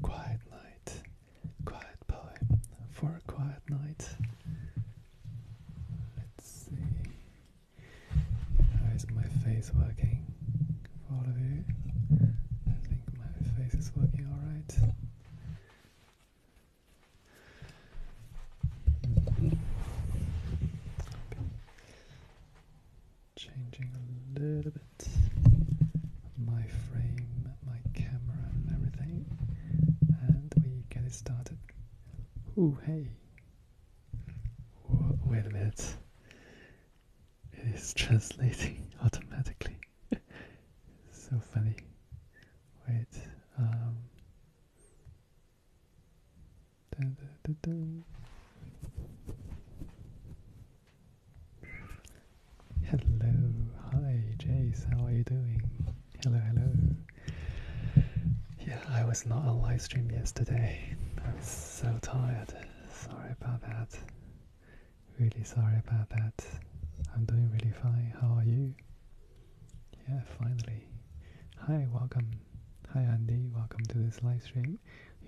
Quiet night, quiet poem for a quiet night. Let's see. How is my face working for you? I think my face is working alright changing a little bit my frame, my camera, and everything, and we get it started. Ooh, hey! wait a minute. It is translating automatically. so funny. Wait, um, Hello, hi Jace, how are you doing? Hello, hello. Yeah, I was not on live stream yesterday. I was so tired. Sorry about that. Really sorry about that. I'm doing really fine. How are you? Yeah, finally. Hi, welcome. Hi, Andy. Welcome to this live stream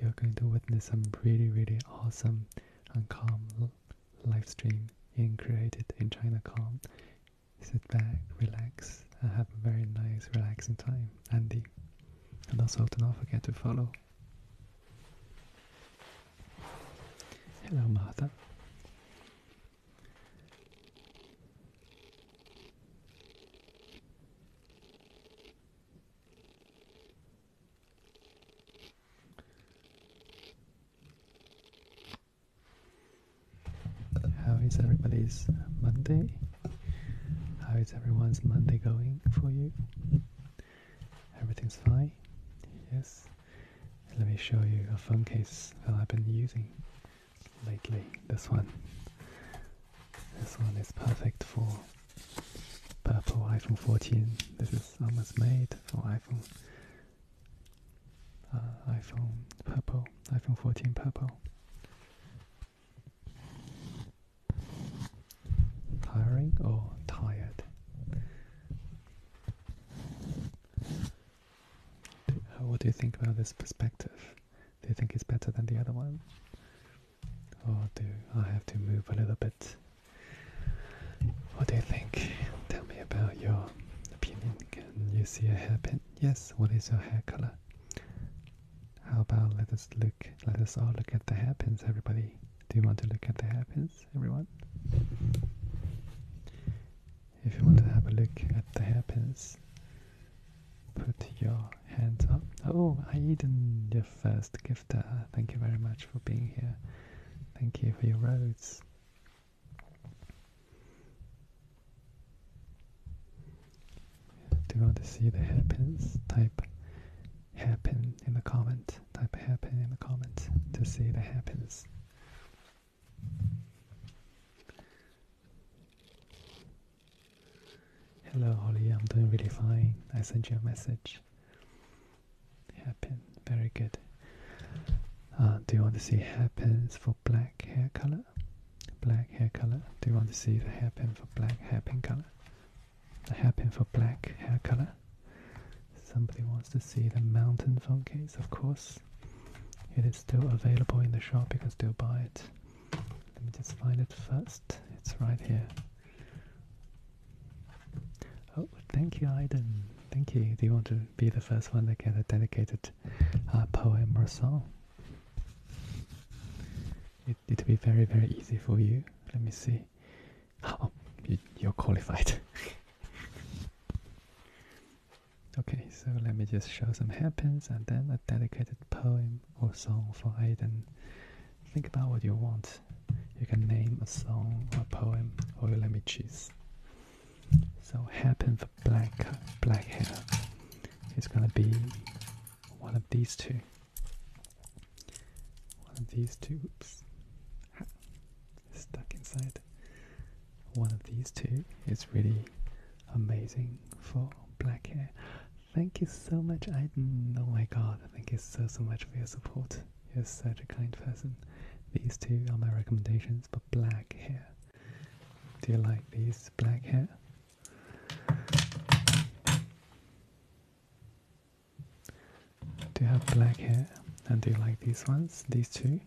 you're going to witness some really, really awesome and calm live stream in created in China Calm. Sit back, relax, and have a very nice, relaxing time, Andy. And also, do not forget to follow. Hello, Martha. How is everybody's Monday? How is everyone's Monday going for you? Everything's fine? Yes. Let me show you a phone case that I've been using lately. This one. This one is perfect for Purple iPhone 14. This is almost made for iPhone. Uh, iPhone purple. iPhone 14 purple. Tiring or tired? What do you think about this perspective? Do you think it's better than the other one? Or oh, do I have to move a little bit? What do you think? Tell me about your opinion. Can you see a hairpin? Yes. What is your hair color? How about let us look, let us all look at the hairpins, everybody. Do you want to look at the hairpins, everyone? If you want to have a look at the hairpins, put your hands up. Oh, Aiden, your first gifter. Thank you very much for being here. Thank you for your roads. Do you want to see the happens? Type "happen" in the comment. Type "happen" in the comment to see the happens. Hello Holly, I'm doing really fine. I sent you a message. Happen, very good. Uh, do you want to see hairpins for black hair color? Black hair color. Do you want to see the hairpin for black hairpin color? The hairpin for black hair color. Somebody wants to see the mountain phone case, of course. It is still available in the shop, you can still buy it. Let me just find it first. It's right here. Oh, thank you, Aiden. Thank you. Do you want to be the first one to get a dedicated uh, poem or song? It, it'll be very, very easy for you. Let me see. Oh, you're qualified. okay, so let me just show some hairpins and then a dedicated poem or song for Aiden. Think about what you want. You can name a song a poem or you let me choose. So happen for black black hair is gonna be one of these two. One of these two oops stuck inside. One of these two is really amazing for black hair. Thank you so much. I oh my god, thank you so so much for your support. You're such a kind person. These two are my recommendations for black hair. Do you like these black hair? Do you have black hair? And do you like these ones? These two?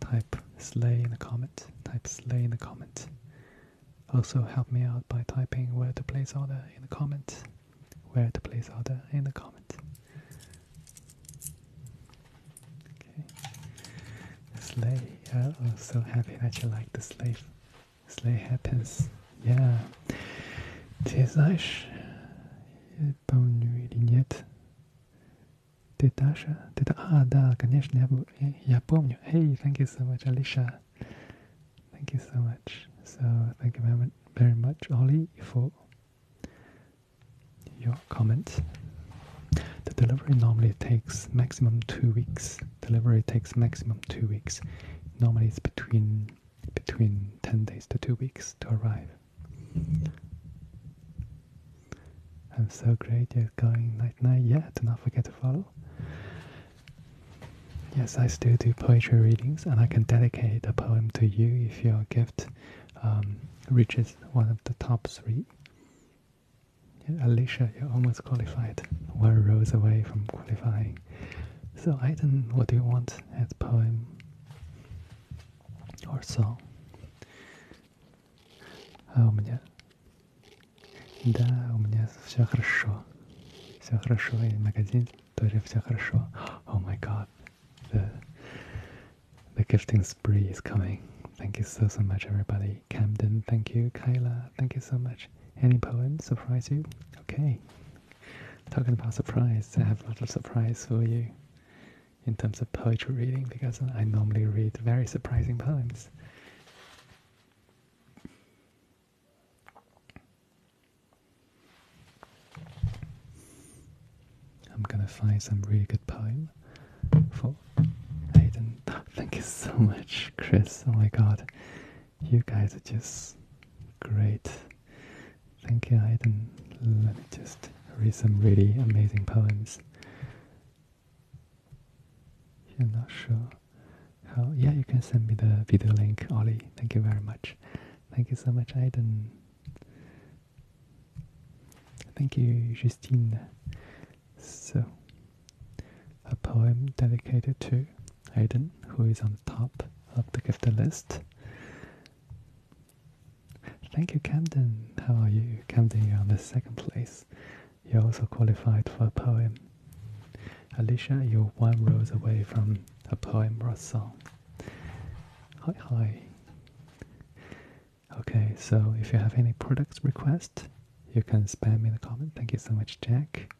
Type slay in the comment. Type slay in the comment. Also help me out by typing where to place order in the comments. Where to place order in the comments. Okay. Slay. Yeah, I'm oh, so happy that you like the slave. Slay happens. Yeah. Tessage. Bonne lunette. Ты Даша? Ты... А, да, конечно, я, я помню. Эй, hey, thank you so much, Алиша. Thank you so much. So thank you very, much, Ollie, for your comment. The delivery normally takes maximum two weeks. Delivery takes maximum two weeks. Normally it's between between ten days to two weeks to arrive. I'm so great you're going night night. Yeah, do not forget to follow. Yes, I still do poetry readings, and I can dedicate a poem to you if your gift um, reaches one of the top three. Alicia, you're almost qualified, one rose away from qualifying. So, Aiden, what do you want as poem or song? 还有我们家 um, Да, у меня все хорошо. Все хорошо, и магазин тоже все хорошо. Oh my god. The, gifting spree is coming. Thank you so so much everybody. Camden, thank you. Kayla, thank you so much. Any poems surprise you? Okay. Talking about surprise, I have a lot of surprise for you in terms of poetry reading because I normally read very surprising poems. I'm gonna find some really good poem for Aiden. Thank you so much, Chris. Oh my god, you guys are just great. Thank you, Aiden. Let me just read some really amazing poems. You're not sure how yeah you can send me the video link ollie thank you very much thank you so much Aidan. thank you justine so a poem dedicated to Aidan, who is on the top of the gift list thank you camden how are you camden you're on the second place you're also qualified for a poem Alicia, you're one rose away from a poem or a song. Hi, hi. Okay, so if you have any product request, you can spam me in the comment. Thank you so much, Jack.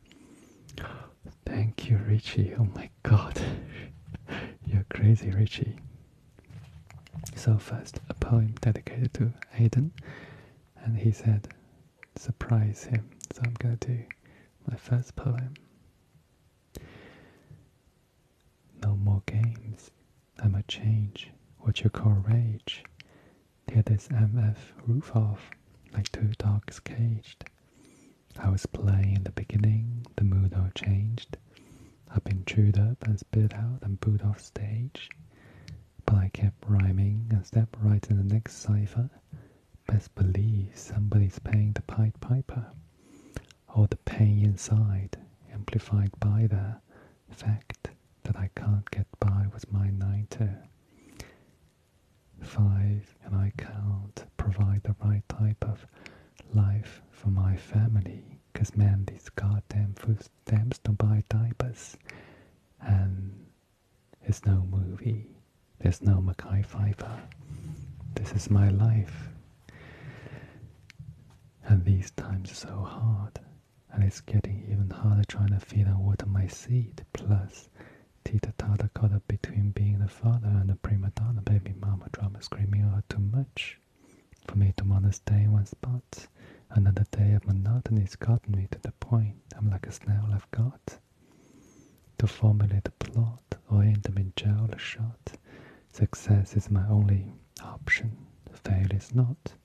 Thank you, Richie. Oh my god. You're crazy, Richie. So first, a poem dedicated to Aiden, and he said, surprise him. So I'm going to do my first poem. No more games. I might change what you call rage. Tear this MF roof off like two dogs caged. I was playing in the beginning, the mood all changed. I've been chewed up and spit out and booed off stage. But I kept rhyming and stepped right in the next cipher. Best believe somebody's paying the Pied Piper, or the pain inside, amplified by the fact that I can't get by with my 9 5 and I can't provide the right type of life for my family, 'cause man, these goddamn food stamps don't buy diapers. And there's no movie. There's no Mackay Pfeiffer. This is my life. And these times are so hard. And it's getting even harder trying to feed and water my seed. Plus, Tita Tata caught up between being the father and the prima donna baby mama drama screaming out too much. For me to want to stay in one spot. Another day of monotony's gotten me to the point I'm like a snail I've got. To formulate a plot or end up in jail shot, success is my only option, Failure is not.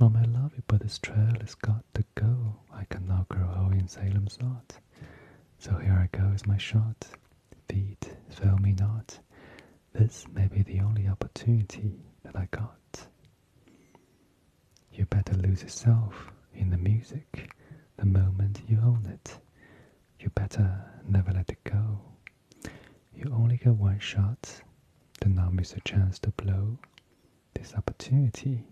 Mom, I love you, but this trail has got to go. I can now grow old in Salem's lot. So here I go with my shot. Feet, fail me not. This may be the only opportunity that I got. You better lose yourself in the music the moment you own it. You better never let it go. You only get one shot. Do not miss a chance to blow. This opportunity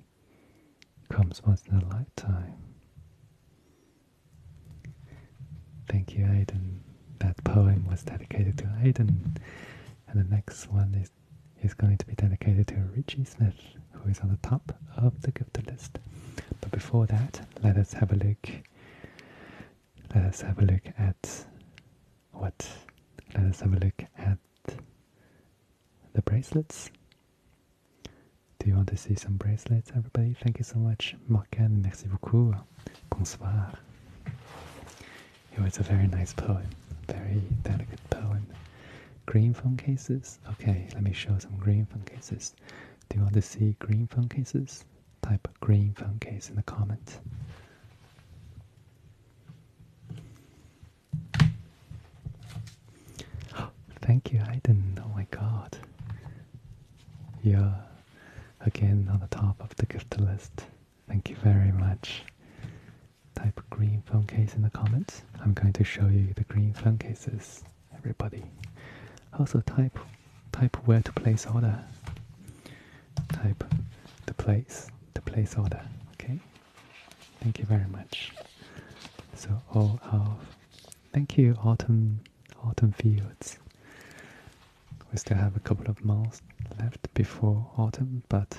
comes once in a lifetime. Thank you, Aidan. That poem was dedicated to Aidan. And the next one is is going to be dedicated to Richie Smith, who is on the top of the gifted list. But before that, let us have a look. Let us have a look at what? Let us have a look at the bracelets. Do you want to see some bracelets, everybody? Thank you so much, Morgan. Merci beaucoup. Bonsoir. It was a very nice poem, very delicate poem. Green phone cases? Okay, let me show some green phone cases. Do you want to see green phone cases? Type green phone case in the comments. Thank you, Aiden. Oh my god. You're again on the top of the gift list. Thank you very much type green phone case in the comments. I'm going to show you the green phone cases, everybody. Also type type where to place order. Type the place, the place order, okay? Thank you very much. So all of thank you autumn autumn fields. We still have a couple of months left before autumn, but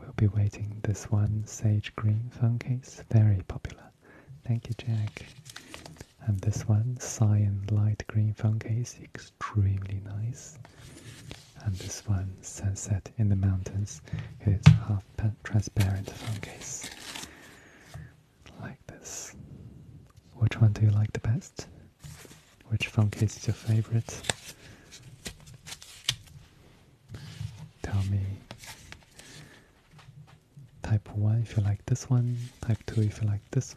We'll be waiting this one, Sage Green Phone Case, very popular. Thank you, Jack. And this one, Cyan Light Green Phone Case, extremely nice. And this one, Sunset in the Mountains, it is half transparent phone case. Like this. Which one do you like the best? Which phone case is your favorite? Tell me type 1 if you like this one, type 2 if you like this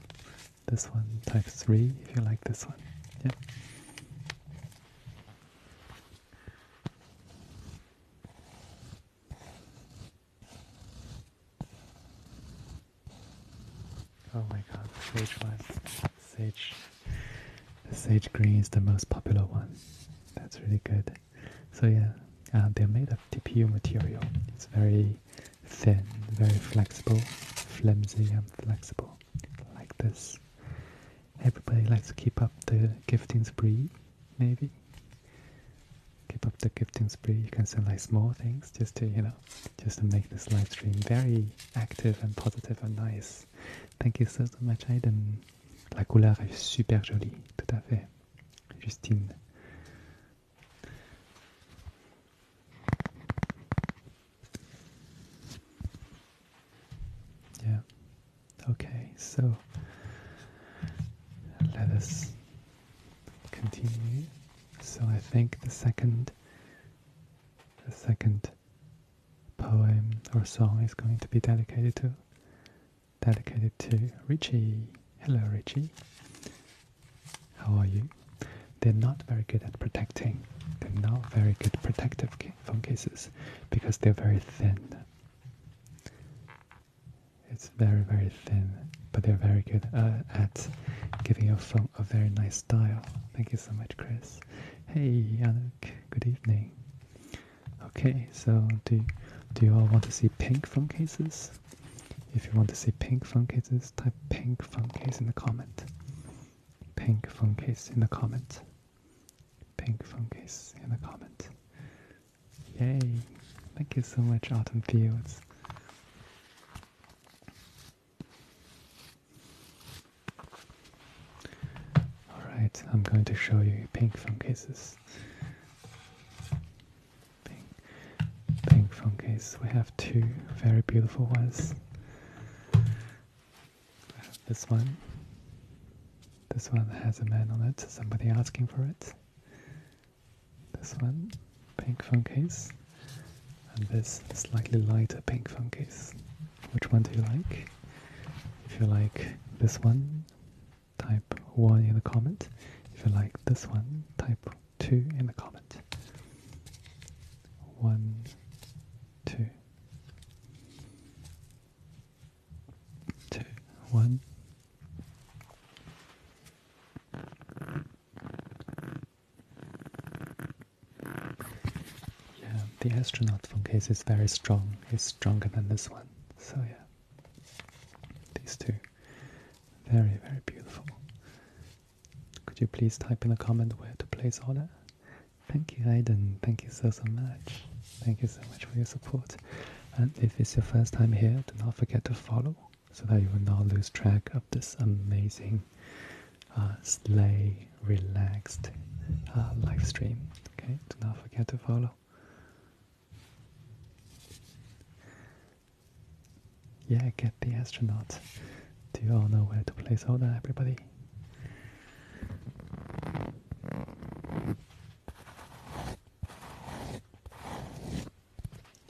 this one, type 3 if you like this one. Yeah. Oh my god, Sage one. Sage the Sage green is the most popular one. That's really good. So yeah, uh, they're made of TPU material. It's very thin, very flexible, flimsy and flexible, like this. Everybody likes to keep up the gifting spree, maybe. Keep up the gifting spree. You can sell like small things just to, you know, just to make this livestream very active and positive and nice. Thank you so, so much, Aiden. La couleur est super jolie, tout à fait. Justine. Yeah. Okay, so let us continue. So I think the second the second poem or song is going to be dedicated to. Dedicated to Richie. Hello, Richie. How are you? They're not very good at protecting. They're not very good protective phone cases because they're very thin. It's very, very thin, but they're very good uh, at giving your phone a very nice style. Thank you so much, Chris. Hey, Yannick. Good evening. Okay, so do do you all want to see pink phone cases? If you want to see pink phone cases, type pink phone case in the comment. Pink phone case in the comment. Pink phone case in the comment. Yay! Thank you so much, Autumn Fields. Alright, I'm going to show you pink phone cases. Pink, pink phone case. We have two very beautiful ones. We have this one. This one has a man on it, somebody asking for it. This one, pink phone case. And this slightly lighter pink phone case. Which one do you like? If you like this one, type 1 in the comment. If you like this one, type 2 in the comment. 1, 2, 1. Yeah, the astronaut phone case is very strong. It's stronger than this one. So yeah, these two, very very beautiful. Could you please type in the comment where to place all that? Thank you, Aidan. Thank you so so much. Thank you so much for your support. And if it's your first time here, do not forget to follow so that you will not lose track of this amazing uh, sleigh relaxed uh, live stream. Okay, do not forget to follow yeah, get the astronaut. Do you all know where to place order, everybody?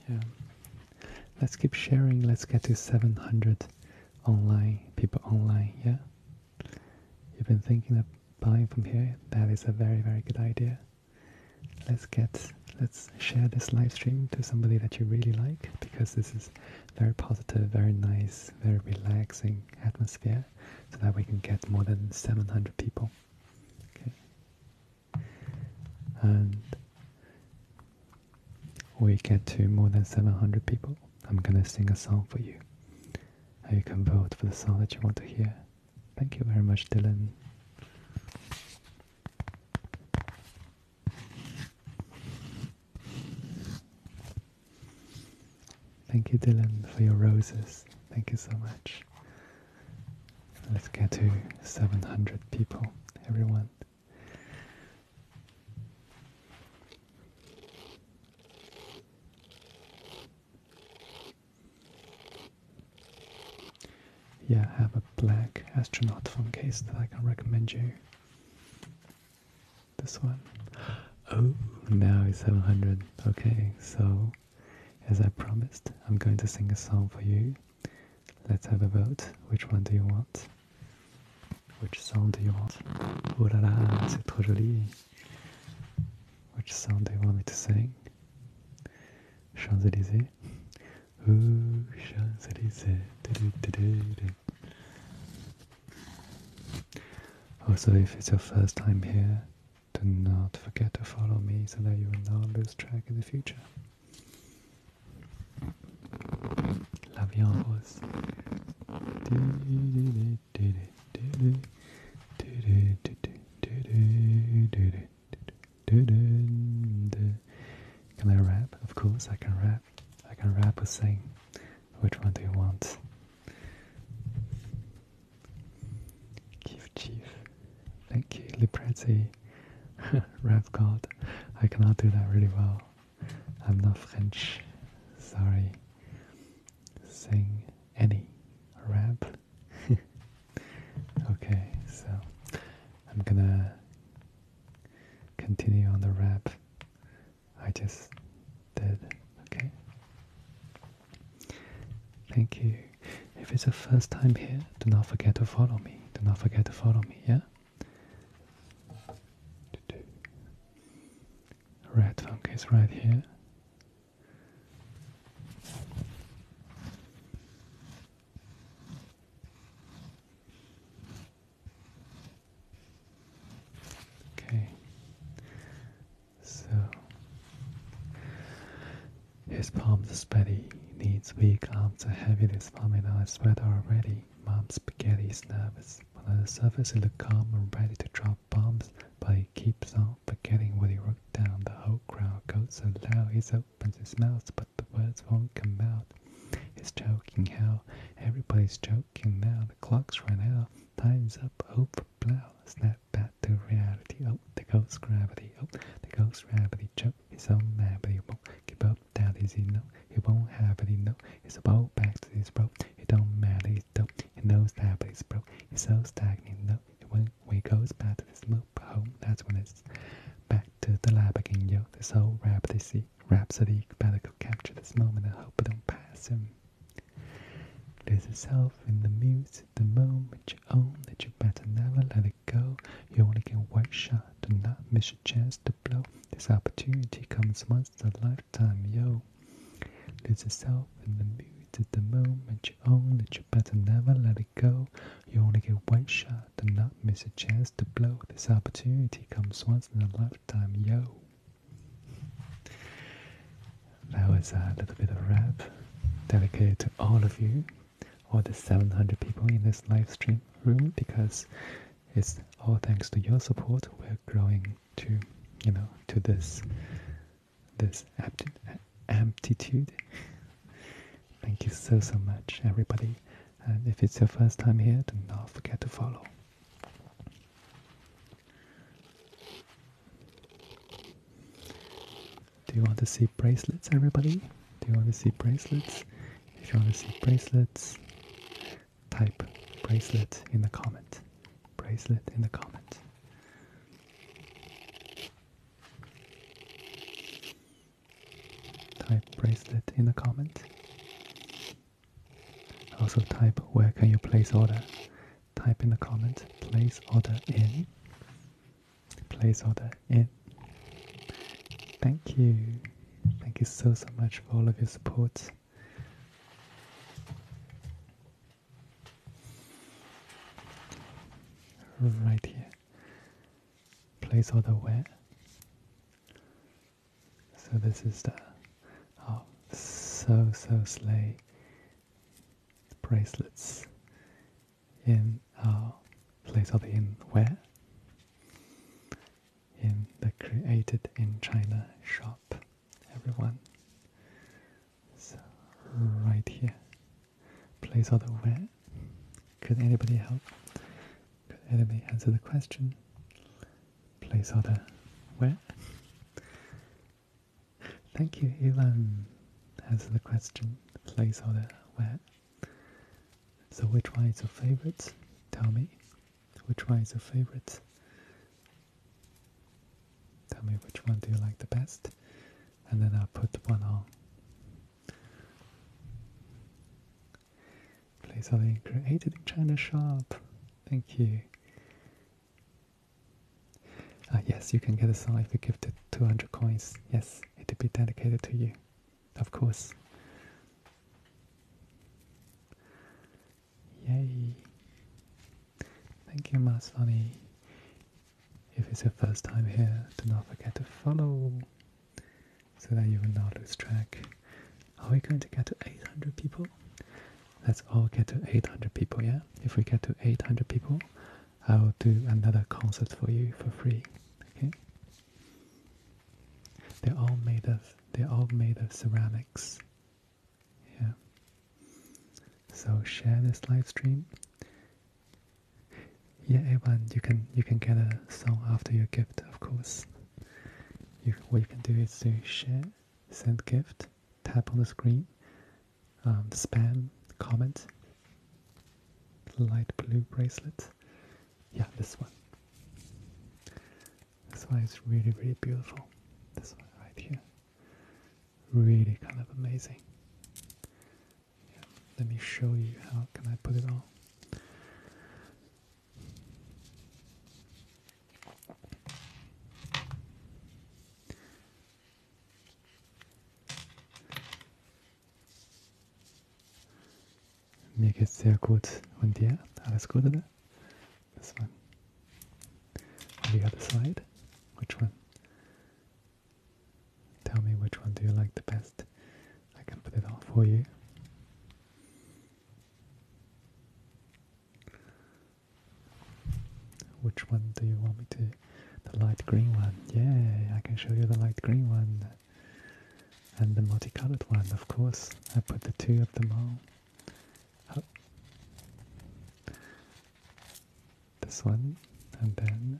Yeah. Let's keep sharing. Let's get to 700 online people online. Yeah. You've been thinking that buying from here, that is a very, very good idea. Let's get, let's share this live stream to somebody that you really like because this is very positive, very nice, very relaxing atmosphere so that we can get more than 700 people. Okay. And we get to more than 700 people. I'm gonna sing a song for you how you can vote for the song that you want to hear. Thank you very much, Dylan. Thank you, Dylan, for your roses. Thank you so much. Let's get to 700 people, everyone. Yeah, I have a black astronaut phone case that I can recommend you. This one. Oh, now it's 700. Okay, so as I promised, I'm going to sing a song for you. Let's have a vote. Which one do you want? Which song do you want? Oh là là, c'est trop joli. Which song do you want me to sing? Champs-Élysées? Ooh, Champs-Élysées. Also, if it's your first time here, do not forget to follow me so that you will not lose track in the future. L'avion rose. Can I rap? Of course I can rap. I can rap or sing. Which one do you want? Keef Chief. Thank you, Liprezzi. rap God. I cannot do that really well. I'm not French. Sorry sing any rap. okay, so I'm gonna continue on the rap I just did. Okay. Thank you. If it's the first time here, do not forget to follow me. Do not forget to follow me, yeah? Red Funk is right here. Okay, so his palms sweaty, knees weak, arms to heavy. This vomit I already. Mom's spaghetti is on the surface, he look calm and ready to drop bombs, but he keeps on now, forgetting what he wrote down. The whole crowd goes so loud, he opens his mouth, but the words won't come out. He's joking how everybody's joking now. The clock's run out, time's up, over plow. Snap back to reality. Oh, the ghost gravity. Oh, the ghost gravity. Joke is so mad, but he won't give up. That is he know. He won't have it. He know. He's about back to his bro. It don't matter. He's dope. He knows that, but he's broke. He's so stagnant. No, when, we goes back to this home, that's when it's back to the lab again, yo. This whole rhapsody, rhapsody better could capture this moment I hope it don't pass him. There's a self in the muse, the moment you own that you better never let it go. You only get one shot, do not miss your chance to blow. This opportunity comes once in a lifetime, yo. Lose yourself in the mood at the moment you own on it, you better never let it go. You only get one shot and not miss a chance to blow. This opportunity comes once in a lifetime, yo. That was a little bit of rap dedicated to all of you, all the 700 people in this live stream room, because it's all thanks to your support we're growing to, you know, to this this aptitude. Thank you so, so much, everybody. And if it's your first time here, do not forget to follow. Do you want to see bracelets, everybody? Do you want to see bracelets? If you want to see bracelets, type bracelet in the comment. Bracelet in the comment. Type bracelet in the comment. Also type where can you place order. Type in the comment place order in. Place order in. Thank you. Thank you so so much for all of your support. Right here. Place all the where. So this is the oh so so slay bracelets in our uh, place order in where in the created in China shop. Everyone it's right here. Place order where? Could anybody help? Could anybody answer the question? Place order where? Thank you, Elon. Answer the question. Place order where? So which one is your favorite? Tell me. Which one is your favorite? Tell me which one do you like the best, and then I'll put one on. Please only created in China shop. Thank you. Ah, yes, you can get a song if you give the 200 coins. Yes, it'll be dedicated to you. Of course. Yay. Thank you, Masvani. If it's your first time here, do not forget to follow so that you will not lose track. Are we going to get to 800 people? Let's all get to 800 people, yeah? If we get to 800 people, I will do another concert for you for free, okay? They're all made of, they're all made of ceramics, yeah? So share this live stream. Yeah, everyone, you can you can get a song after your gift, of course. You, what you can do is to share, send gift, tap on the screen, um, spam, comment, light blue bracelet. Yeah, this one. This one is really really beautiful. This one right here really kind of amazing. Let me show you how can I put it on. Mir geht's sehr gut. Und dir? Alles gut, oder? On the other side? Which one? Tell me which one do you like the best. I can put it on for you. Which one do you want me to? The light green one. Yeah, I can show you the light green one. And the multicolored one, of course. I put the two of them all Oh this one, and then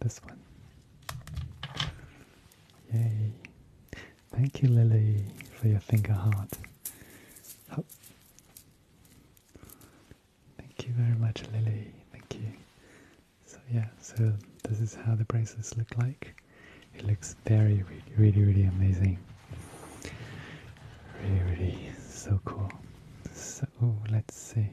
this one. Yay! Thank you, Lily, for your finger heart. Oh. Thank you very much, Lily. Thank you. So yeah, so this is how the braces look like. It looks very, really, really amazing. Really, really so cool. So let's see.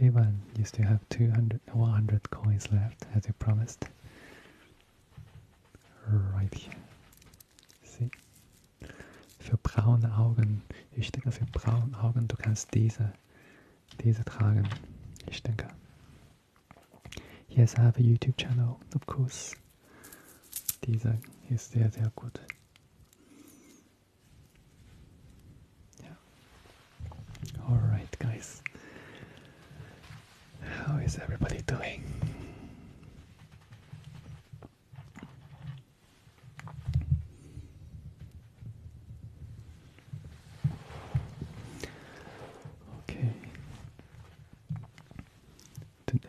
Ivan used to have 200, 100 coins left, as you promised. Right here. See? For braune Augen. Ich denke, für braune Augen, du kannst diese, diese tragen. Ich denke. Yes, I have a YouTube channel, of course. These are, yes, they are, good. Alright, guys. How is everybody doing? Okay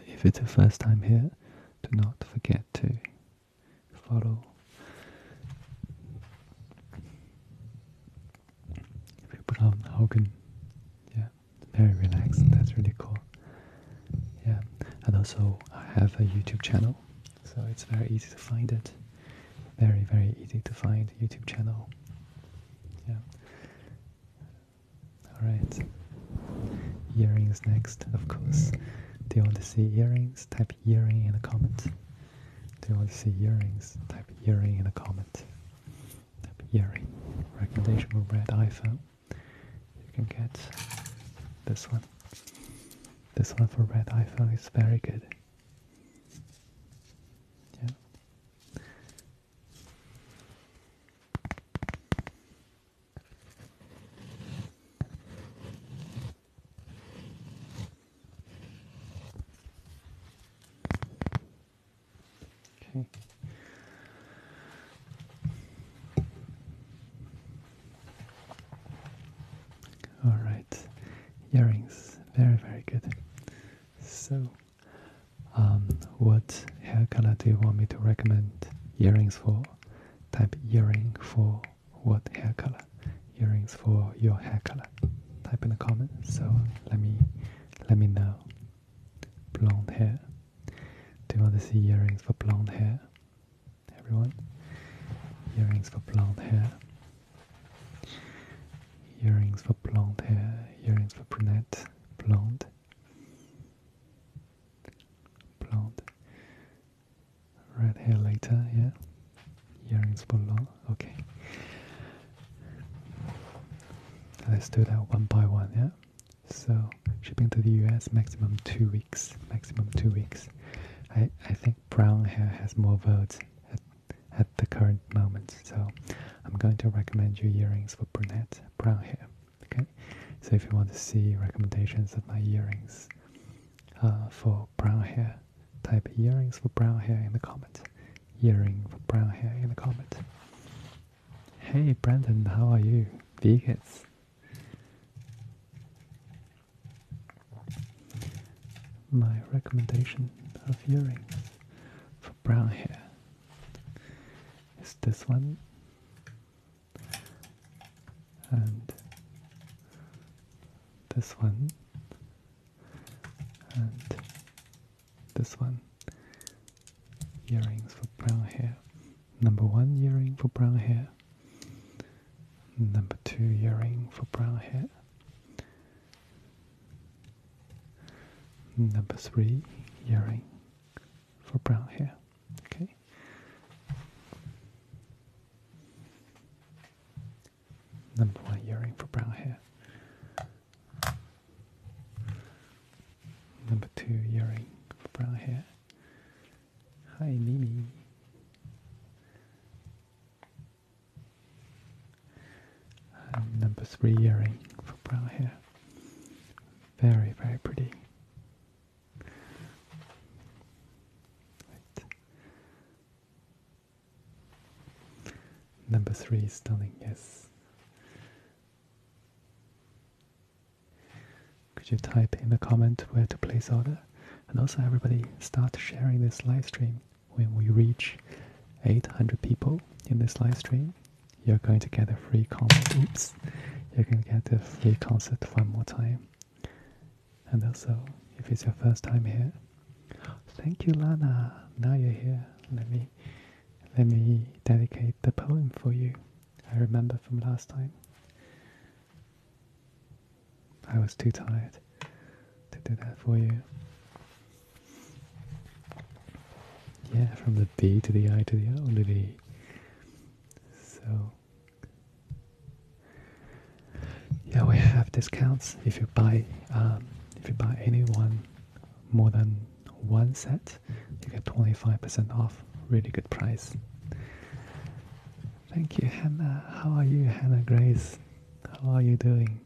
if it's your first time here, do not forget to follow. If you yeah, very relaxed. That's really cool. Yeah, and also I have a YouTube channel, so it's very easy to find it. Very very easy to find YouTube channel. Yeah, Alright, earrings next, of course. Do you want to see earrings? Type earring in the comment. Do you want to see earrings? Type earring in the comment. Type earring. Recommendation will read iPhone. You can get this one. This one for red iPhone is very good. Yeah. Okay. All right, earrings, very, very good. So um, what hair color do you want me to recommend earrings for? Type earring for what hair color? Earrings for your hair color. Type in the comments. So let me let me know. Blonde hair. Do you want to see earrings for blonde hair? Everyone, earrings for blonde hair. Earrings for blonde hair. Earrings for brunette. Blonde. Blonde. Red hair later, yeah. Earrings for long, okay. Let's do that one by one, yeah. So shipping to the US maximum two weeks. Maximum two weeks. I I think brown hair has more votes at at the current moment, so I'm going to recommend you earrings for brunette brown hair. Okay, so if you want to see recommendations of my earrings uh, for brown hair, type earrings for brown hair in the comment. Earring for brown hair in the comment. Hey Brandon, how are you? Veggies. My recommendation of earrings for brown hair is this one. And this one and this one. Earrings for brown hair. Number one earring for brown hair. Number two earring for brown hair. Number three earring for brown hair. Okay. Number one earring for brown hair. Number two earring for brown hair. Hi, Mimi. Um, number three earring for brown hair. Very, very pretty. Number three stunning, yes. Could you type in the comment where to place order? And also everybody start sharing this live stream. When we reach 800 people in this live stream, you're going to get a free concert. Oops, you can get a free concert one more time. And also, if it's your first time here, thank you, Lana. Now you're here. Let me let me dedicate the poem for you. I remember from last time. I was too tired to do that for you. Yeah, from the B to the I to the O to the E. So, yeah, we have discounts if you buy um, if you buy any one more than one set, you get twenty five percent off. Really good price. Thank you, Hannah. How are you, Hannah Grace? How are you doing?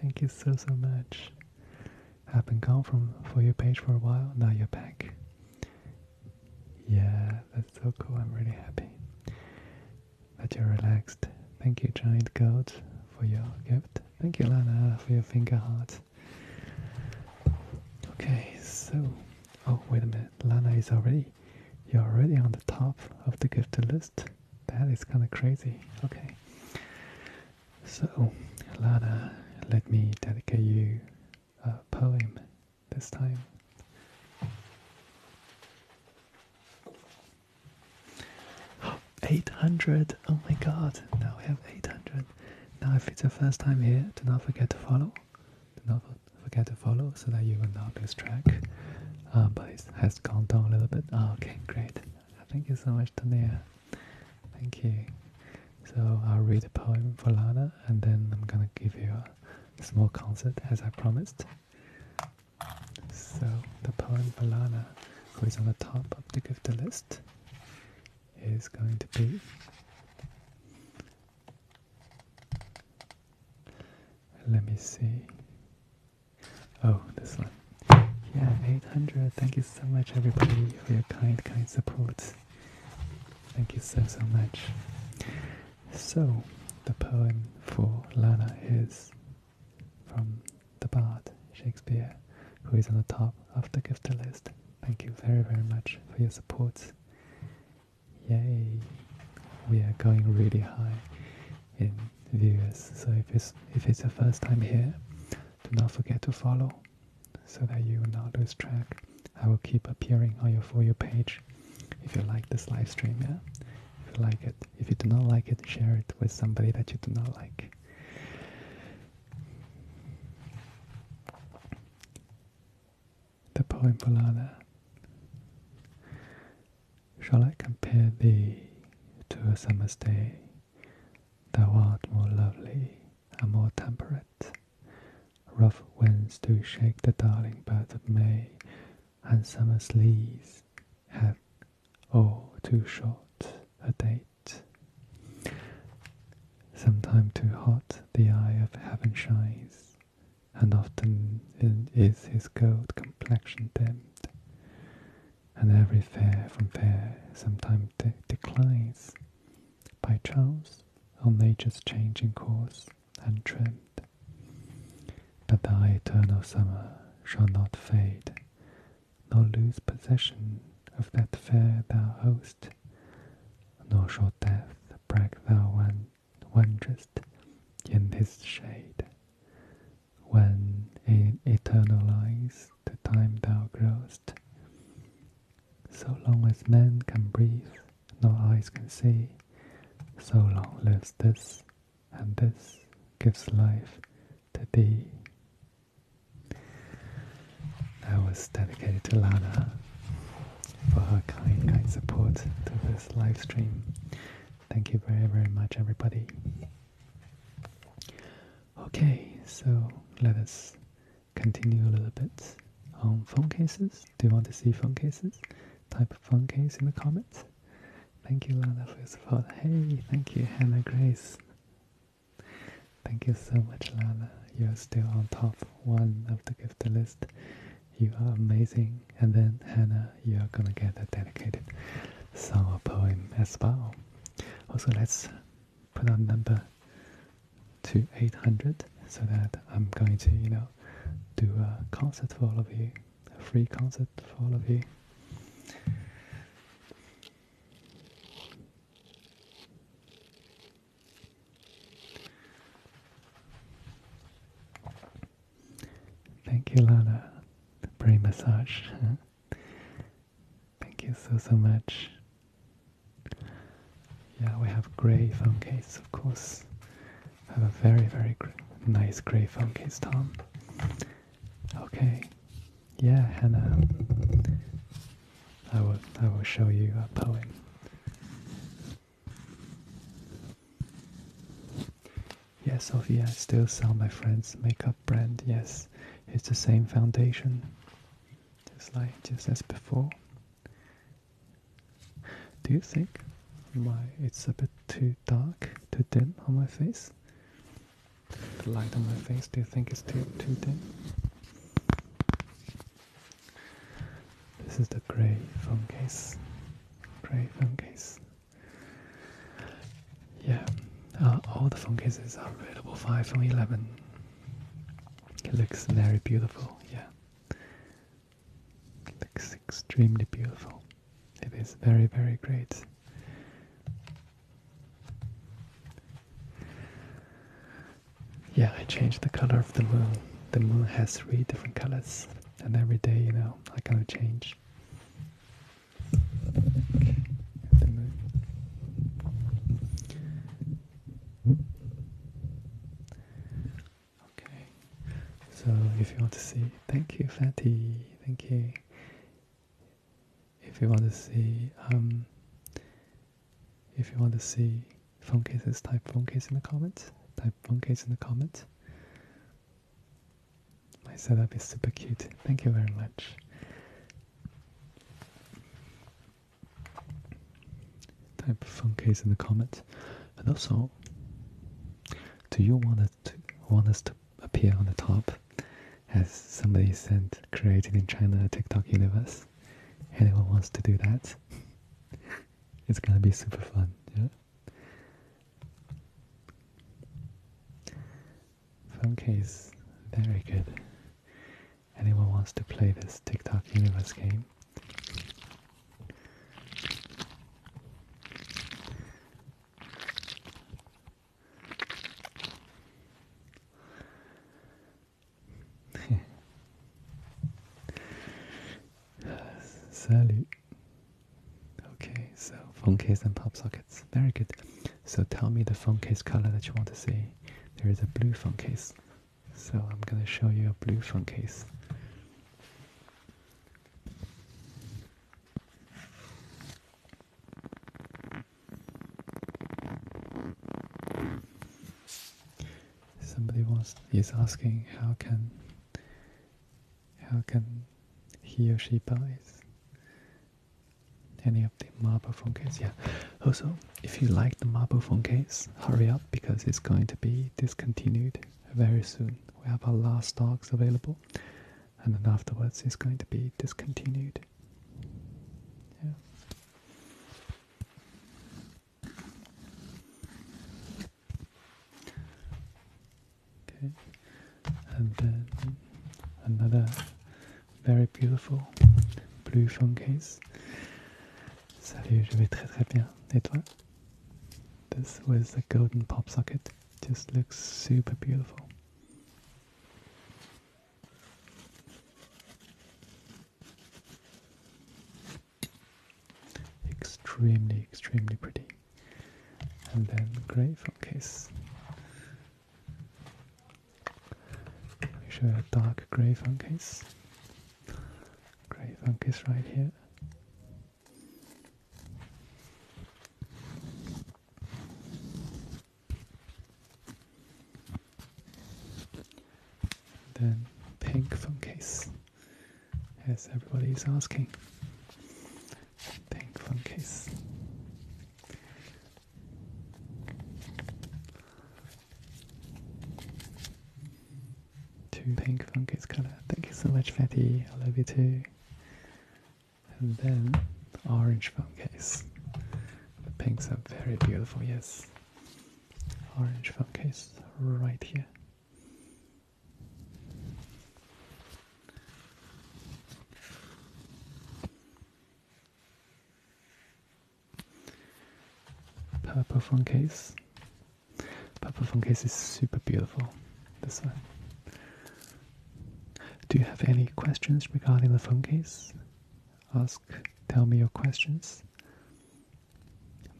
Thank you so so much. I've been gone from for your page for a while. Now you're back. Yeah, that's so cool. I'm really happy that you're relaxed. Thank you, Giant Goat, for your gift. Thank you, Lana, for your finger heart. Okay, so oh wait a minute, Lana is already you're already on the top of the gift list. That is kind of crazy. Okay. So, Lara, let me dedicate you a poem this time. Eight hundred! Oh my God! Now we have eight hundred. Now, if it's your first time here, do not forget to follow. Do not forget to follow so that you will not lose track. Ah, but it has gone down a little bit. Ah, okay, great. Thank you so much, Tania. Thank you. So I'll read the poem for Lana and then I'm gonna give you a small concert as I promised. So the poem for Lana, who is on the top of the gift list, is going to be let me see. Oh, this one. Yeah, 800. Thank you so much, everybody, for your kind, kind support. Thank you so, so much. So, the poem for Lana is from the Bard Shakespeare, who is on the top of the gift list. Thank you very, very much for your support. Yay! We are going really high in viewers. So if it's if it's your first time here, do not forget to follow so that you will not lose track. I will keep appearing on your For your page if you like this live stream, yeah? If you like it. If you do not like it, share it with somebody that you do not like. The poem Polana. Shall I compare thee to a summer's day Thou art more lovely and more temperate. Rough winds do shake the darling buds of May, and summer's leaves have oh, too short a date. Sometime too hot the eye of heaven shines, and often is his gold complexion dimmed and every fair from fair sometimes declines by chance or nature's changing course and trend. But thy eternal summer shall not fade, nor lose possession of that fair thou host, nor shall death brag thou wan wanderest in his shade. When in eternal lies the time thou growest. So long as men can breathe, nor eyes can see, so long lives this, and this gives life to thee. I was dedicated to Lana for her kind, kind support to this live stream. Thank you very, very much, everybody. Okay, so let us continue a little bit on phone cases. Do you want to see phone cases? Type phone case in the comments. Thank you, Lana, for your support. Hey, thank you, Hannah Grace. Thank you so much, Lana. You're still on top one of the gift list. You are amazing. And then, Hannah, you're gonna get a dedicated song or poem as well. Also, let's put our number to 800 so that I'm going to, you know, do a concert for all of you, a free concert for all of you. Thank you, Lana. The massage. Thank you so, so much. Yeah, we have gray phone case, of course. have a very, very nice gray phone case, Tom. Okay. Yeah, Hannah. I will, I will show you a poem. Yes, Sophia, still sell my friend's makeup brand. Yes, it's the same foundation just like just as before. Do you think my it's a bit too dark, too dim on my face? The light on my face, do you think it's too too dim? This is the grey phone case. Grey phone case. Yeah, uh, all the phone cases are available five from 11. It looks very beautiful, yeah. It looks extremely beautiful. It is very, very great. Yeah, I changed the color of the moon. The moon has three different colors, and every day, you know, I kind of change. Okay, so if you want to see, thank you, Fatty, thank you. If you want to see, um, if you want to see phone cases, type phone case in the comments. Type phone case in the comments. My setup is super cute. Thank you very much. Type phone case in the comments. And also, do you want us to want us to appear on the top? As somebody sent created in China TikTok universe. Anyone wants to do that? it's gonna be super fun, yeah. Phone case, very good anyone wants to play this TikTok universe game. Salut. Okay, so phone case and pop sockets. Very good. So tell me the phone case color that you want to see. There is a blue phone case. So I'm going to show you a blue phone case. Somebody wants is asking how can how can he or she buy this any of the marble phone cases, Yeah. Also, if you like the marble phone case, hurry up because it's going to be discontinued very soon. We have our last stocks available, and then afterwards it's going to be discontinued. Okay, and then another very beautiful. Blue phone case. Salut, je vais très très bien. Et This was the golden pop socket. Just looks super beautiful. Extremely, extremely pretty. And then grey phone case. We should have a dark grey funkies. Grey funkies right here. Then pink funkies, as everybody is asking. Pink funkies. Two pink fungus colour. Thank you so much, Fatty. I love you too. And then orange case. The pinks are very beautiful, yes. Orange case, right here. Purple phone case. Purple phone case is super beautiful. This one. Do you have any questions regarding the phone case? Ask, tell me your questions.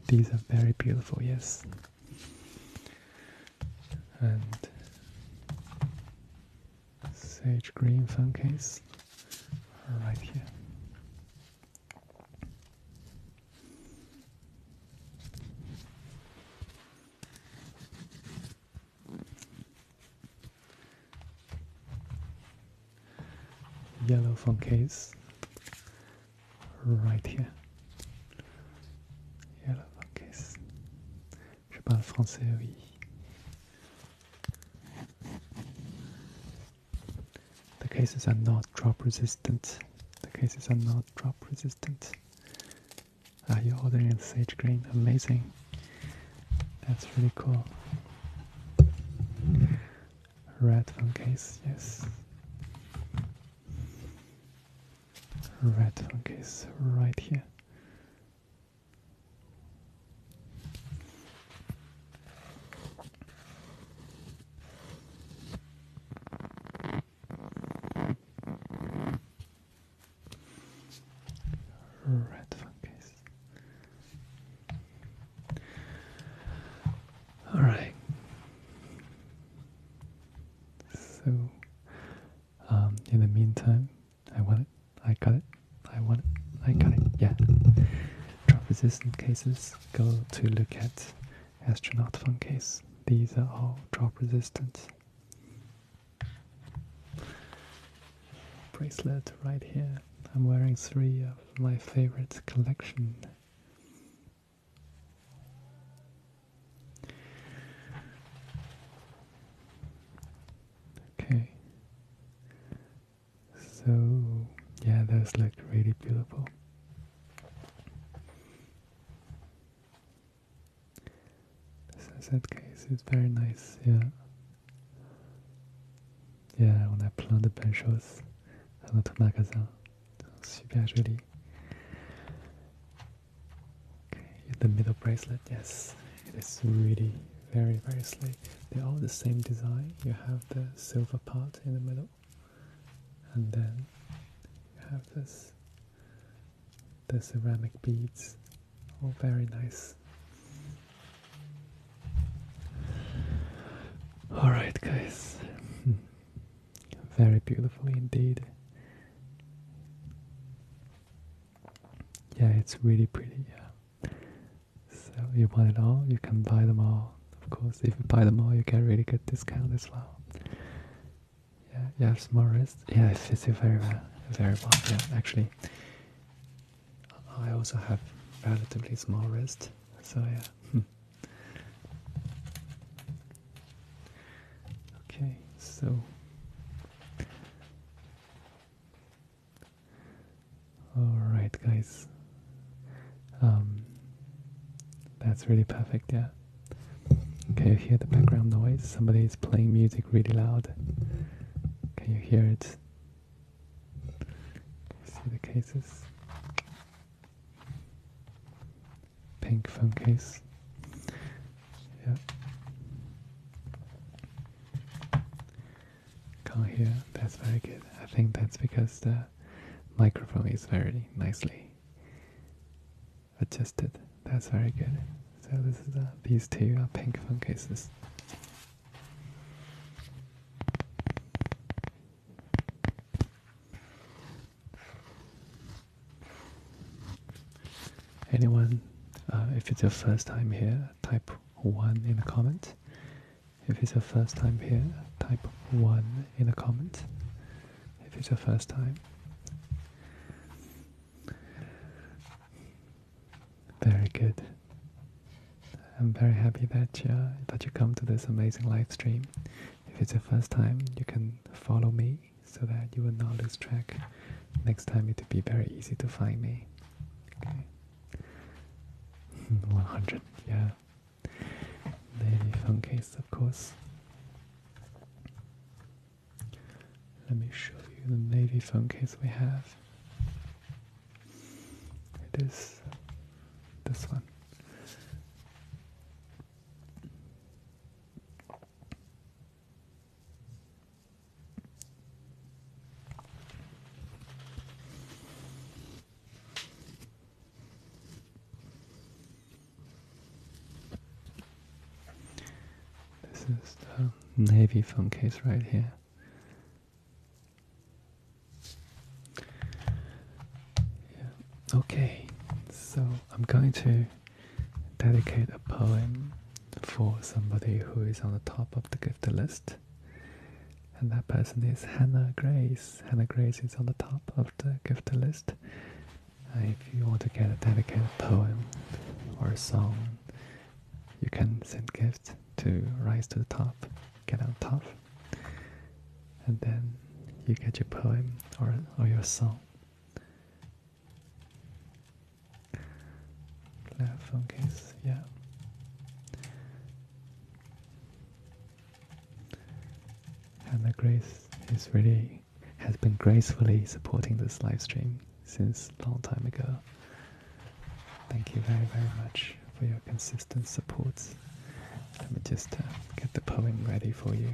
These are very beautiful, yes. And sage green phone case right here. Yellow phone case right here. Yellow phone case. Je parle français, oui. The cases are not drop resistant. The cases are not drop resistant. Are ah, you ordering sage green? Amazing. That's really cool. Red phone case, yes. Red phone case right here. Red fungus. All right. So, um, in the meantime, I want wanted I got it. I want it. I got it. Yeah. Drop resistant cases. Go to look at astronaut phone case. These are all drop resistant. Bracelet right here. I'm wearing three of my favorite collection. Okay. So yeah, those looked really beautiful. The sunset case is very nice, yeah. Yeah, on a plein de belles choses à notre magasin. Super joli. Okay, the middle bracelet, yes, it is really very, very sleek. They're all the same design. You have the silver part in the middle, and then you have this the ceramic beads. All very nice. Alright, guys. Very beautiful indeed. Yeah, it's really pretty. Yeah, so you want it all? You can buy them all. Of course, if you buy them all, you get really good discount as well. Yeah, you have small wrist. Yeah, it fits you very well. Very well. Yeah, actually, I also have relatively small wrist. So yeah. okay, so Alright, guys. Um, that's really perfect, yeah. Can you hear the background noise? Somebody is playing music really loud. Can you hear it? See the cases? Pink phone case. Yeah can hear. That's very good. I think that's because the microphone is very nicely adjusted. That's very good. So uh, these two are pink phone cases. Anyone, uh, if it's your first time here, type one in the comment. If it's your first time here, type 1 in the comments. If it's your first time. Very good. I'm very happy that you, that you come to this amazing live stream. If it's your first time, you can follow me so that you will not lose track. Next time it will be very easy to find me. Okay. 100, yeah. Navy phone case, of course. Let me show you the navy phone case we have. It is this one. This is the navy phone case right here. Okay, so I'm going to dedicate a poem for somebody who is on the top of the gift list. And that person is Hannah Grace. Hannah Grace is on the top of the gift list. Uh, if you want to get a dedicated poem or a song, you can send gifts to rise to the top, get on top, and then you get your poem or, or your song. Phone case, yeah. Hannah Grace is really has been gracefully supporting this live stream since a long time ago. Thank you very very much for your consistent support. Let me just uh, get the poem ready for you.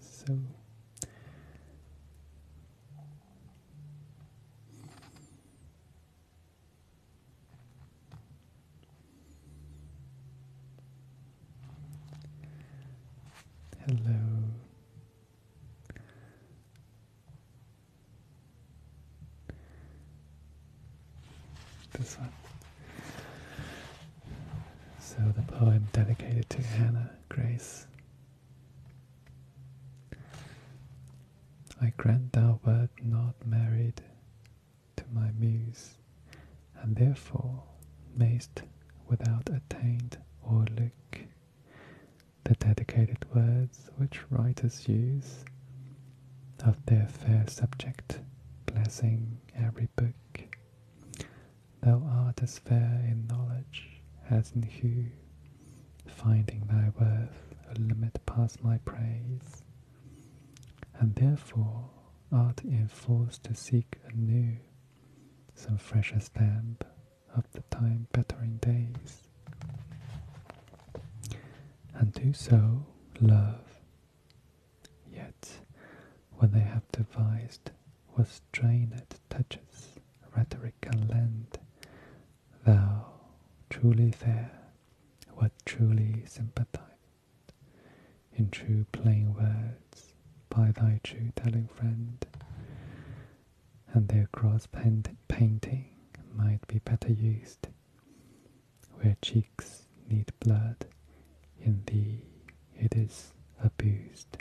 So Hello. This one. So the poem dedicated to Hannah Grace I grant thou wert not married to my muse, and therefore mayst without attaint or look the dedicated words which writers use of their fair subject, blessing every book. Thou art as fair in knowledge as in hue, finding thy worth a limit past my praise, and therefore art enforced to seek anew some fresher stamp of the time bettering days. And do so, love. Yet, when they have devised what strain it touches, rhetoric can lend thou truly fair, what truly sympathized, in true plain words, by thy true telling friend, and their cross painting might be better used, where cheeks need blood, in thee it is abused.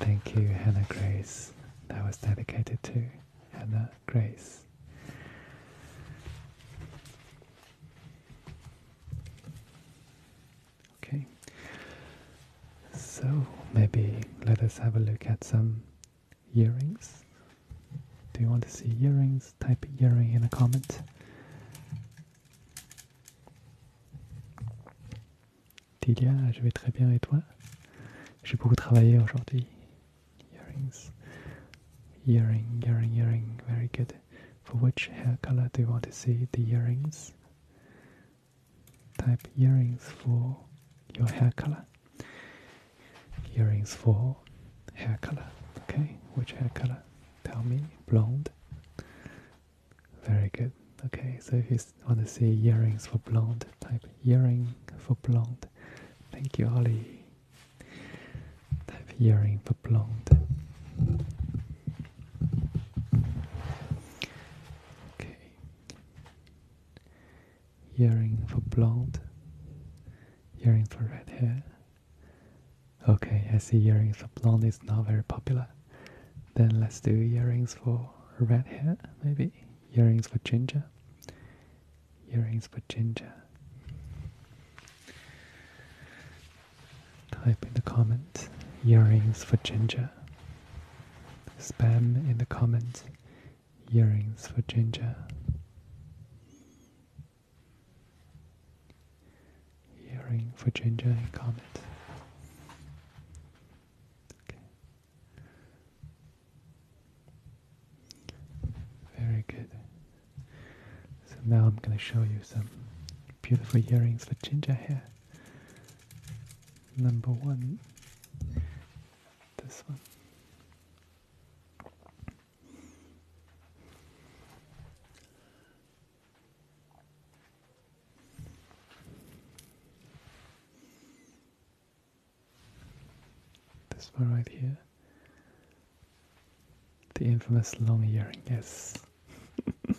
Thank you, Hannah Grace. That was dedicated to Hannah Grace. Okay, so maybe let us have a look at some earrings. Do you want to see earrings? Type earring in a comment. Tilia, je vais très bien et toi J'ai beaucoup travaillé aujourd'hui. Earrings. Earring, earring, earring. Very good. For which hair color do you want to see the earrings? Type earrings for your hair color. Earrings for hair color. Okay, which hair color? Tell me. Blonde. Very good. Okay, so if you want to see earrings for blonde. Type earring for blonde. Thank you, Ali. Type earring for blonde. Okay. Earring for blonde. Earring for red hair. Okay, I see earrings for blonde is not very popular. Then let's do earrings for red hair, maybe earrings for ginger, earrings for ginger. Type in the comments, earrings for ginger. Spam in the comments, earrings for ginger. Earring for ginger in comments. Okay. Very good. So now I'm going to show you some beautiful earrings for ginger hair. Number one, this one. This one right here. The infamous long earring, yes.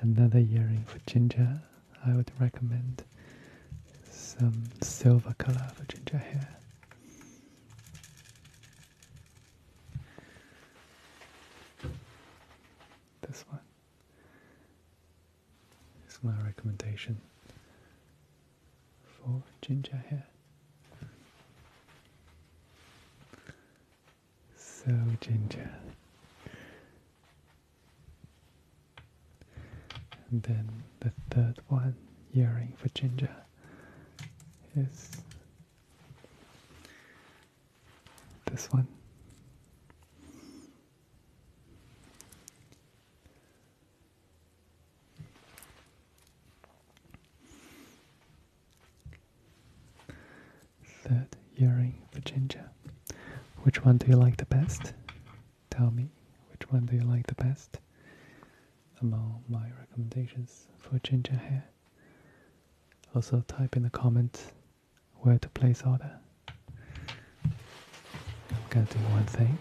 Another earring for ginger. I would recommend some silver color for ginger hair. This one. It's my recommendation for ginger hair. So ginger. And then the third one, earring for ginger, is this one. Third earring for ginger. Which one do you like the best? Tell me, which one do you like the best among my recommendations for ginger hair? Also, type in the comment where to place order. I'm going to do one thing.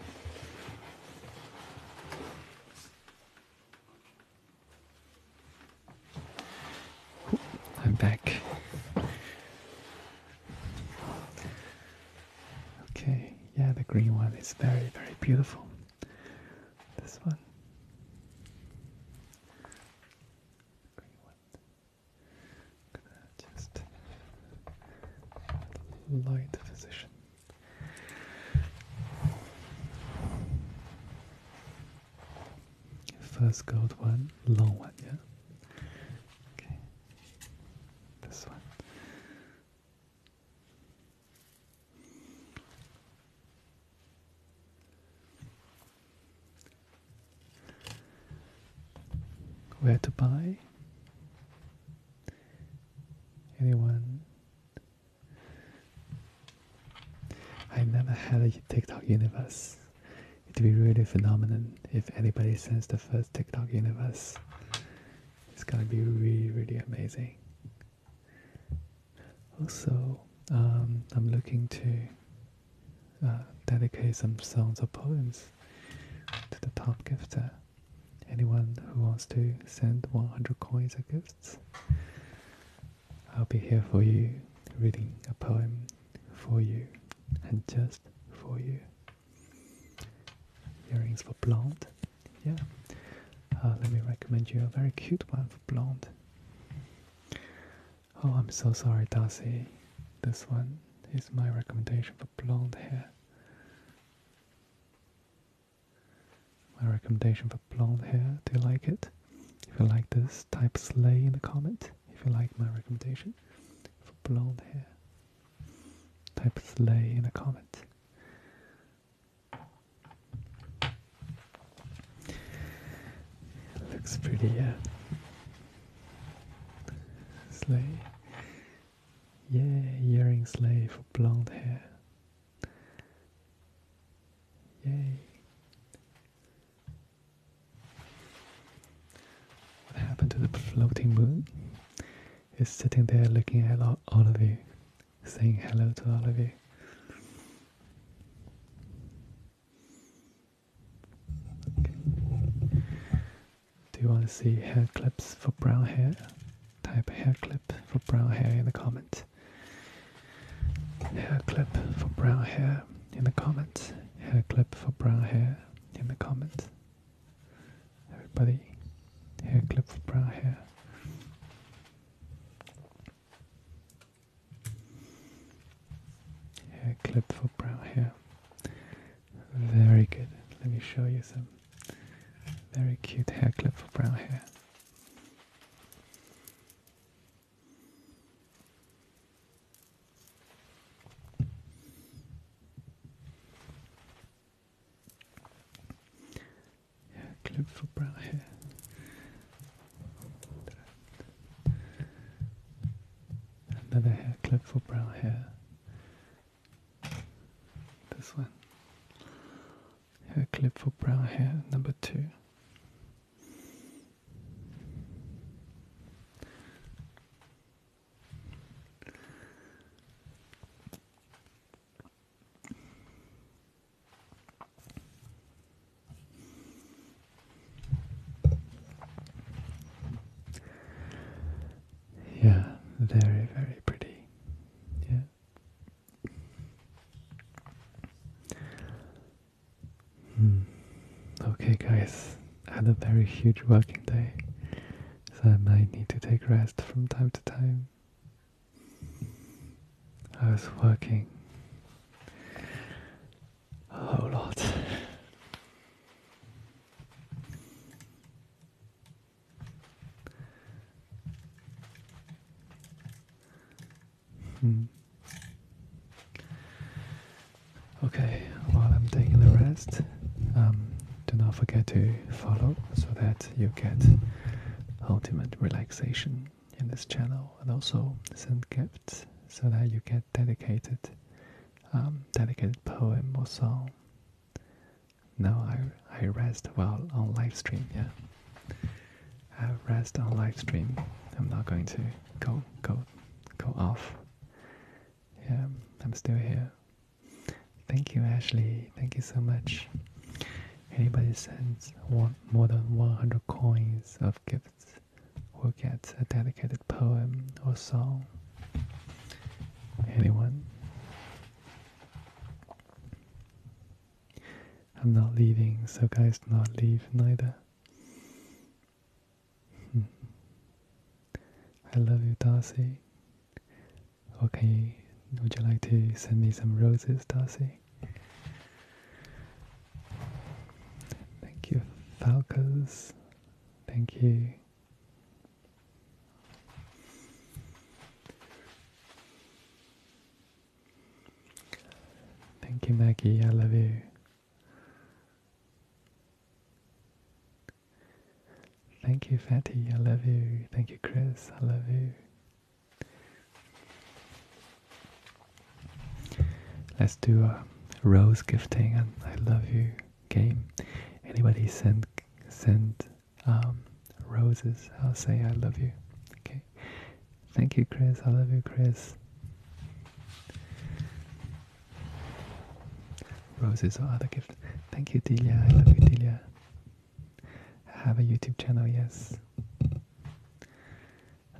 I'm back. Okay, yeah, the green one is very, very beautiful. This one. one just light position. First gold one, long one, yeah? Okay. This one. Where to buy? Anyone? I never had a TikTok universe. It'd be really phenomenal if anybody sends the first TikTok universe. It's gonna be really, really amazing. Also, um, I'm looking to uh, dedicate some songs or poems to the top gifter. Anyone who wants to send 100 coins or gifts, I'll be here for you, reading a poem for you and just for you. Earrings for blonde, yeah. Uh, let me recommend you a very cute one for blonde. Oh, I'm so sorry, Darcy. This one is my recommendation for blonde hair. My recommendation for blonde hair. Do you like it? If you like this, type sleigh in the comment. If you like my recommendation for blonde hair, type sleigh in the comment. Looks pretty, yeah. Sleigh. Yay, earring slave for blonde hair. Yay. What happened to the floating moon? It's sitting there looking at all of you, saying hello to all of you. Do you want to see hair clips for brown hair? Type hair clip for brown hair in the comment. Hair clip for brown hair in the comment. Hair clip for brown hair in the comment. Everybody, hair clip for brown hair. Hair clip for brown hair. Very good. Let me show you some very cute hair clip for brown hair. Hair clip for brown hair. Another hair clip for brown hair. This one. Hair clip for brown hair, number two. Yeah, very, very pretty. Yeah. Hmm. Okay, guys, I had a very huge working day, so I might need to take rest from time to time. I was working a whole lot. Hmm. Okay, while I'm taking the rest, um, do not forget to follow so that you get ultimate relaxation in this channel and also send gifts so that you get dedicated um, dedicated poem or song no, I I rest while on live stream. Yeah, I rest on live stream. I'm not going to go go go off. Yeah, I'm still here. Thank you, Ashley. Thank you so much. Anybody sends one, more than 100 coins of gifts will get a dedicated poem or song anyone. I'm not leaving, so guys do not leave neither. Hmm. I love you, Darcy. Okay, would you like to send me some roses, Darcy? Thank you, Falcos. Thank you. Thank you, Maggie. I love you. Thank you, Fatty. I love you. Thank you, Chris. I love you. Let's do a rose gifting and I love you game. Anybody send send um, roses, I'll say I love you. Okay. Thank you, Chris. I love you, Chris. Roses or other gift. Thank you, Delia. I love you, Delia. Have a YouTube channel, yes. And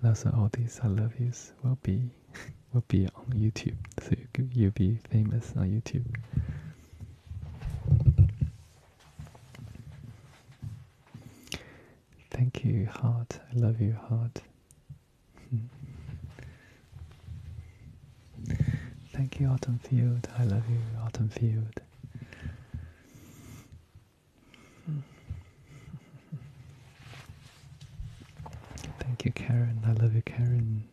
also, all these I love yous will be will be on YouTube, so you'll be famous on YouTube. Thank you, heart. I love you, heart. Thank you, Autumn Field. I love you, Autumn Field. Thank you, Karen. I love you, Karen.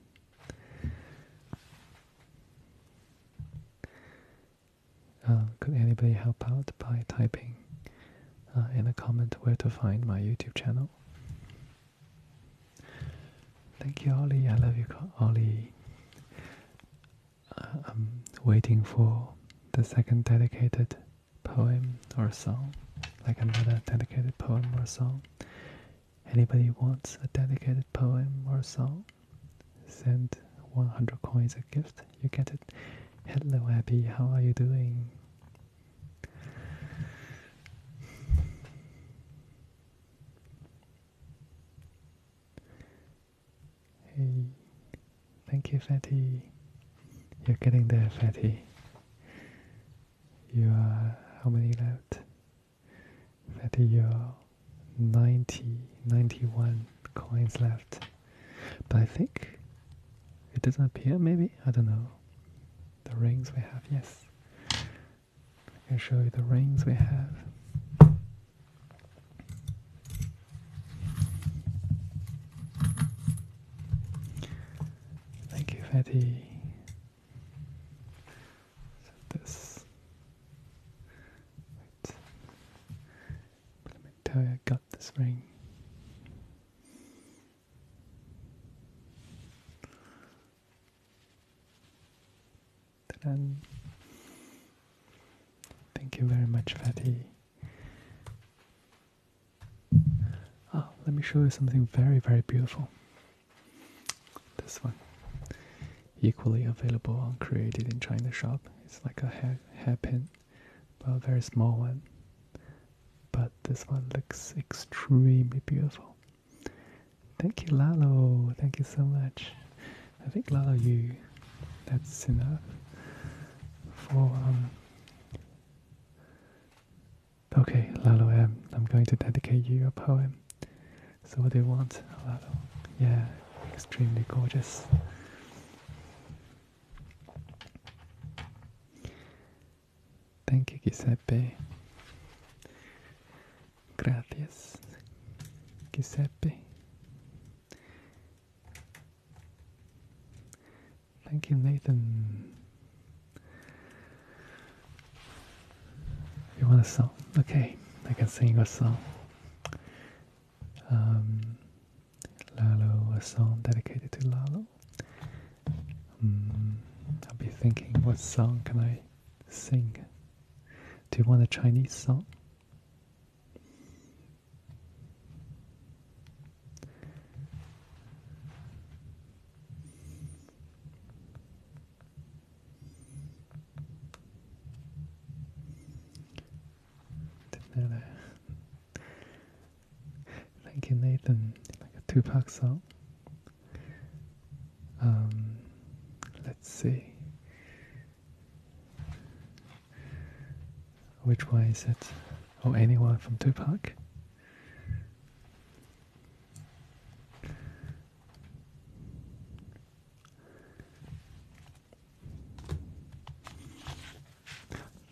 Uh, could anybody help out by typing uh, in a comment where to find my YouTube channel? Thank you, Ollie. I love you, Ollie. Uh, I'm waiting for the second dedicated poem or song, like another dedicated poem or song. Anybody wants a dedicated poem or song? Send 100 coins a gift. You get it. Hello, Abby. How are you doing? Hey, thank you, Fatty. You're getting there, Fatty. You are how many left? Fatty, you are 90, 91 coins left. But I think it doesn't appear, maybe? I don't know. The rings we have, yes. I can show you the rings we have. Thank you, Fatty. So this. you, I got this ring. And thank you very much, Fatty. oh, let me show you something very, very beautiful. This one, equally available on Created in China shop. It's like a hair hairpin, but a very small one. But this one looks extremely beautiful. Thank you, Lalo. Thank you so much. I think Lalo, you. That's enough for um. Okay, Lalo, i um, I'm going to dedicate you a poem. So what do you want? Yeah, extremely gorgeous. Thank you, Giuseppe. Gracias, Giuseppe. Thank you, Nathan. You want a song? Okay, I can sing a song. Um, Lalo, a song dedicated to Lalo. Um, I'll be thinking, what song can I sing? Do you want a Chinese song? Didn't know Thank you, Nathan. Like a Tupac song. Um, let's see. Which way is it? Oh, anyone from Tupac?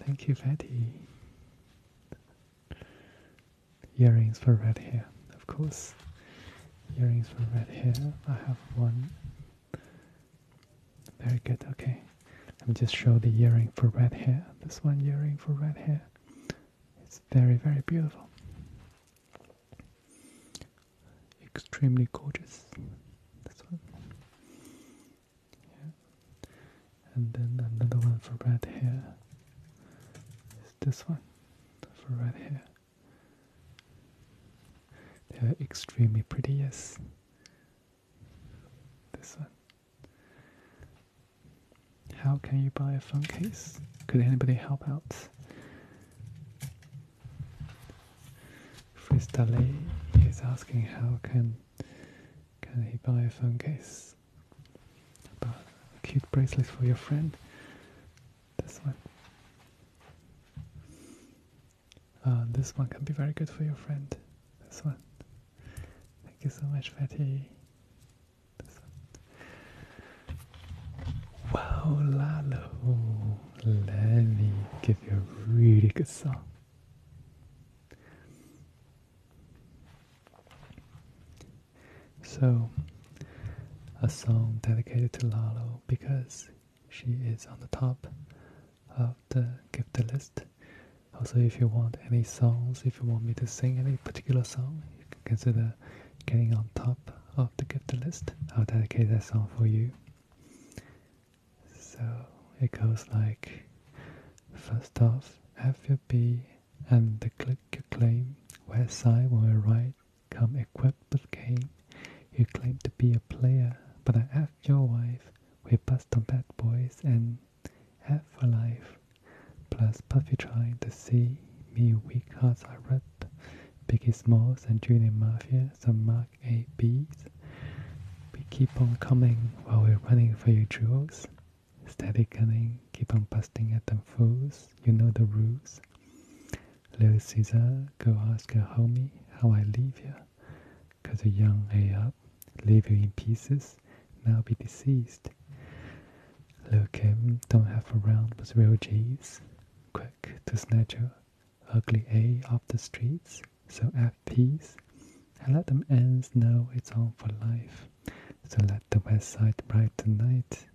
Thank you, Fatty. Earrings for red hair, of course. Earrings for red hair. I have one. Very good. Okay, let me just show the earring for red hair. This one earring for red hair. It's very very beautiful. Extremely gorgeous. This one. And then another one for red hair. Is this one for red hair? extremely pretty, yes. This one. How can you buy a phone case? Could anybody help out? Fristalet is asking how can can he buy a phone case? About a cute bracelet for your friend. This one. Uh, this one can be very good for your friend. This one. Thank you so much, Fatty. Wow, Lalo, let me give you a really good song. So, a song dedicated to Lalo because she is on the top of the gift list. Also, if you want any songs, if you want me to sing any particular song, you can consider getting on top of the gift list. I'll dedicate that song for you. So it goes like first off, FUB and the click you claim. West side will ride? come equipped with game. You claim to be a player, but I I F your wife. We bust on bad boys and F for life. Plus Puffy trying to see me weak hearts I ripped. Biggie Smalls and Junior Mafia, some Mark A B's. We keep on coming while we're running for your jewels. Steady coming, keep on busting at them fools, you know the rules. Little Caesar, go ask your homie how I leave you, 'cause because young A up, leave you in pieces, now be deceased. Lil Kim, don't have around with real G's quick to snatch your ugly A off the streets, so have peace, and let them ends know it's on for life. So let the west side bright tonight.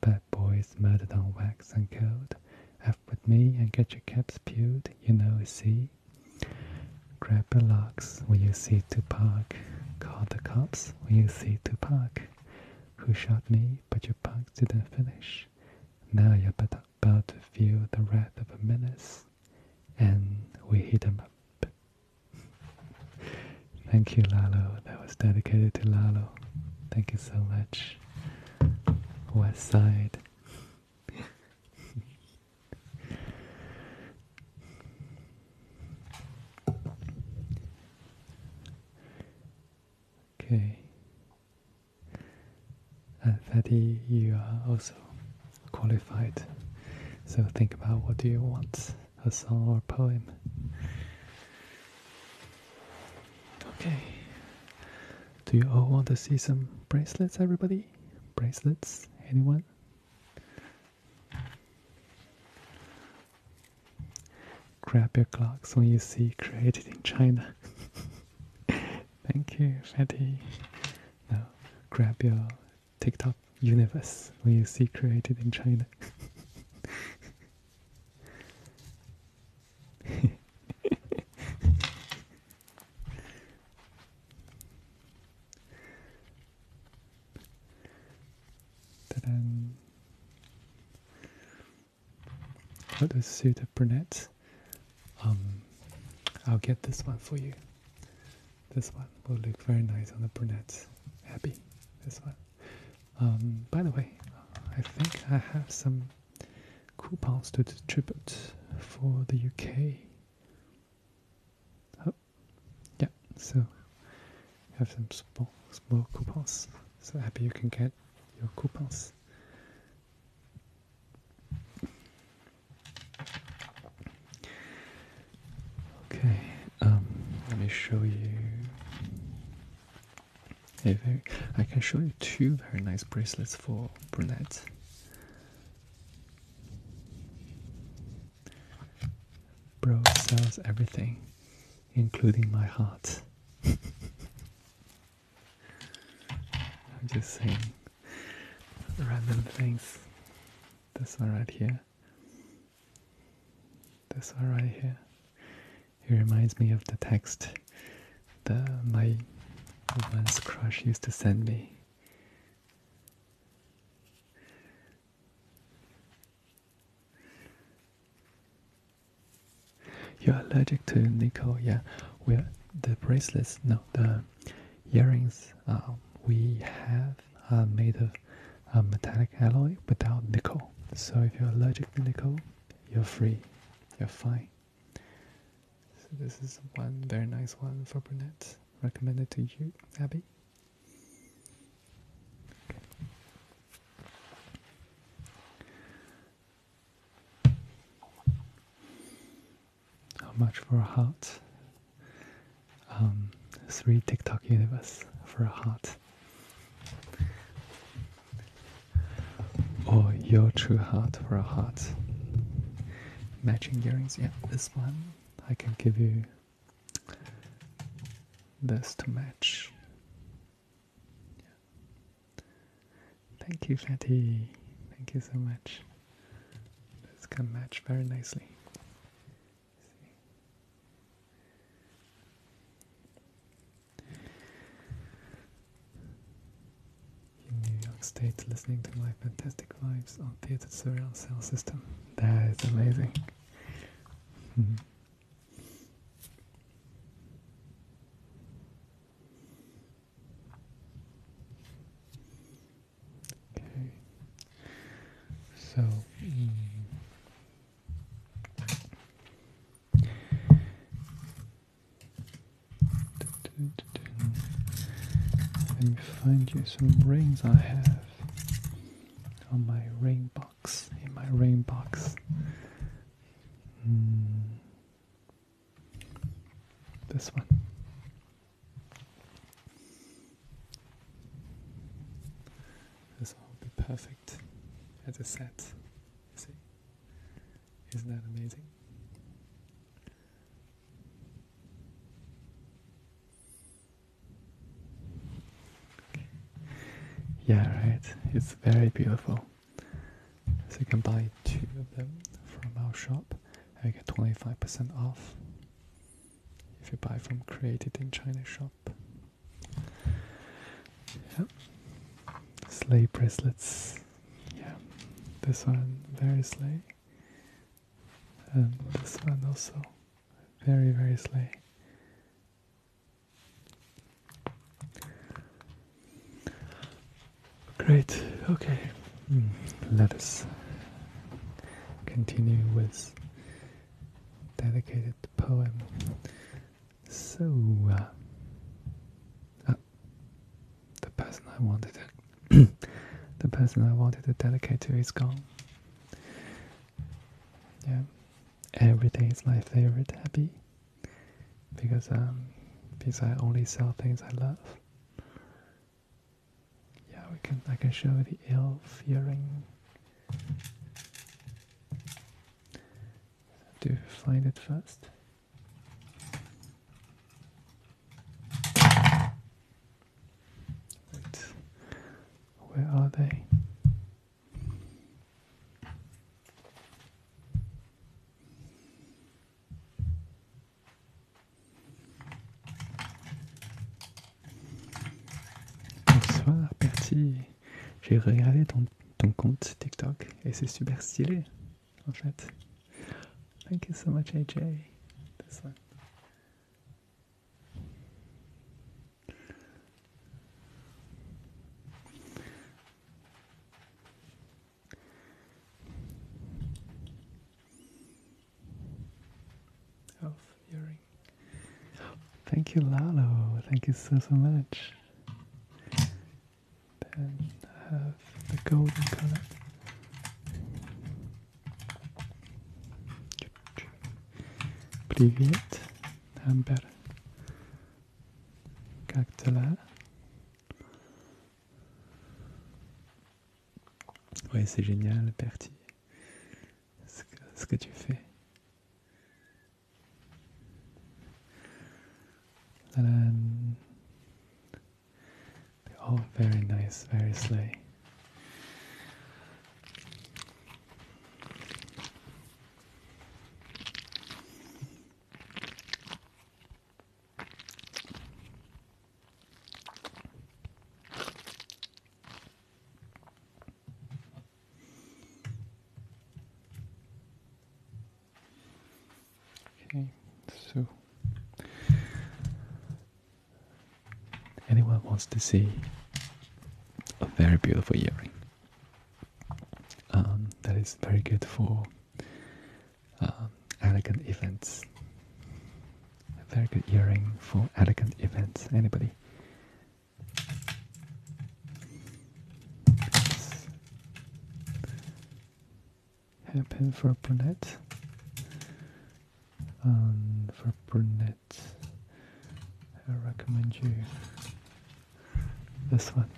Bad boys murdered on wax and code. F with me and get your caps pewed, you know, see? Grab your locks when you see to park. Call the cops when you see to park. Who shot me? but your bugs didn't finish. Now you're about to feel the wrath of a menace, and we hit him up. Thank you, Lalo. That was dedicated to Lalo. Thank you so much. West Side. Okay. And uh, 30, you are also qualified. So think about what do you want, a song or a poem. Okay. Do you all want to see some bracelets, everybody? Bracelets? Anyone? Grab your clocks when you see created in China. Thank you, Fatty. Now grab your TikTok universe when you see created in China. Not a suit of brunettes. I'll get this one for you. This one will look very nice on the brunettes. Happy, this one. Um, by the way, I think I have some coupons to distribute for the UK. Oh, yeah, so have some small, small coupons. So happy you can get your coupons. Okay, um, let me show you. A very, I can show you two very nice bracelets for brunette. Bro sells everything including my heart. I'm just saying random things. This one right here. This one right here. It reminds me of the text that my once crush used to send me. You're allergic to nickel, yeah. Well, the bracelets, no, the earrings um, we have are made of a uh, metallic alloy without nickel. So if you're allergic to nickel, you're free, you're fine. So this is one very nice one for brunettes. Recommended to you, Abby. How much for a heart? Um, three TikTok universe for a heart. Or your true heart for a heart. Matching earrings, yeah, this one. I can give you this to match. Thank you, Fatty. Thank you so much. This can match very nicely. In New York State, listening to my fantastic vibes on theater surround sound system. That is amazing. Okay. So. Mm. let me find you some rings I have on my ring box in my rainbox, hmm. This one. This will be perfect as a set. See? Isn't that amazing? Yeah, right. It's very beautiful. So you can buy two of them from our shop and you get 25% off if you buy from Created in China shop. Yeah. Sleigh bracelets. Yeah. This one very sleigh. And this one also very very sleigh. Great, okay. Hmm, let us continue with dedicated poem. So, uh, uh, the person I wanted to the person I wanted to dedicate to is gone. Yeah, every day is my favorite happy because um, because I only sell things I love. Yeah, we can I can show the ill earring. Do find it fast? where are they? Bonsoir Bertie, j'ai regardé ton, ton compte TikTok et c'est super stylé en fait. Thank you AJ. of hearing. Thank you, Lalo. Thank you so so much. Then have the golden color. Привет, Amber. là. Ouais, c'est génial, Bertie, ce que, tu fais. they're oh, all very nice, very slay. Okay, so anyone wants to see a very beautiful earring um, that is very good for um, elegant events. very good earring for elegant events. Anybody? let happen for brunette. Um, for brunette, I recommend you this one.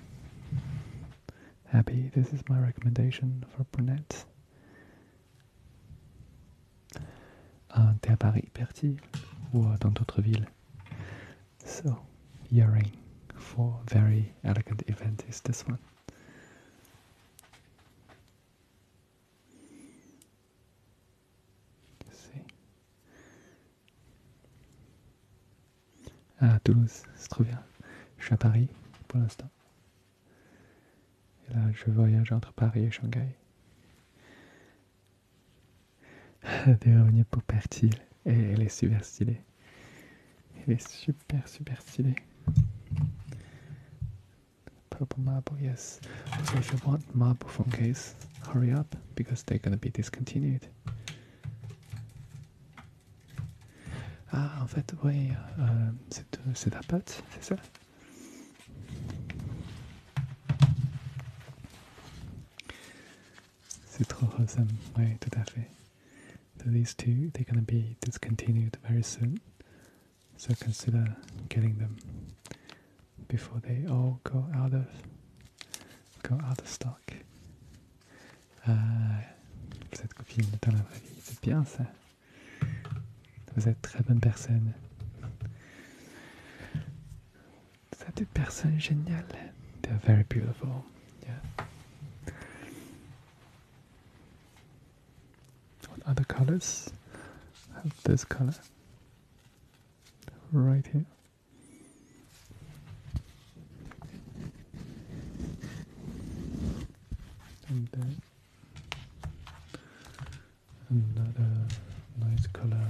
Happy, this is my recommendation for brunettes. Uh, they're Paris, Berthier, or in other cities. So, earring for very elegant event is this one. See, Ah, Toulouse, c'est trop bien. Je suis à Paris pour l'instant. Et là, je voyage entre Paris et Shanghai. Des revenus pour Pertil. Et elle est super stylée. Elle est super, super stylée. Purple marble, yes. Also, if you want marble phone case, hurry up because they're gonna be discontinued. Ah, en fait, oui, euh, c'est euh, ta c'est ça C'est trop tout à fait. these two, they're gonna be discontinued very soon. So consider getting them before they all go out of go out of stock. Ah, vous êtes copine dans la vraie vie, c'est bien ça. Vous êtes très bonne personne. Vous êtes une personne géniale. They're very beautiful. Yeah. What other colors have this color? Right here. And then another uh, nice color.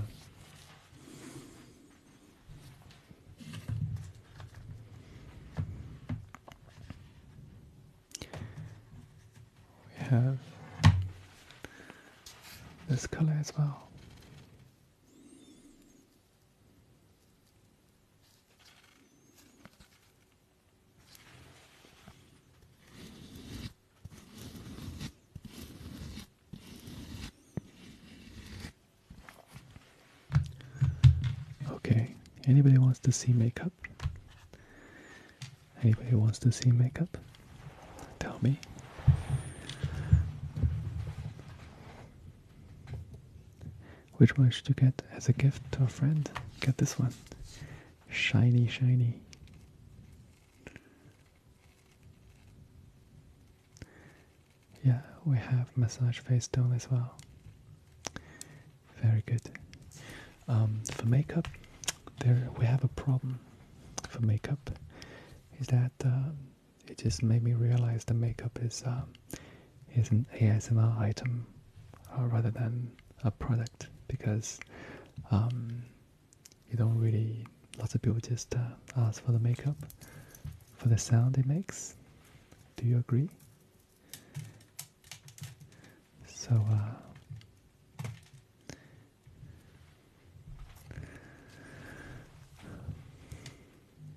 We have this color as well. Okay, anybody wants to see makeup? Anybody wants to see makeup? Tell me. Which one should you get as a gift to a friend? Get this one. Shiny, shiny. Yeah, we have massage face tone as well. Very good. Um, for makeup, there we have a problem. For makeup, is that uh, it just made me realize the makeup is um, is an ASMR item uh, rather than a product because um, you don't really lots of people just uh, ask for the makeup for the sound it makes. Do you agree? So. Uh,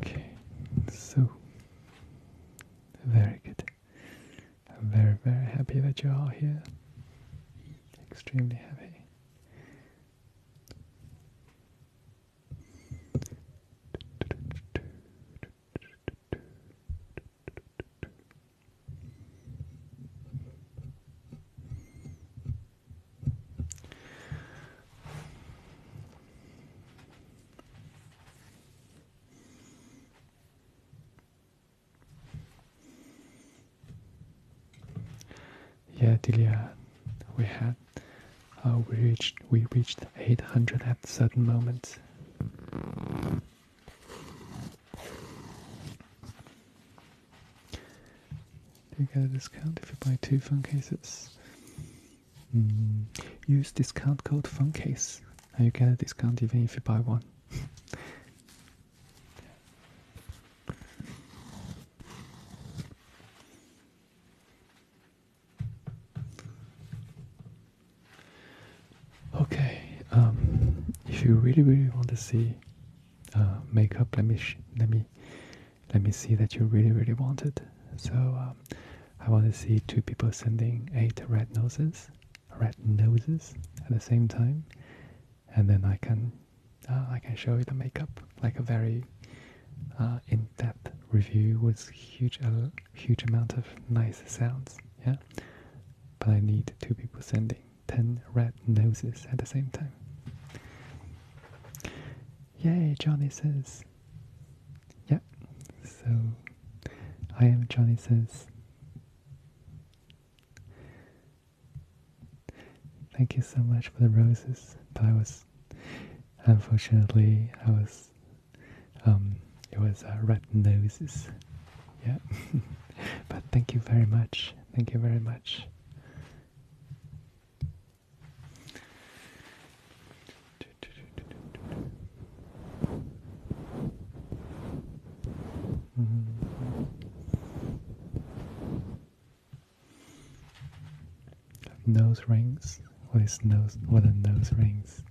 Okay, so very good. I'm very, very happy that you're all here. Extremely happy. Yeah, Delia, we had, uh, we reached, we reached 800 at a certain moment. You get a discount if you buy two phone cases. Mm, use discount code case, and you get a discount even if you buy one. okay, um, if you really really want to see uh, makeup, let me let me let me see that you really, really wanted. So um, I want to see two people sending eight red noses, red noses at the same time, and then I can uh, I can show you the makeup like a very uh, in-depth review with huge uh, huge amount of nice sounds. Yeah, but I need two people sending ten red noses at the same time. Yay, Johnny says. Yeah. So I am Johnny says Thank you so much for the roses. But I was unfortunately I was um it was uh, red noses. Yeah. but thank you very much. Thank you very much. Nose rings? What is nose? What are nose rings?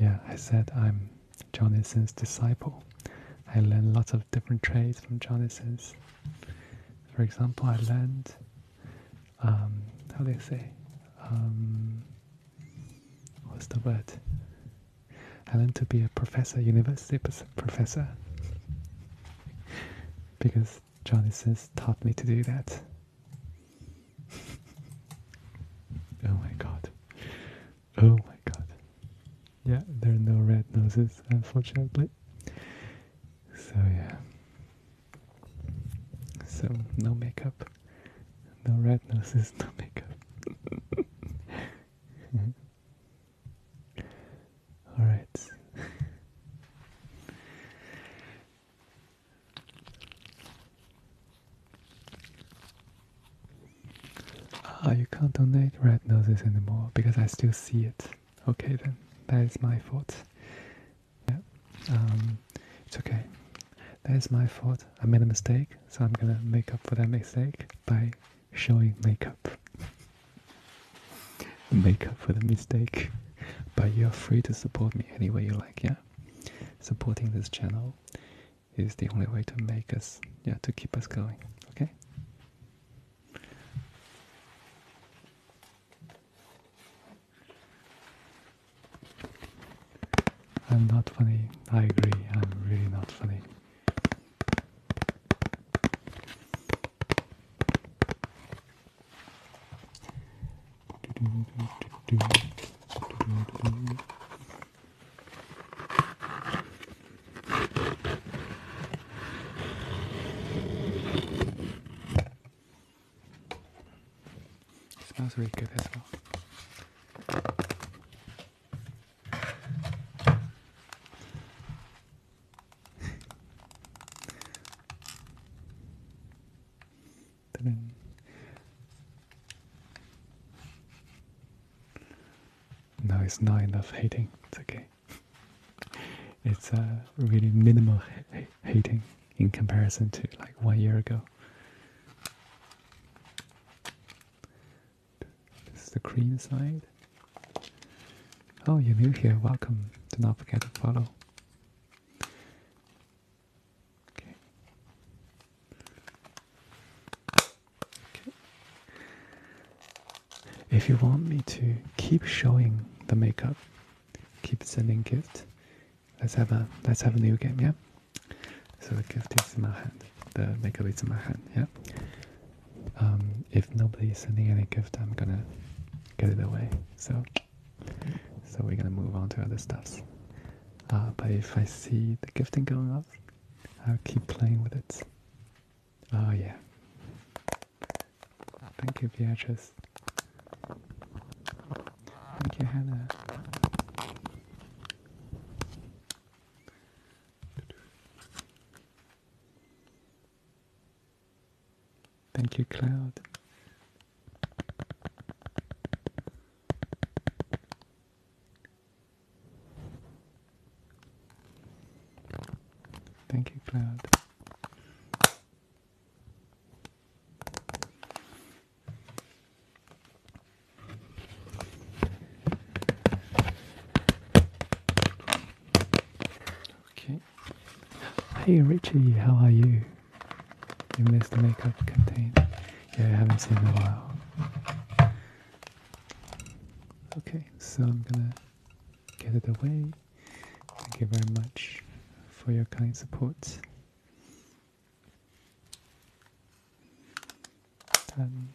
Yeah, I said I'm Johnison's disciple. I learned lots of different trades from Johnison's. For example, I learned um, how do they say? Um, what's the word? I learned to be a professor, university professor, because Johnny says taught me to do that. oh my god. Oh my god. Yeah, there are no red noses, unfortunately. So yeah. So no makeup, no red noses, no makeup. All right. Ah, you can't donate red noses anymore because I still see it. Okay then, that is my fault. Yeah, um, it's okay. That is my fault. I made a mistake, so I'm gonna make up for that mistake by showing makeup. make up for the mistake. But you're free to support me any way you like, yeah? Supporting this channel is the only way to make us, yeah, to keep us going, okay? I'm not funny. I agree. I'm really not funny. It smells really good as well. no, it's not enough hating. It's okay. it's uh, really minimal heating in comparison to like one year ago. This is the green side. Oh, you're new here. Welcome. Do not forget to follow. Okay. okay. If you want me to keep showing the makeup, keep sending gift. Let's have a let's have a new game, yeah. So the gift is in my hand. The makeup is in my hand, yeah. Um, if nobody is sending any gift, I'm gonna get it away. So, so we're gonna move on to other stuffs. Uh, but if I see the gifting going up, I'll keep playing with it. Oh yeah. Thank you, Beatrice. Thank you, Hannah. Thank you, Cloud. Thank you, Cloud. Okay. Hey Richie, how are you? You missed the makeup container. Yeah, I haven't seen in a while. Okay, so I'm gonna get it away. Thank you very much for your kind support. Um,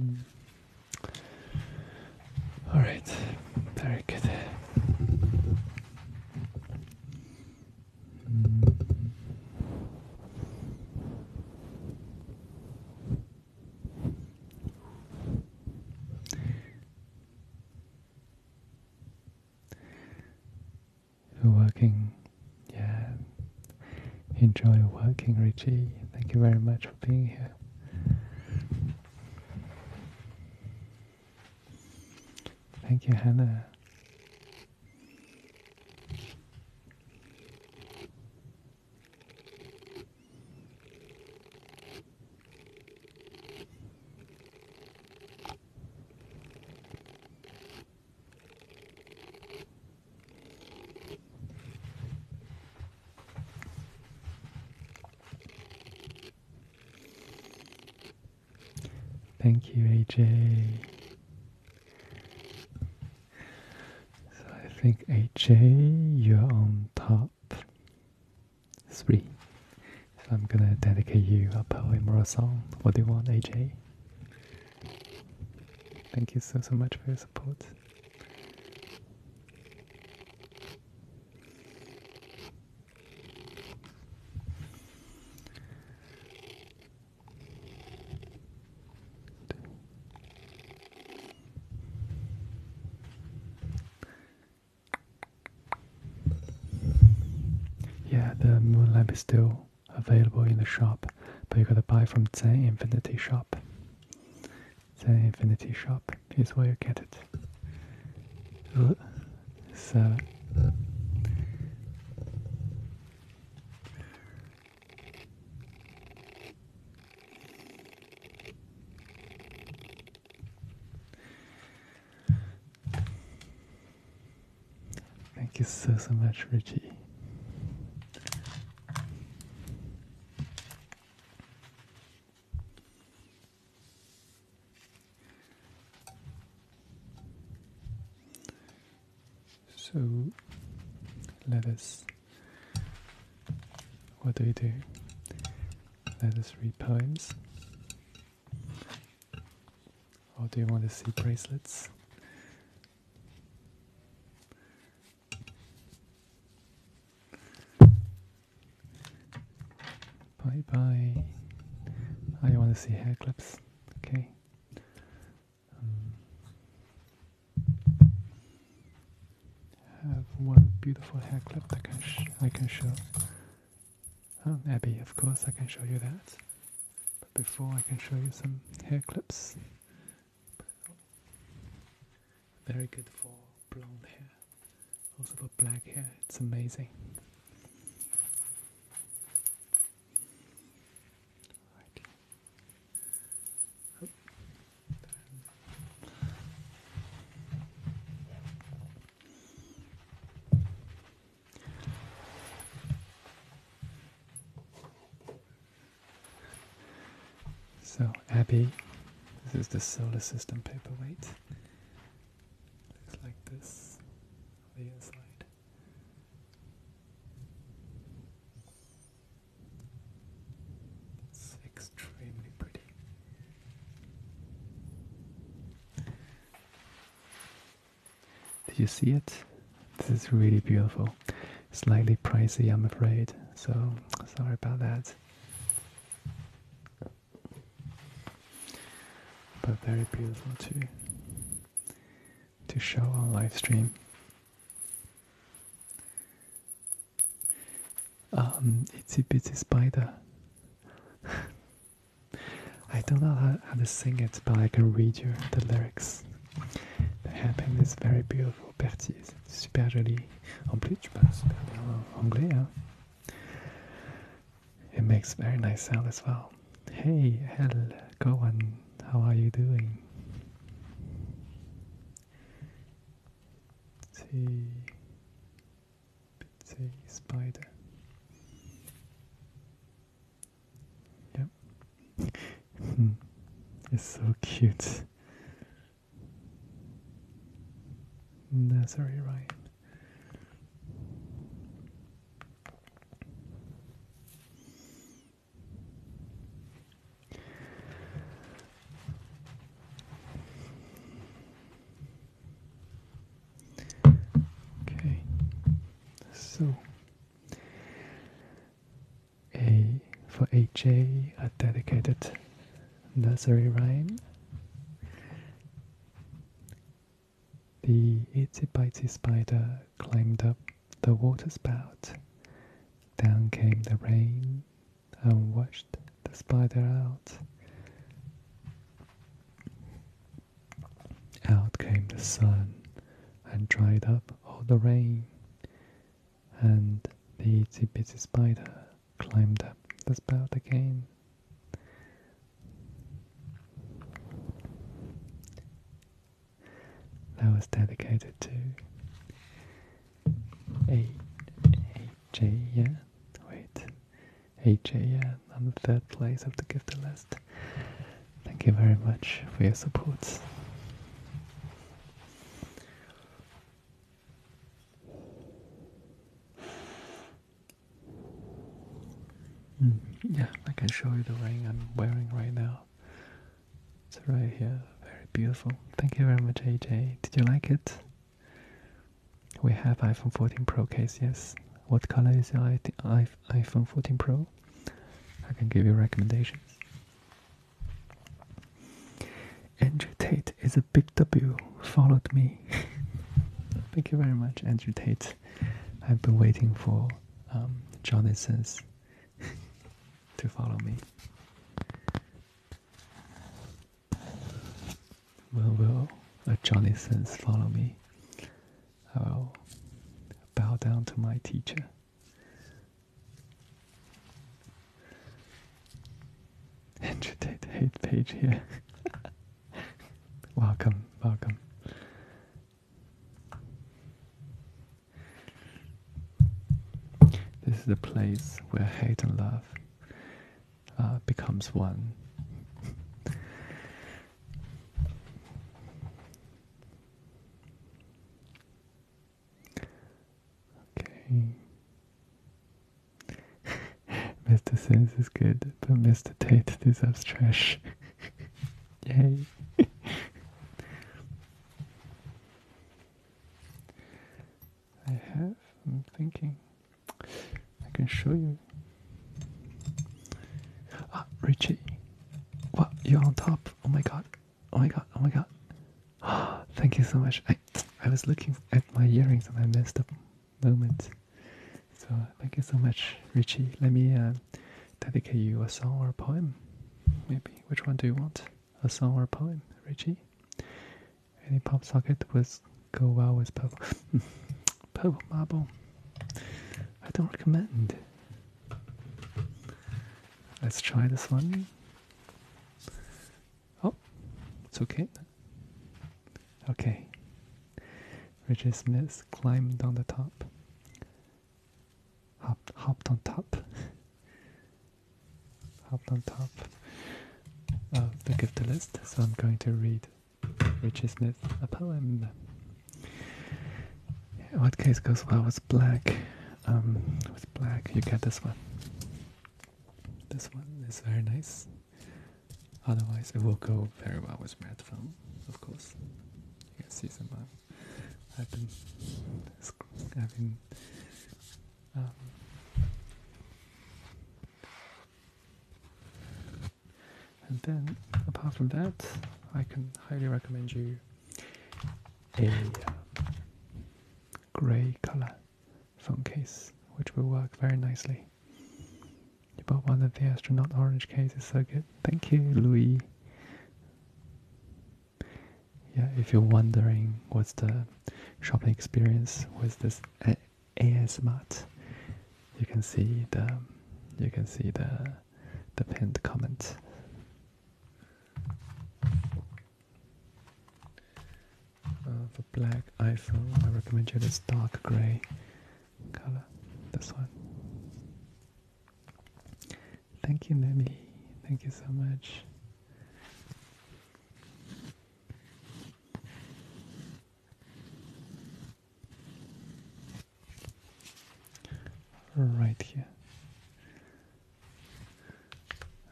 mm-hmm. All right, very good. You're working, yeah. Enjoy working, Richie. Thank you very much for being here. Thank you, Hannah. Thank you, AJ. So I think AJ, you're on top three. So I'm gonna dedicate you a poem or a song. What do you want, AJ? Thank you so so much for your support. Yeah, the Moon Lamp is still available in the shop, but you gotta buy from Zen Infinity Shop. Zen Infinity Shop is where you get it. So, Thank you so, so much, Richie. So let us, what do we do? Let us read poems. Or do you want to see bracelets? Bye bye. I want to see hair clips. Okay. Um, have one beautiful hair clip that can I can show. Oh, Abby, of course I can show you that. But before I can show you some hair clips. Very good for blonde hair also for black hair. It's amazing. Oh. So, Abby, this is the solar system paperweight. It's like this on the inside. It's extremely pretty. Did you see it? This is really beautiful. Slightly pricey, I'm afraid. So sorry about that but very beautiful to to show on live stream. Um, a bitsy spider. I don't know how, to sing it, but I can read you the lyrics. The happiness very beautiful partie, is super joli. on plus, tu super bien anglais, it makes very nice sound as well. Hey, Hel, Goan, how are you doing? See, see, spider. Yep. it's so cute. That's very right. Okay, so a for AJ, a dedicated nursery rhyme. The itsy bitsy spider climbed up the waterspout. Down came the rain and washed the spider out. Out came the sun and dried up all the rain. And the itsy bitsy spider climbed up the spout again. That was dedicated to A Wait, AJ, yeah, on the third place of the gift list. Thank you very much for your support. Mm, yeah, I can show you the ring I'm wearing right now. It's right here, very beautiful. Thank you very much, AJ. Did you like it? We have iPhone 14 Pro case, yes. What color is your iPhone 14 Pro? I can give you recommendations. Andrew Tate is a big W. Followed me. Thank you very much, Andrew Tate. I've been waiting for um, since to follow me. When will a Jonathan's follow me? I will bow down to my teacher. And the hate page here. welcome, welcome. This is the place where hate and love uh, becomes one. okay. Mr. Sins is good, but Mr. Tate deserves trash. Yay. I have, I'm thinking. I can show you. Ah, Richie. Wow, you're on top. Oh my god. Oh my god. Oh my god. Thank you so much. I, I was looking at my earrings and I messed up moment. So thank you so much, Richie. Let me uh, dedicate you a song or a poem. Maybe which one do you want? A song or a poem, Richie? Any pop socket would go well with purple. purple marble. I don't recommend. Let's try this one. Oh, it's okay. Okay. Richard Smith climbed down the top. Hopped, on top. hopped on top of the gift list. So I'm going to read Richard Smith a poem. What case goes well with black? Um, with black, you get this one. This one is very nice. Otherwise, it will go very well with my phone, of course. You can see some. Uh, I've been, i um, and then, apart from that, I can highly recommend you a um, grey color phone case, which will work very nicely. You bought one of the astronaut orange cases, so good. Thank you, mm. Louis. Yeah, if you're wondering what's the shopping experience with this A ASMart, you can see the you can see the the pinned comment. Uh, black iPhone, I recommend you this dark grey color. This one. Thank you, Nelly. Thank you so much. Right here.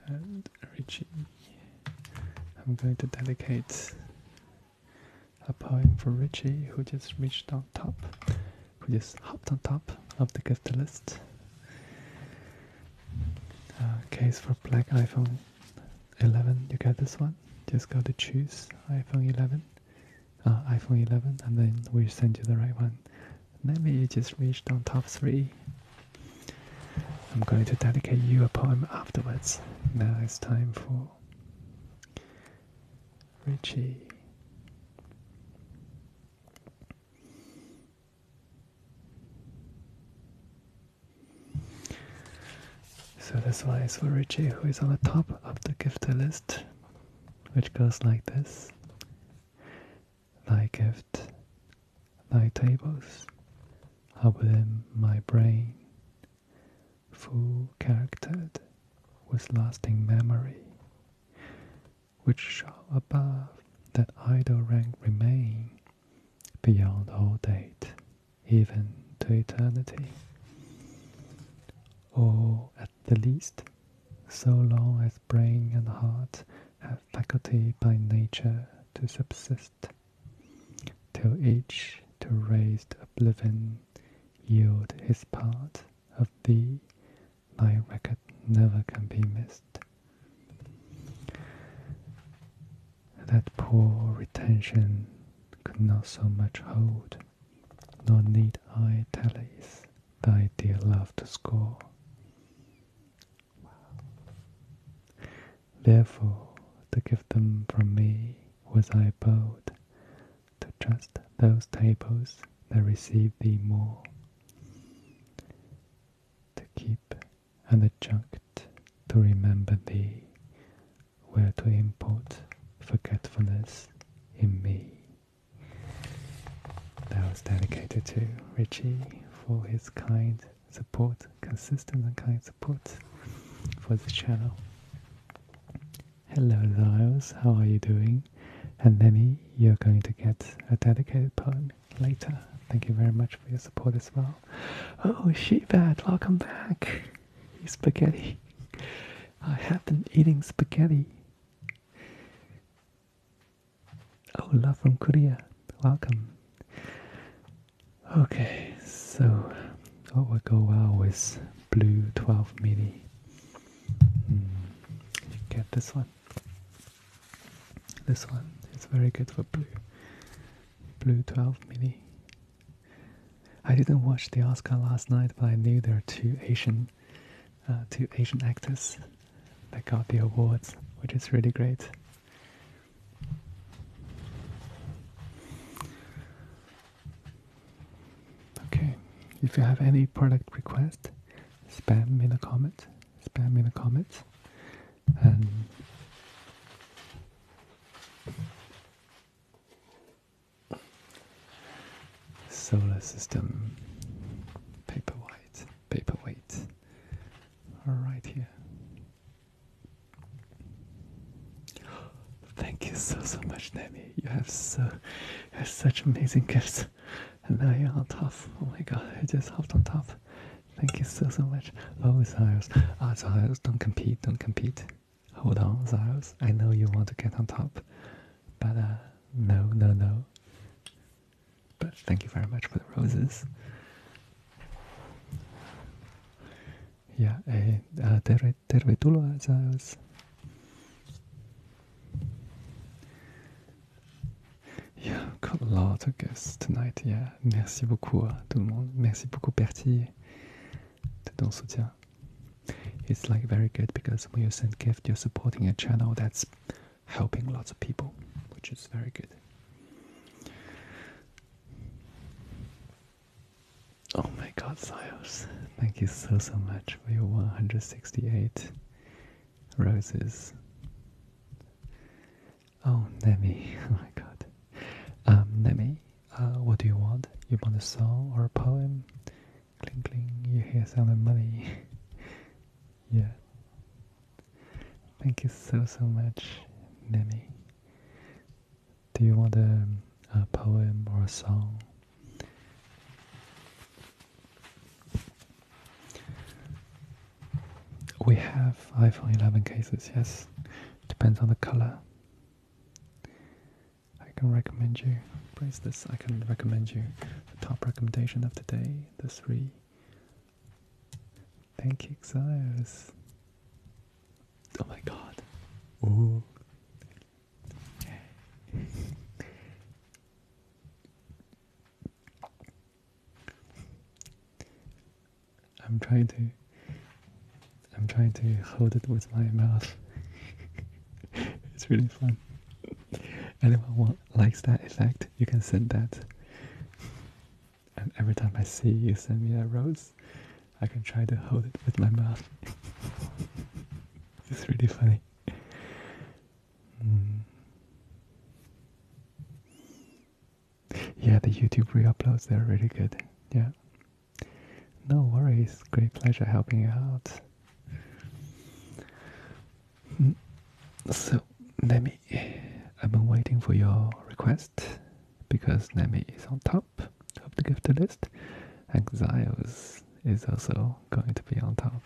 And Richie, I'm going to delegate a poem for Richie, who just reached on top, who just hopped on top of the gift list. case for black iPhone 11. You get this one. Just go to choose iPhone 11, uh, iPhone 11, and then we send you the right one. Maybe you just reached on top three. I'm going to dedicate you a poem afterwards. Now it's time for Richie. So this one is for Richie, who is on the top of the gift list, which goes like this Thy gift, thy tables, are within my brain, full charactered with lasting memory, which shall above that idle rank remain beyond all date, even to eternity, or at the least, so long as brain and heart have faculty by nature to subsist, till each to raised oblivion yield his part of thee, thy record never can be missed. That poor retention could not so much hold, nor need I tell thee thy dear love to score. Therefore, to give them from me was I bold, to trust those tables that receive thee more, to keep and adjunct to remember thee, where to import forgetfulness in me. That was dedicated to Richie for his kind support, consistent and kind support for the channel. Hello, Lyles, how are you doing? And Lenny, you're going to get a dedicated poem later. Thank you very much for your support as well. Oh, Shebat, welcome back. Eat spaghetti. I have been eating spaghetti. Oh, love from Korea. Welcome. Okay, so that oh, would go well with blue 12 midi. Hmm. get this one. This one is very good for blue. Blue 12 midi. I didn't watch the Oscar last night, but I knew there are two Asian, uh, two Asian actors that got the awards, which is really great. Okay, if you have any product request, spam in the comments. Spam in the comments. solar system paperweight, paperweight, are right here. Thank you so so much, Nami. You have so you have such amazing gifts. And now you're on top. Oh my god, I just hopped on top. Thank you so so much. Oh Zyros. Ah Zyros, don't compete, don't compete. Hold on, Zyros. I know you want to get on top. But uh, no no no. But thank you very much for the roses. Yeah, eh, uh, uh, there olleet tervetuloa Silas. Yeah, got a lot of guests tonight. Yeah, merci beaucoup tout le monde. Merci beaucoup Bertie de ton soutien. It's like very good because when you send gift, you're supporting a channel that's helping lots of people, which is very good. Oh my god, Sios. Thank you so, so much for your 168 roses. Oh, Nemi. Oh my god. Um, Nemi, uh, what do you want? You want a song or a poem? Cling, cling, you hear sound of money. yeah. Thank you so, so much, Nemi. Do you want a poem or a song? We have iPhone 11 cases, yes. Depends on the color. I can recommend you, Place this, I can recommend you top recommendation of today, the three. Thank you, Xios. Oh my god. I'm trying to I'm trying to hold it with my mouth. it's really fun. Anyone want, likes that effect, you can send that. And every time I see you send me a rose, I can try to hold it with my mouth. It's really funny. Hmm. Yeah, the YouTube re-uploads, they're really good. Yeah. No worries. Great pleasure helping you out. Hmm. So, Nami, I've been waiting for your request because Nami is on top of the list. Axios is also going to be on top.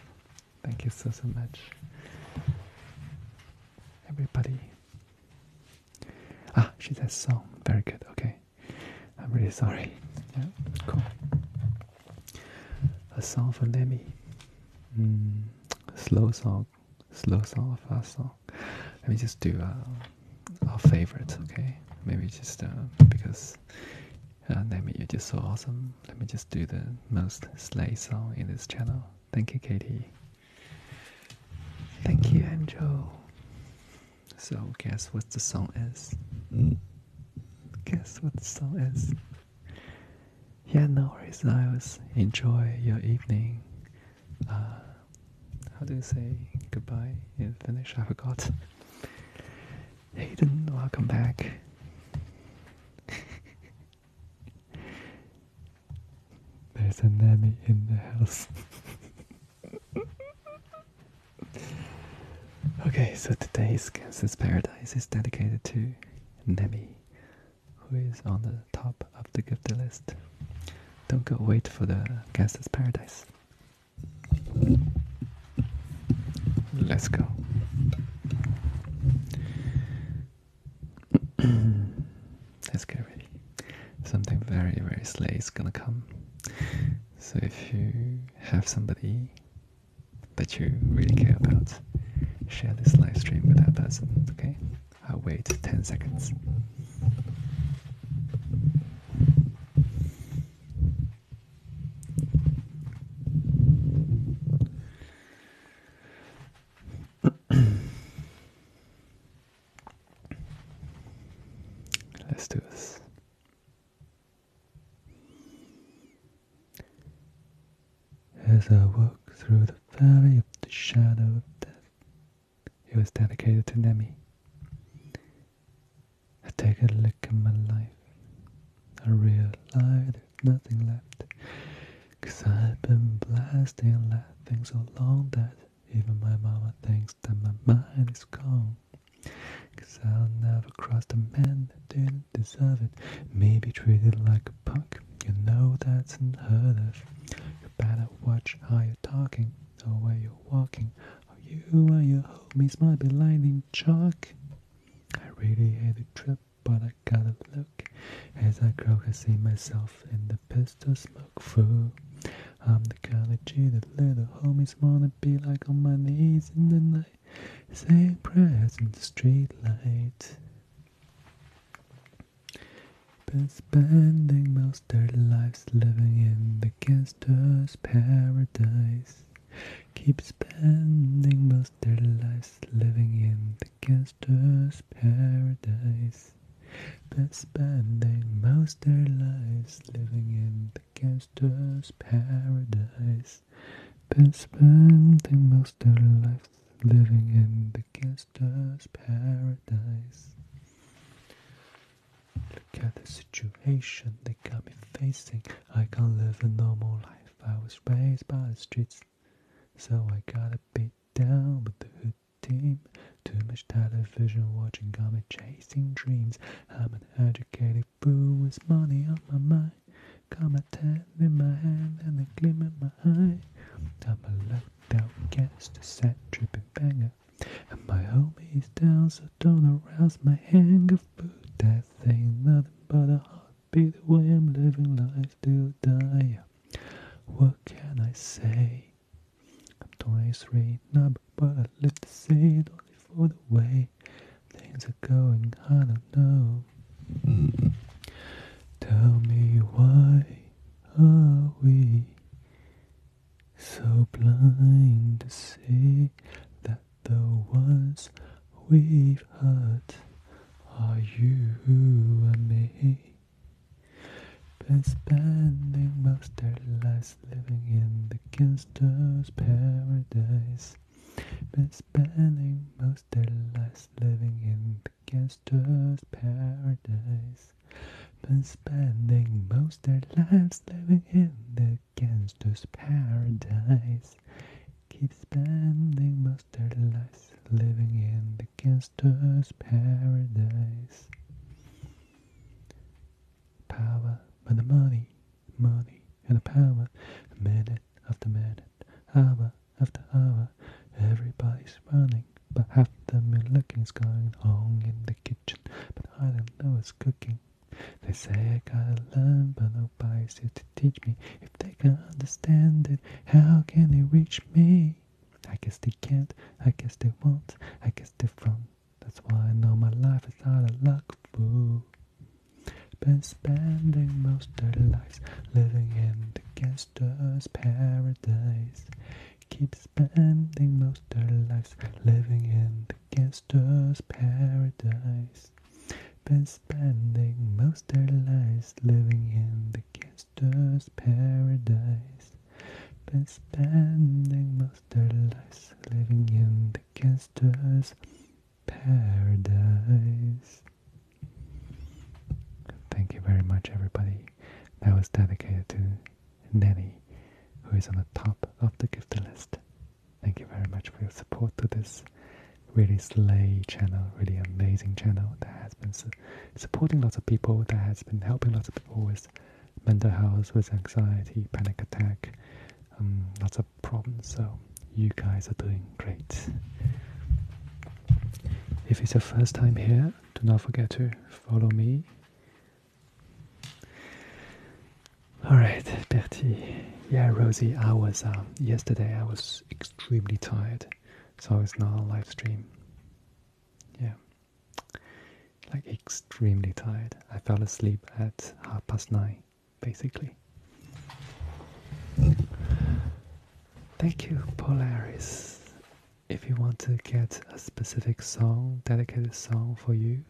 Thank you so, so much, everybody. Ah, she says song. Very good. Okay, I'm really sorry. Yeah, cool. A song for Lemmy. Mm, slow song, slow song, fast song. Let me just do uh, our favorite. okay? Maybe just uh, because and uh, I you're just so awesome. Let me just do the most slay song in this channel. Thank you, Katie. Thank you, Angel. So, guess what the song is? Guess what the song is? Yeah, no worries. I was enjoy your evening. Uh, how do you say goodbye in Finnish? I forgot. Hayden, welcome back. There's a nanny in the house. okay, so today's Gangster's Paradise is dedicated to Nemi, who is on the top of the gift list. Don't go wait for the Gangster's Paradise. Let's go. Let's get ready. Something very, very slay is gonna come. So if you have somebody that you really care about, share this live stream with that person, okay? I'll wait 10 seconds. Let's do this. As I walk through the valley of the shadow of death, it was dedicated to Nemi. I take a look at my life. I realize there's nothing left. i I've been blasting laughing so long that even my mama thinks that my mind is gone. i I'll never cross the man that didn't deserve it. Maybe treated like a punk. You know that's unheard of. You better watch how you're talking or where you're walking you and your homies might be lightning chalk. I really hate the trip, but I gotta look. As I croak, I see myself in the pistol smoke fool. I'm the kind of G that little homies wanna be like on my knees in the night. Saying prayers in the street light. Been spending most their lives living in the gangster's paradise. Keep spending most their lives living in the gangster's paradise. But spending most their lives living in the gangster's paradise. But spending most their lives living in the gangster's paradise. Look at the situation they got me facing. I can't live a normal life. I was raised by the streets, so I gotta beat down with the hood team. Too much television watching got me chasing dreams. I'm an educated fool with money on my mind. Got my ten in my hand and a gleam in my eye. I'm a locked out guest, a sad tripping banger. And my homie is down, so don't arouse my anger. But that ain't nothing but a heartbeat the way I'm living life till die. What can I say? I'm 23 now, but I live to see it only for the way things are going. I don't know. Tell me why are we so blind to see that the ones we've hurt are you and me. Been spending most their lives living in the gangster's paradise. Been spending most their lives living in the gangster's paradise. Been spending most their lives living in the against this paradise. Keep spending mustard their living in the gangster's paradise. Power and the money, money and the power, minute after minute, hour after hour, everybody's running. But half the milking's going on in the kitchen, but I don't know what's cooking. They say I gotta learn, but nobody's here to teach me. If they can understand it, how can they reach me? I guess they can't, I guess they won't, I guess they're from. That's why I know my life is all a luck, fool. Been spending most of their lives living in the gangster's paradise. Keep spending most of their lives living in the gangster's paradise. Been spending most their lives living in the gangster's paradise. Been spending most their lives living in the gangster's paradise. Thank you very much, everybody. That was dedicated to Nanny, who is on the top of the gift list. Thank you very much for your support to this really slay channel, really amazing channel that has been supporting lots of people, that has been helping lots of people with mental health, with anxiety, panic attack, um, lots of problems. So you guys are doing great. If it's your first time here, do not forget to follow me. All right, Bertie. Yeah, Rosie, I was um, yesterday. I was extremely tired, so it's not a live stream. Yeah, like extremely tired. I fell asleep at half past nine, basically. Thank you, Polaris. If you want to get a specific song, dedicated song for you,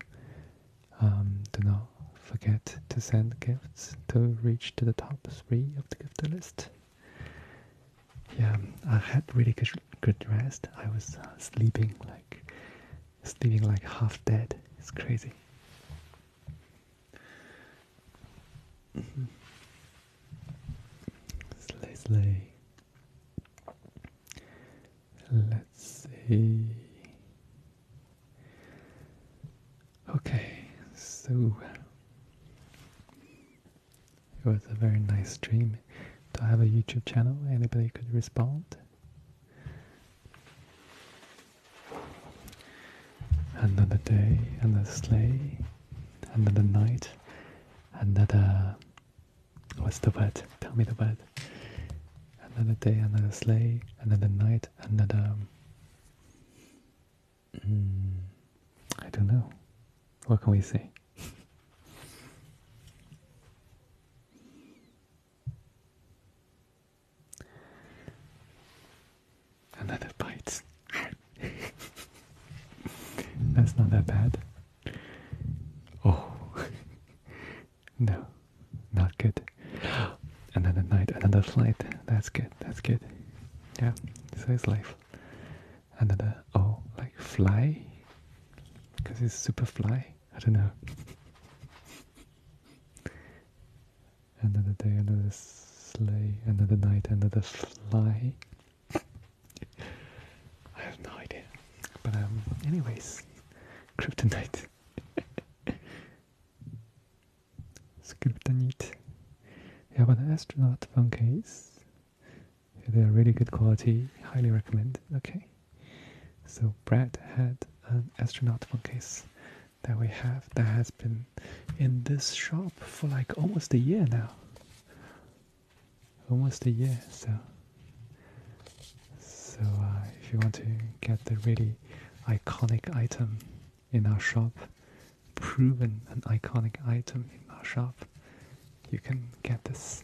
um, do not forget to send gifts to reach to the top three of the gift list. Yeah, I had really good, rest. I was uh, sleeping like sleeping like half dead. It's crazy. Mm-hmm. Let's see. Okay, so it was a very nice dream to have a YouTube channel? Anybody could respond? Another day, another sleigh, another night, another. What's the word? Tell me the word. Another day, another sleigh, another night, another. Um, Mm, I don't know. What can we say? Another bite. That's not that bad. Oh, No, not good. Another night, another flight. That's good, that's good. Yeah, so it's life. Another, oh, like fly? Because it's super fly? I don't know. another day, another sleigh, another night, another fly. I have no idea. But um, anyways, kryptonite. Skriptonite. Yeah, but astronaut phone case. They are really good quality. Highly recommend. Okay. So Brad had an astronaut phone case that we have that has been in this shop for like almost a year now. Almost a year. So, so uh, if you want to get the really iconic item in our shop, proven an iconic item in our shop. You can get this.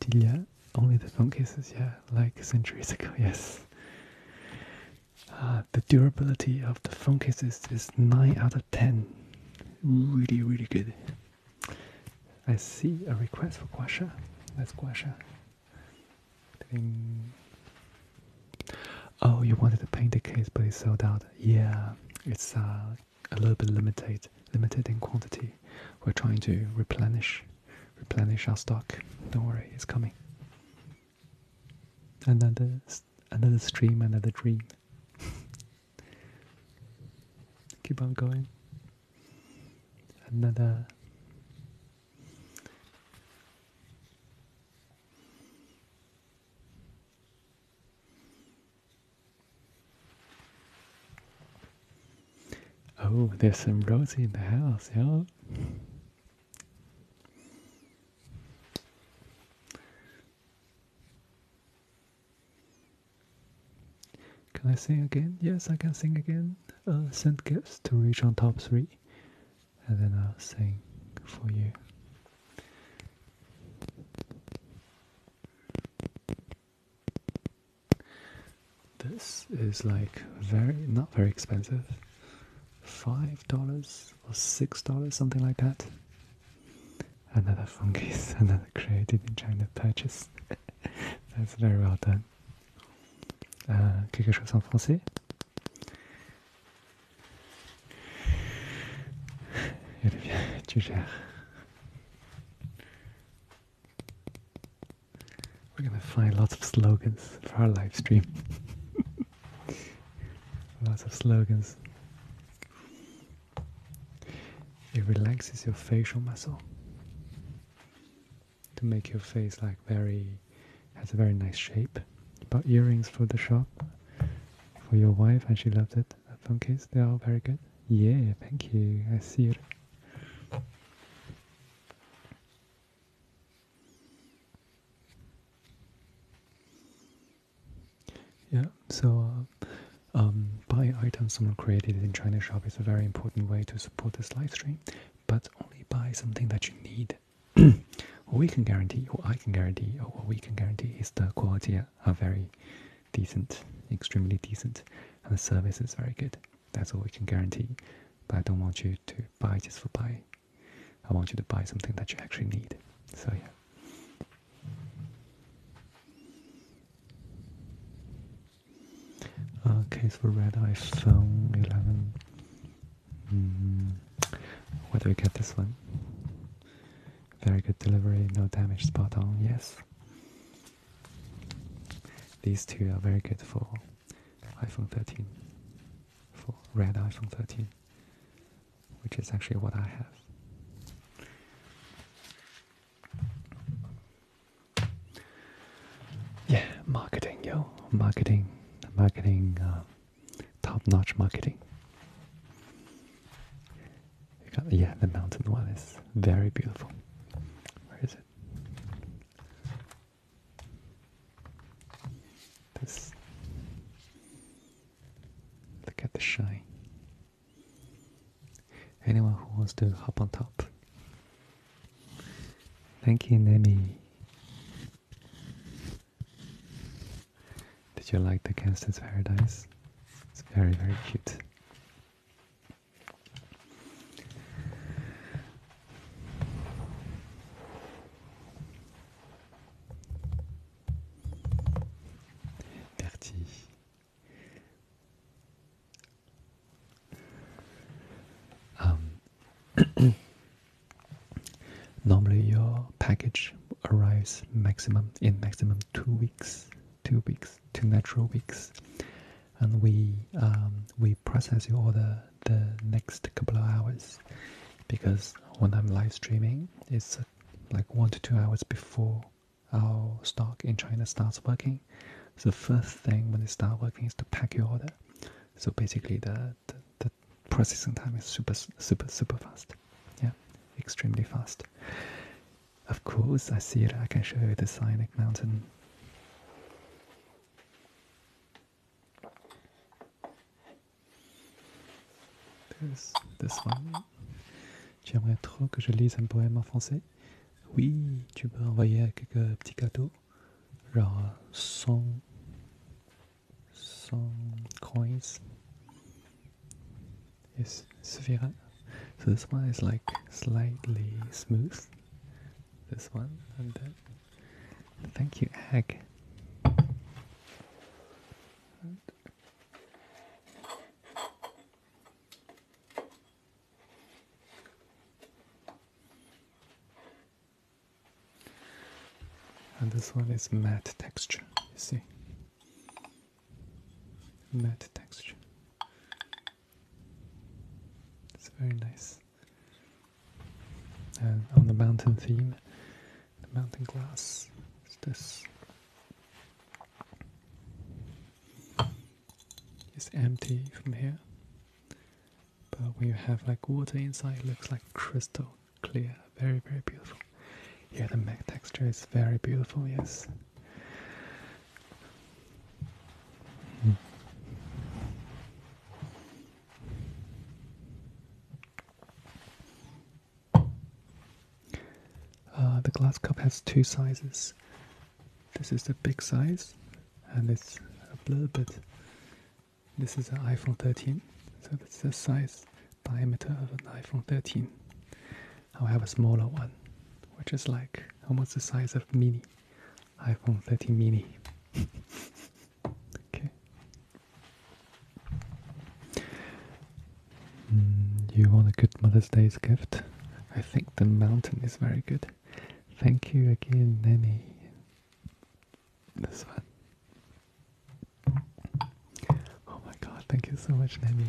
Tilia, um, only the phone cases, yeah, like centuries ago, yes. Uh, the durability of the phone cases is 9 out of 10. Really, really good. I see a request for Guasha. That's Guasha. Oh, you wanted to paint the case, but it sold out. Yeah, it's uh, a little bit limited, limited in quantity. We're trying to replenish, replenish our stock. Don't worry, it's coming. Another, another stream, another dream. Keep on going. Another. Oh, there's some Rosie in the house, yeah. Can I sing again? Yes, I can sing again. Uh, send gifts to reach on top three, and then I'll sing for you. This is like very not very expensive. Five dollars or six dollars, something like that. Another fungus, another created in China purchase. That's very well done. Euh, quelque chose en français. tu gères. We're gonna find lots of slogans for our live stream. lots of slogans. It relaxes your facial muscle to make your face like very has a very nice shape. You bought earrings for the shop for your wife and she loved it. Phone case, they are very good. Yeah, thank you. I see it. Yeah, so uh, um, buy items someone created in China Shop is a very important way to support this live stream, but only buy something that you need. we can guarantee, or I can guarantee, or what we can guarantee is the quality are very decent, extremely decent, and the service is very good. That's all we can guarantee. But I don't want you to buy just for buy. I want you to buy something that you actually need. So yeah. Uh, case for red iPhone 11. Hmm. Where do we get this one? Very good delivery, no damage, spot on, yes. These two are very good for iPhone 13, for red iPhone 13, which is actually what I have. Yeah, marketing, yo, marketing, marketing, uh, top-notch marketing. Yeah, the mountain one is very beautiful. Where is it? This. Look at the shine. Anyone who wants to hop on top. Thank you, Nemi. Did you like the Kansas Paradise? It's very, very cute. Merci. Um, normally your package arrives maximum in maximum two weeks two weeks, two natural weeks, and we um, we process your order the next couple of hours, because when I'm live streaming, it's uh, like one to two hours before our stock in China starts working. The first thing when they start working is to pack your order. So basically, the, the processing time is super super super fast. Yeah, extremely fast. Of course, I see que I can show you the Sionic Mountain. This, this one. aimerais trop que je lise un poème en français. Oui, tu peux envoyer quelques petits cadeaux. Genre 100, euh, 100 coins. is Svira. So this one is like slightly smooth. This one and then thank you egg. and this one is matte texture, you see matte texture. It's very nice. on the mountain theme, the mountain glass is this. It's empty from here, but when you have like water inside, looks like crystal clear. Very, very beautiful. Yeah, the matte texture is very beautiful, yes. Uh, the glass cup has two sizes. This is the big size, and it's a little bit. This is an iPhone 13, so that's the size diameter of an iPhone 13 i have a smaller one, which is like almost the size of mini iPhone 13 mini. okay. Mm, you want a good Mother's Day's gift? I think the mountain is very good. Thank you again, Nanny. This one. Oh my god, thank you so much, Nanny.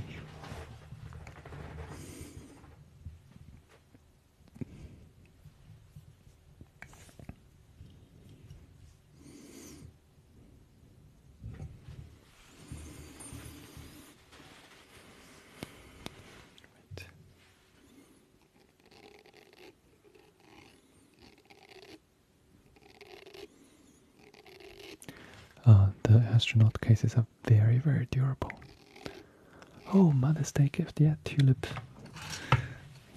Uh, the astronaut cases have very, very durable. Oh, Mother's Day gift, yeah, tulip.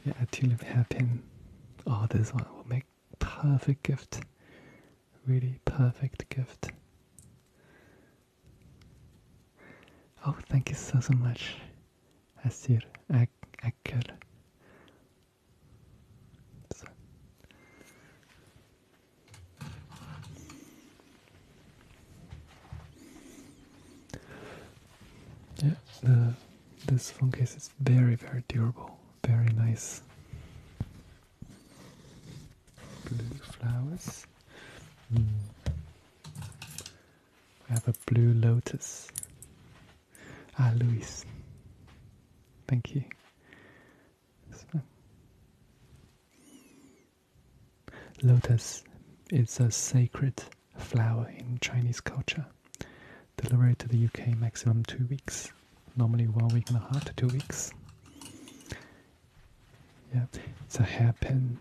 Yeah, a tulip hairpin. Oh, this one will make perfect gift. Really perfect gift. Oh, thank you so, so much, Asir Ak I could. Yeah, this phone case is very, very durable, very nice. Blue flowers. Mm. We have a blue lotus. Ah, Luis. Thank you. Lotus is a sacred flower in Chinese culture, delivered to the UK maximum two weeks, normally one week and a half to two weeks. Yeah, it's a hairpin.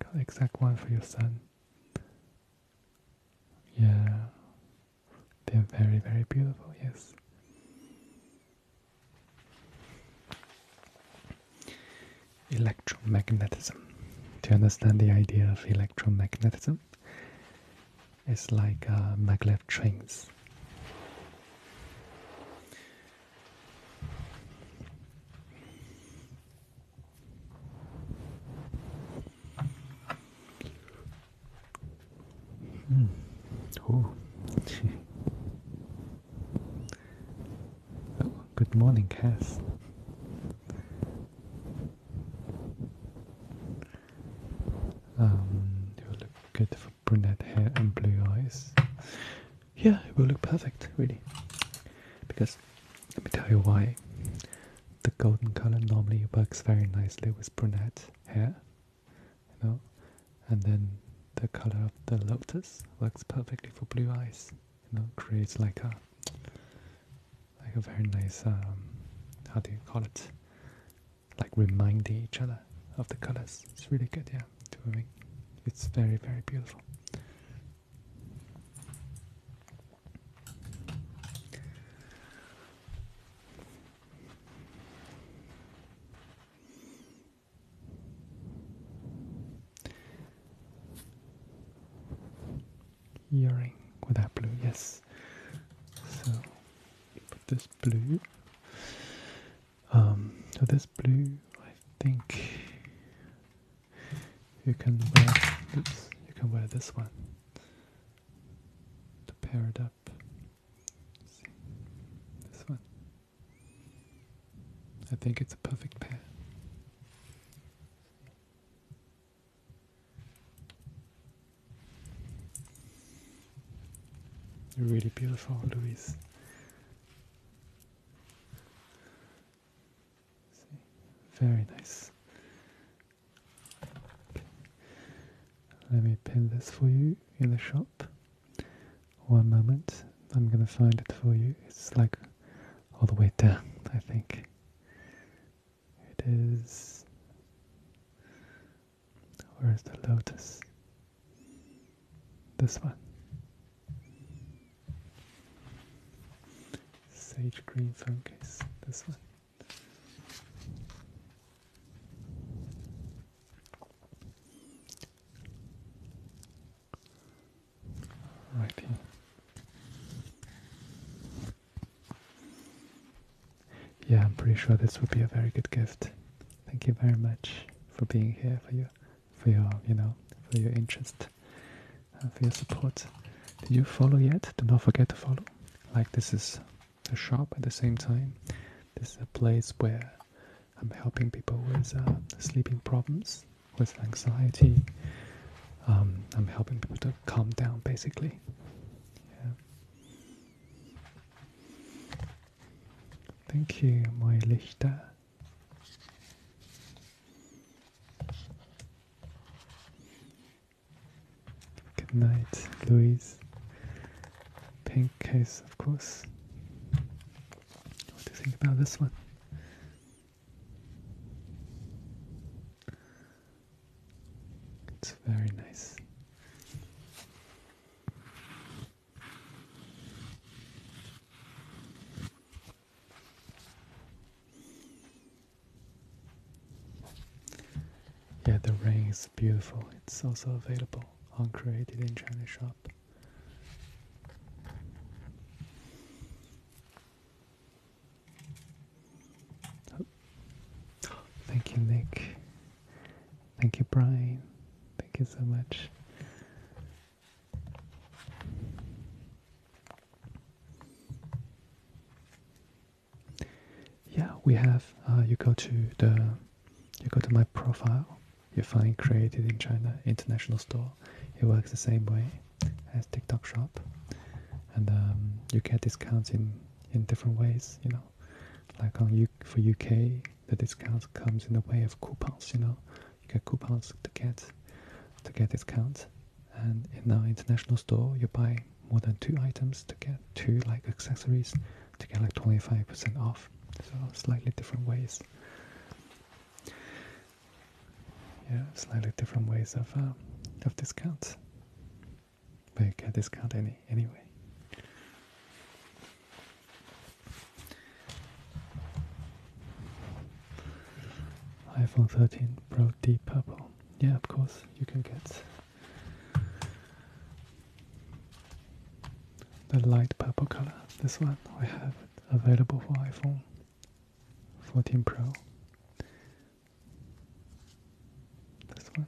Got the exact one for your son. Yeah, they're very, very beautiful, yes. Electromagnetism. To understand the idea of electromagnetism, it's like uh, maglev trains. Mm. Oh. good morning, Cass. Um, you look good for brunette hair and blue eyes. Yeah, it will look perfect, really. Because let me tell you why. The golden color normally works very nicely with brunette hair you know, and then the color of the lotus works perfectly for blue eyes. You know, creates like a like a very nice um, how do you call it? Like reminding each other of the colors. It's really good, yeah. I it's very very beautiful. Earring with that blue, yes. So put this blue. Um, so this blue, I think you can wear. Oops, you can wear this one to pair it up. see this one. I think it's a perfect pair. Really beautiful, Louise. Very nice. Let me pin this for you in the shop. One moment, I'm gonna find it for you. It's like all the way down, I think. It is. Where is the lotus? This one. Sage green phone case. This one. Right Yeah, I'm pretty sure this would be a very good gift. Thank you very much for being here, for your, for your, you know, for your interest, and uh, for your support. Did you follow yet? Do not forget to follow. Like this is a shop at the same time. This is a place where I'm helping people with uh, sleeping problems, with anxiety. Um, I'm helping people to calm down, basically. Yeah. Thank you, my Lichter. Good night, Louise. Pink case, of course. What do you think about this one? It's very nice. Yeah, the ring is beautiful. It's also available on Created in China shop. Thank you, Nick. Thank you, Brian. Thank you so much. Yeah, we have. Uh, you go to the you go to my profile, you find Created in China International Store. It works the same way as TikTok Shop, and um, you get discounts in in different ways. You know, like on U for UK, the discount comes in the way of coupons. You know, you get coupons to get to get discounts, and in our international store, you buy more than two items to get two like accessories to get like 25% off. So slightly different ways yeah, slightly different ways of uh, of discounts. But you can discount any anyway. iPhone 13 Pro Deep Purple. Yeah, of course you can get the light purple color. This one we have available for iPhone 14 Pro. This one.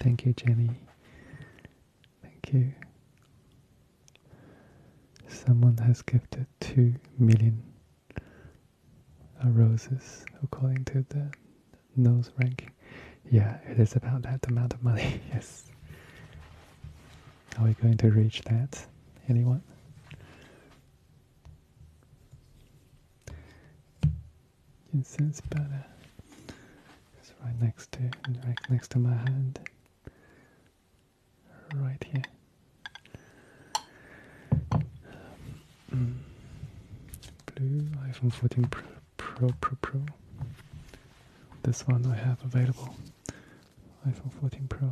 Thank you, Jenny. Thank you. Someone has gifted two million uh, roses according to the nose ranking. Yeah, it is about that amount of money, yes. Are we going to reach that? Anyone? It sits better. It's right next to, right next to my hand. Right here. Um, blue iPhone 14 Pro Pro Pro Pro. This one I have available. iPhone 14 Pro.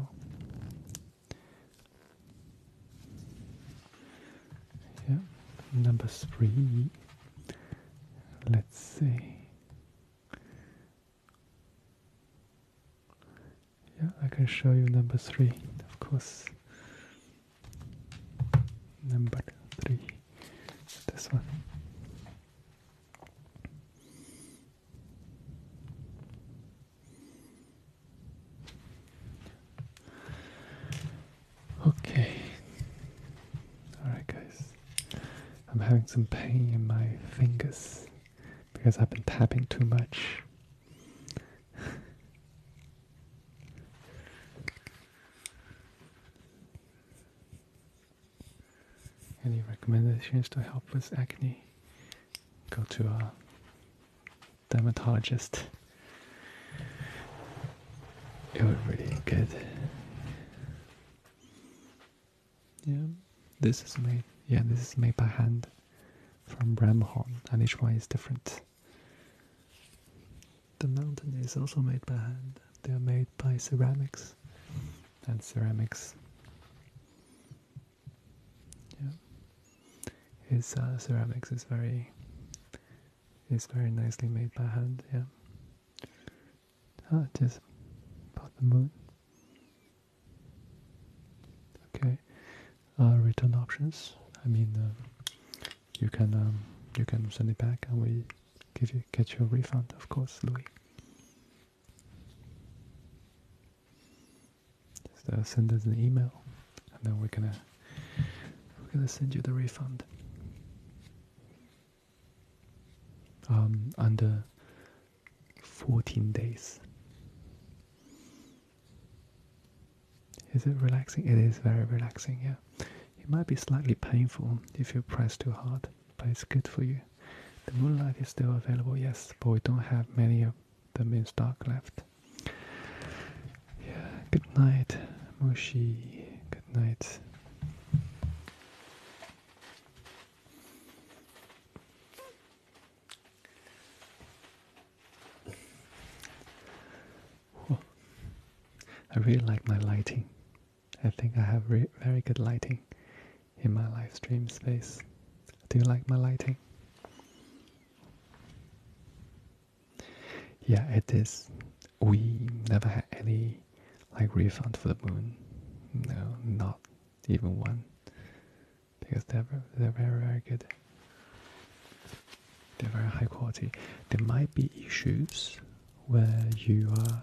Yeah, number three. Let's see. Yeah, I can show you number three, of course. Number three, this one. Okay. Alright, guys. I'm having some pain in my fingers because I've been tapping too much. Any recommendations to help with acne? Go to a dermatologist. It would really good. Yeah, this is made. Yeah, this is made by hand from ram horn, and each one is different. The mountain is also made by hand. They are made by ceramics, and ceramics. Yeah, his uh, ceramics is very is very nicely made by hand. Yeah, Ah, it is about the moon. Okay, uh, return options. I mean, uh, you can um, you can send it back, and we give you get your refund, of course, Louis. Just uh, send us an email, and then we're gonna we're gonna send you the refund. Um, under 14 days. Is it relaxing? It is very relaxing, yeah. It might be slightly painful if you press too hard, but it's good for you. The moonlight is still available, yes, but we don't have many of the main stock left. Yeah, good night, Moshi. Good night. I really like my lighting. I think I have very good lighting in my live stream space. Do you like my lighting? Yeah, it is. We never had any like refund for the moon. No, not even one. Because they're they're very very good. They're very high quality. There might be issues where you are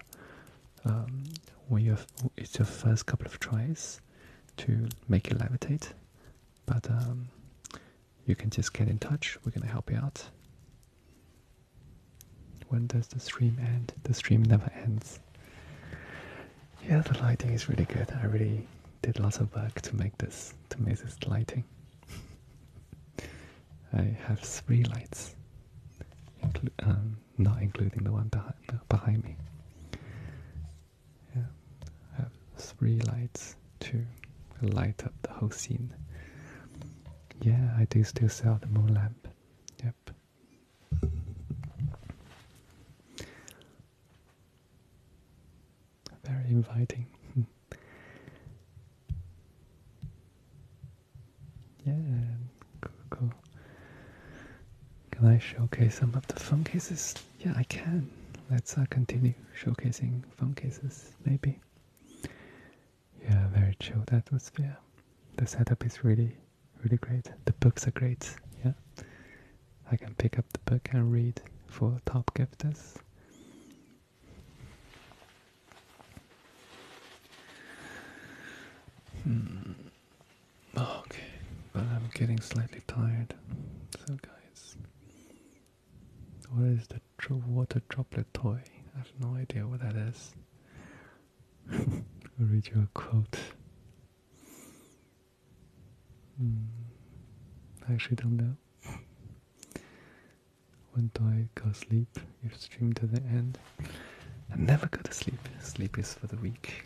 um, when you it's your first couple of tries to make you levitate, but um, you can just get in touch. We're gonna help you out. When does the stream end? The stream never ends. Yeah, the lighting is really good. I really did lots of work to make this to make this lighting. I have three lights, um, not including the one behind behind me. Yeah, I have three lights to light up the whole scene. Yeah, I do still sell the moon lamp. Yep. Very inviting. yeah, cool, Can I showcase some of the phone cases? Yeah, I can. Let's uh, continue showcasing phone cases, maybe yeah, very chilled atmosphere. The setup is really, really great. The books are great. Yeah, I can pick up the book and read for top gifters. Hmm. Okay, but I'm getting slightly tired. So, guys, what is the water droplet toy? I have no idea what that is. read your quote. Hmm. I actually don't know. When do I go sleep? You stream to the end. I never go to sleep. Sleep is for the weak.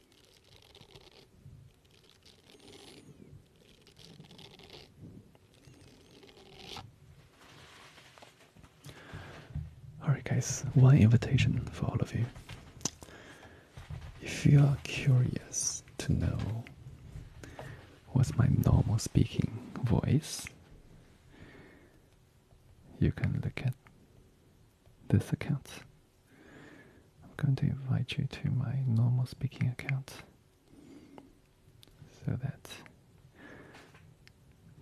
Alright, guys, one invitation for all of you. If you are curious to know what's my normal speaking voice, you can look at this account. I'm going to invite you to my normal speaking account so that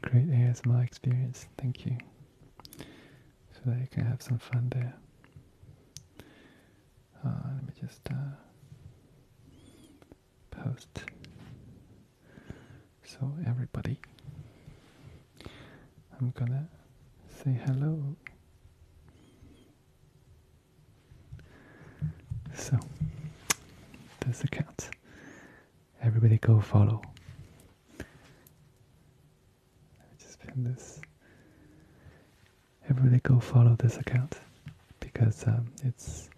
great ASMR experience, thank you, so that you can have some fun there. Uh, let me just uh, post so everybody I'm gonna say hello. So, this account. Everybody go follow. Let me just pin this. Everybody go follow this account because um, it's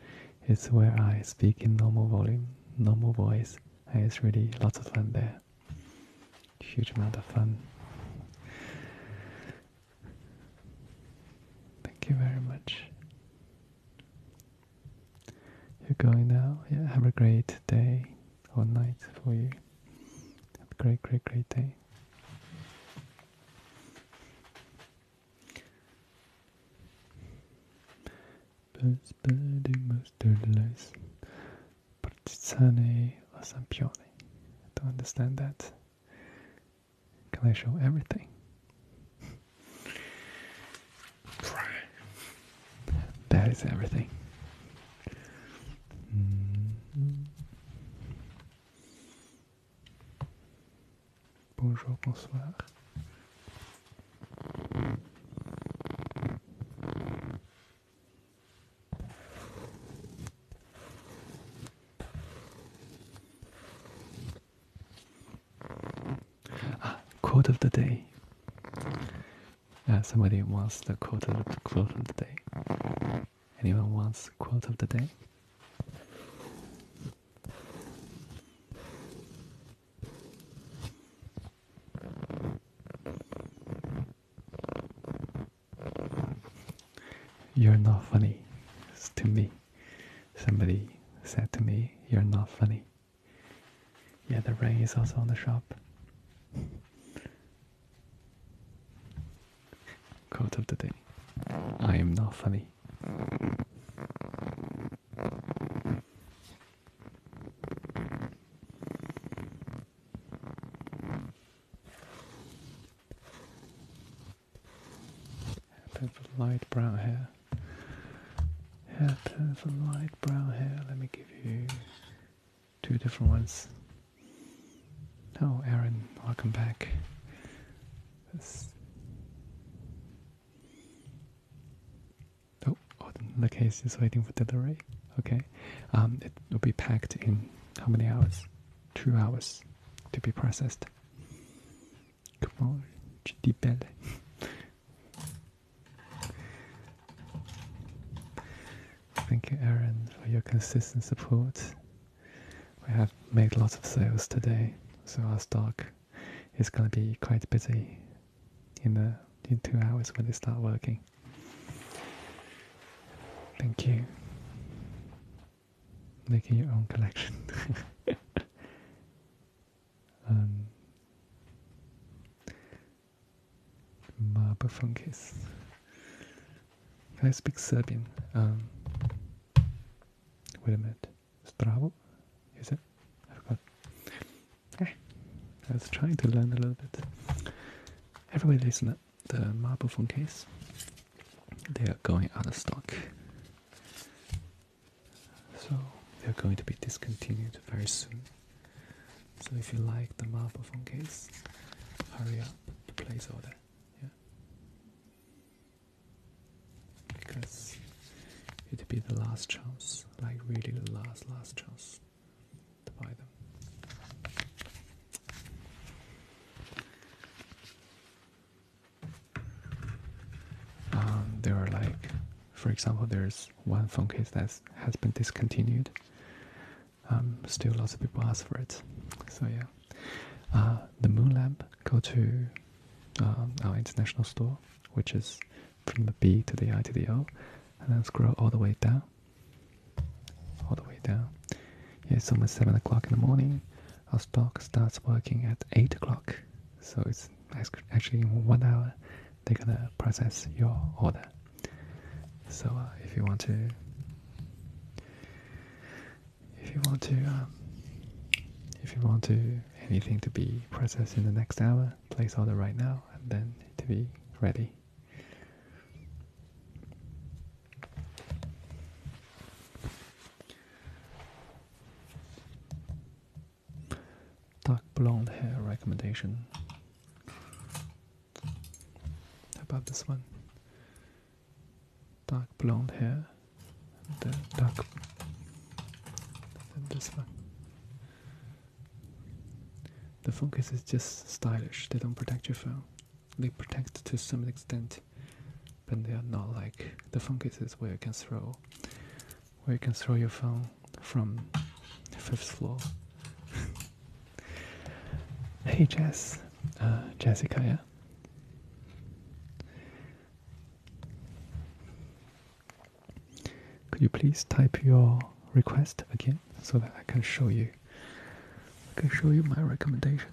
it's where I speak in normal volume, normal voice, and it's really lots of fun there. Huge amount of fun. Thank you very much. You're going now? Yeah, have a great day or night for you. great, great, great day. Birds, birdie, mustard, lice. Partigiani or Sampioni. I don't understand that. Can I show everything? that is everything. Mm-hmm. Bonjour, bonsoir. Ah, quote of the day. Uh, somebody wants the quote of the quote of the day. Anyone wants quote of the day? You're not funny to me. Somebody said to me, You're not funny. Yeah, the rain is also on the shop. Quote of the day I am not funny. Bit of light brown hair. Yeah, some light brown hair. Let me give you two different ones. Oh, Aaron, welcome back. This. Oh, oh, the case is waiting for delivery. Okay, um, it will be packed in how many hours? Two hours to be processed. Come on, tu Thank you, Aaron, for your consistent support. We have made lots of sales today, so our stock is going to be quite busy in the in two hours when they start working. Thank you. Making your own collection. um, Marble funkies. Can I speak Serbian? Um, wait a minute. Stravo? Is it? I forgot. Eh, I was trying to learn a little bit. Everybody is not the marble phone case. They are going out of stock. So they're going to be discontinued very soon. So if you like the marble phone case, hurry up to place order. Yeah. Because it'll be the last chance, like really the last last chance buy them. Um, there are like, for example, there's one phone case that has been discontinued. Um, still, lots of people ask for it. So yeah, uh, the Moon Lamp. Go to um, our international store, which is from the B to the I to the O, and then scroll all the way down all the way down. it's almost 7 o'clock in the morning. Our stock starts working at 8 o'clock. So it's actually in one hour they're going to process your order. So uh, if you want to, if you want to, um, if you want to anything to be processed in the next hour, place order right now and then it to be ready Dark blonde hair recommendation. How about this one? Dark blonde hair. The dark. And this one. The phone case is just stylish. They don't protect your phone. They protect to some extent, but they are not like the phone cases where you can throw, where you can throw your phone from the fifth floor. hey Jess, uh, Jessica, yeah. Could you please type your request again? so that I can show you. I can show you my recommendation.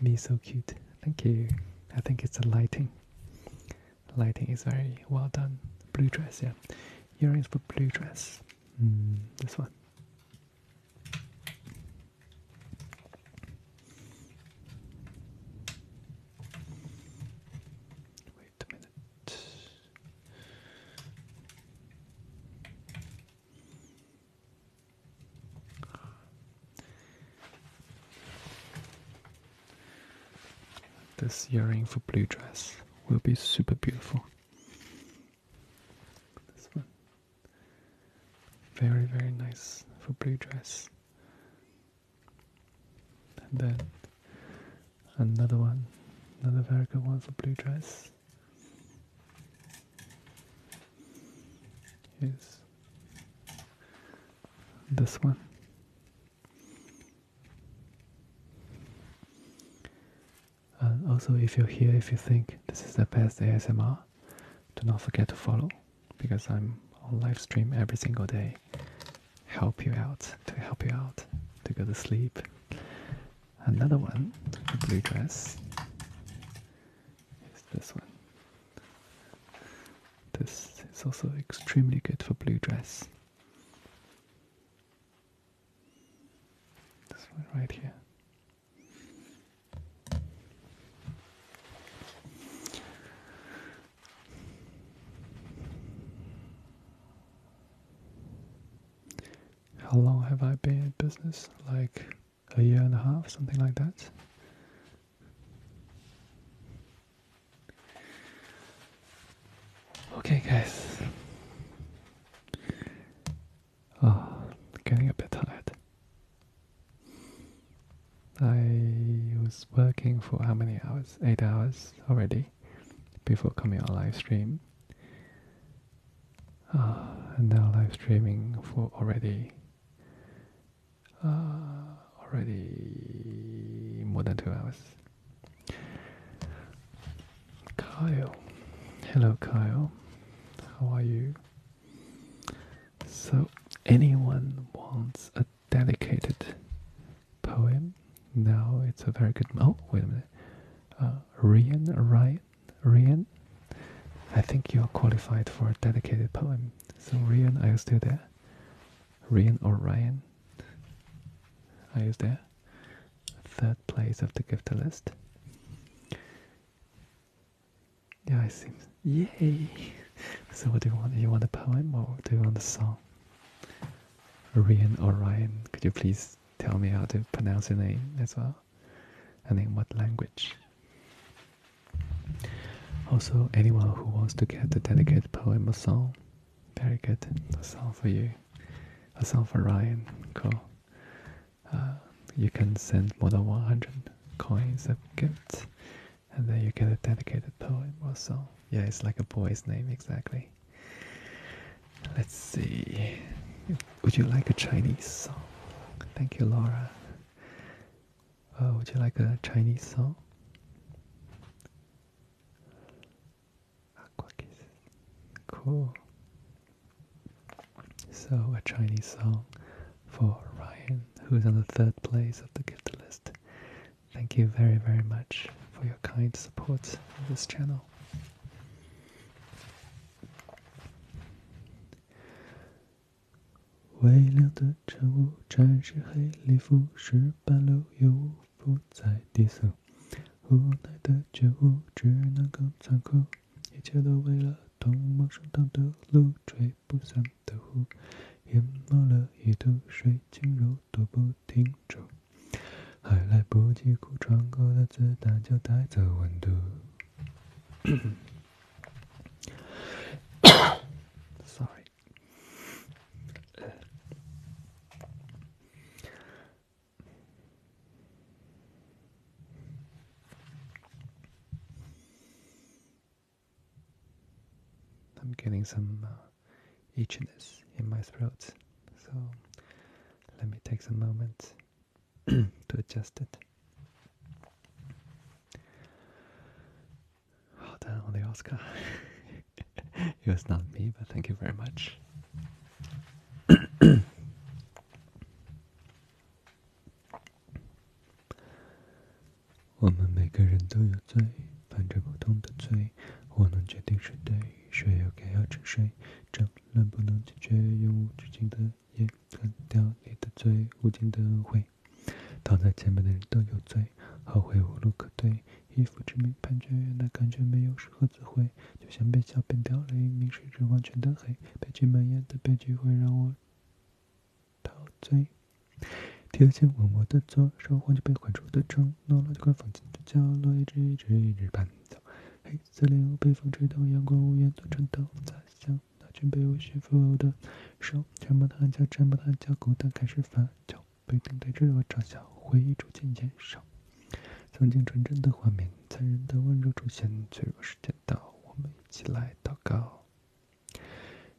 Me so cute. Thank you. I think it's the lighting. Lighting is very well done. Blue dress, yeah. Earrings for blue dress. Mm, this one. Wait a minute. This earring for blue dress will be super beautiful. This one. Very, very nice for blue dress. And then another one, another very good one for blue dress is this one. Uh, also, if you're here, if you think this is the best ASMR, do not forget to follow because I'm on live stream every single day. Help you out to help you out to go to sleep Another one, the blue dress, is this one. This is also extremely good for blue dress. This one right here how long have I been in business? Like a year and a half, something like that. Okay, guys. Oh, getting a bit tired. I was working for how many hours? Eight hours already before coming on live stream uh, and now live streaming for already uh, already more than two hours. Kyle, hello Kyle, how are you? So, anyone wants a dedicated poem? No, it's a very good. Oh, wait a minute. Uh, Rian Ryan Rian, I think you're qualified for a dedicated poem. So Rian, are you still there? Rian or Ryan? Are you there? Third place of the gift list. Yeah, I seems yay. So what do you want? You want a poem or do you want a song? Rian or Ryan, could you please tell me how to pronounce your name as well? and in what language. Also, anyone who wants to get a dedicated poem or song, very good. A song for you, a song for Ryan. Cool. Uh, you can send more than 100 coins of gifts, and then you get a dedicated poem or song. Yeah, it's like a boy's name exactly. Let's see. Would you like a Chinese song? Thank you, Laura. Uh, would you like a Chinese song? Aqua Cool. So, a Chinese song for Ryan, who's on the third place of the gift list. Thank you very, very much for your kind support of this channel. 微亮的晨雾，沾湿黑礼服，石板路又雾伏在低速，无奈的觉悟，只能更残酷，一切都为了同陌生的路，吹不散的雾，淹没了一度，水轻柔踱不停住。i am getting some uh, itchiness in my throat, so let me take some moments. to adjust it. Well oh, on the Oscar. it was not me, but thank you very much. 我们每个人都有罪，伴着不同的罪。我能决定谁对，谁又该要沉睡。正能不能解决永无止境的夜？干掉你的罪，无尽的悔。躺在前面的人都有罪，后悔无路可退。以父之名判决，原来感觉没有适合自汇，就像被笑辩掉泪，明事着完全的黑，悲剧蔓延的悲剧会让我陶醉。铁线吻我的左手，黄金被捆住的承诺，垃就快放进的角落，一直一直一直搬走。嘿。森林被风吹动，阳光无言，断颤抖，在想那群被我驯服的手，沉默的喊叫，沉默的喊叫，孤单开始发酵。被等待着我嘲笑，回忆逐渐减少。曾经纯真的画面，残忍的温柔出现，脆弱时间到，我们一起来祷告，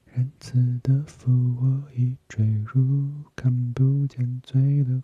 仁慈的父，我已坠入看不见罪的。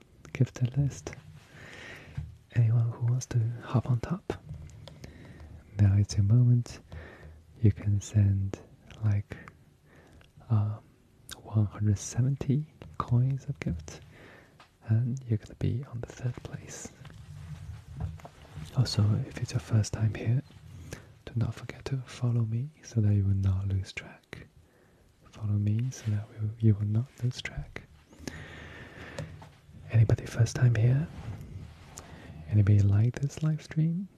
give the list. Anyone who wants to hop on top. Now it's your moment. You can send like um, 170 coins of gift, and you're gonna be on the third place. Also, if it's your first time here, do not forget to follow me so that you will not lose track follow me so that we, you will not lose track. Anybody first time here? Anybody like this live stream?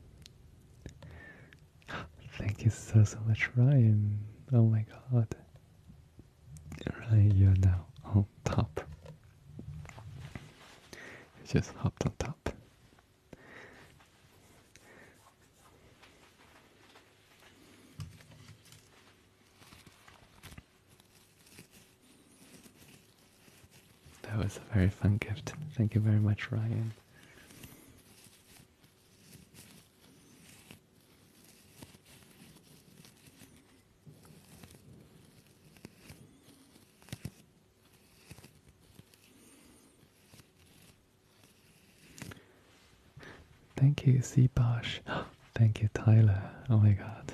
Thank you so so much, Ryan. Oh my god. Ryan, you're now on top. You just hopped on top. That was a very fun gift. Thank you very much, Ryan. Thank you, Seabosh. Thank you, Tyler. Oh my god.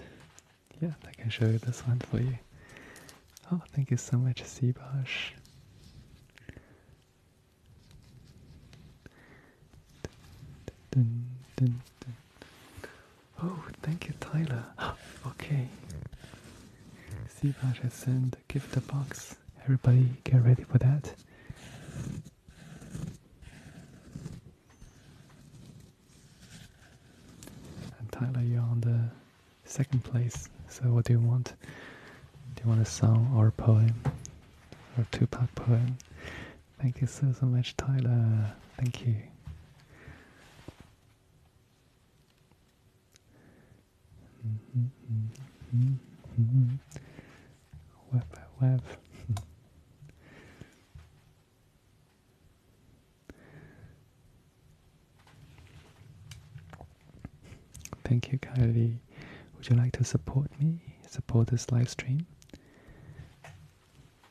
Yeah, I can show you this one for you. Oh, thank you so much, Seabosh. Oh, thank you, Tyler. okay. Seabosh has sent a gift box. Everybody, get ready for that. Tyler, you're on the second place. So what do you want? Do you want a song or a poem? Or a two-part poem? Thank you so, so much, Tyler. Thank you. Mm-hmm, mm-hmm, mm-hmm. Web, web. Thank you, Kylie. Would you like to support me? Support this live stream?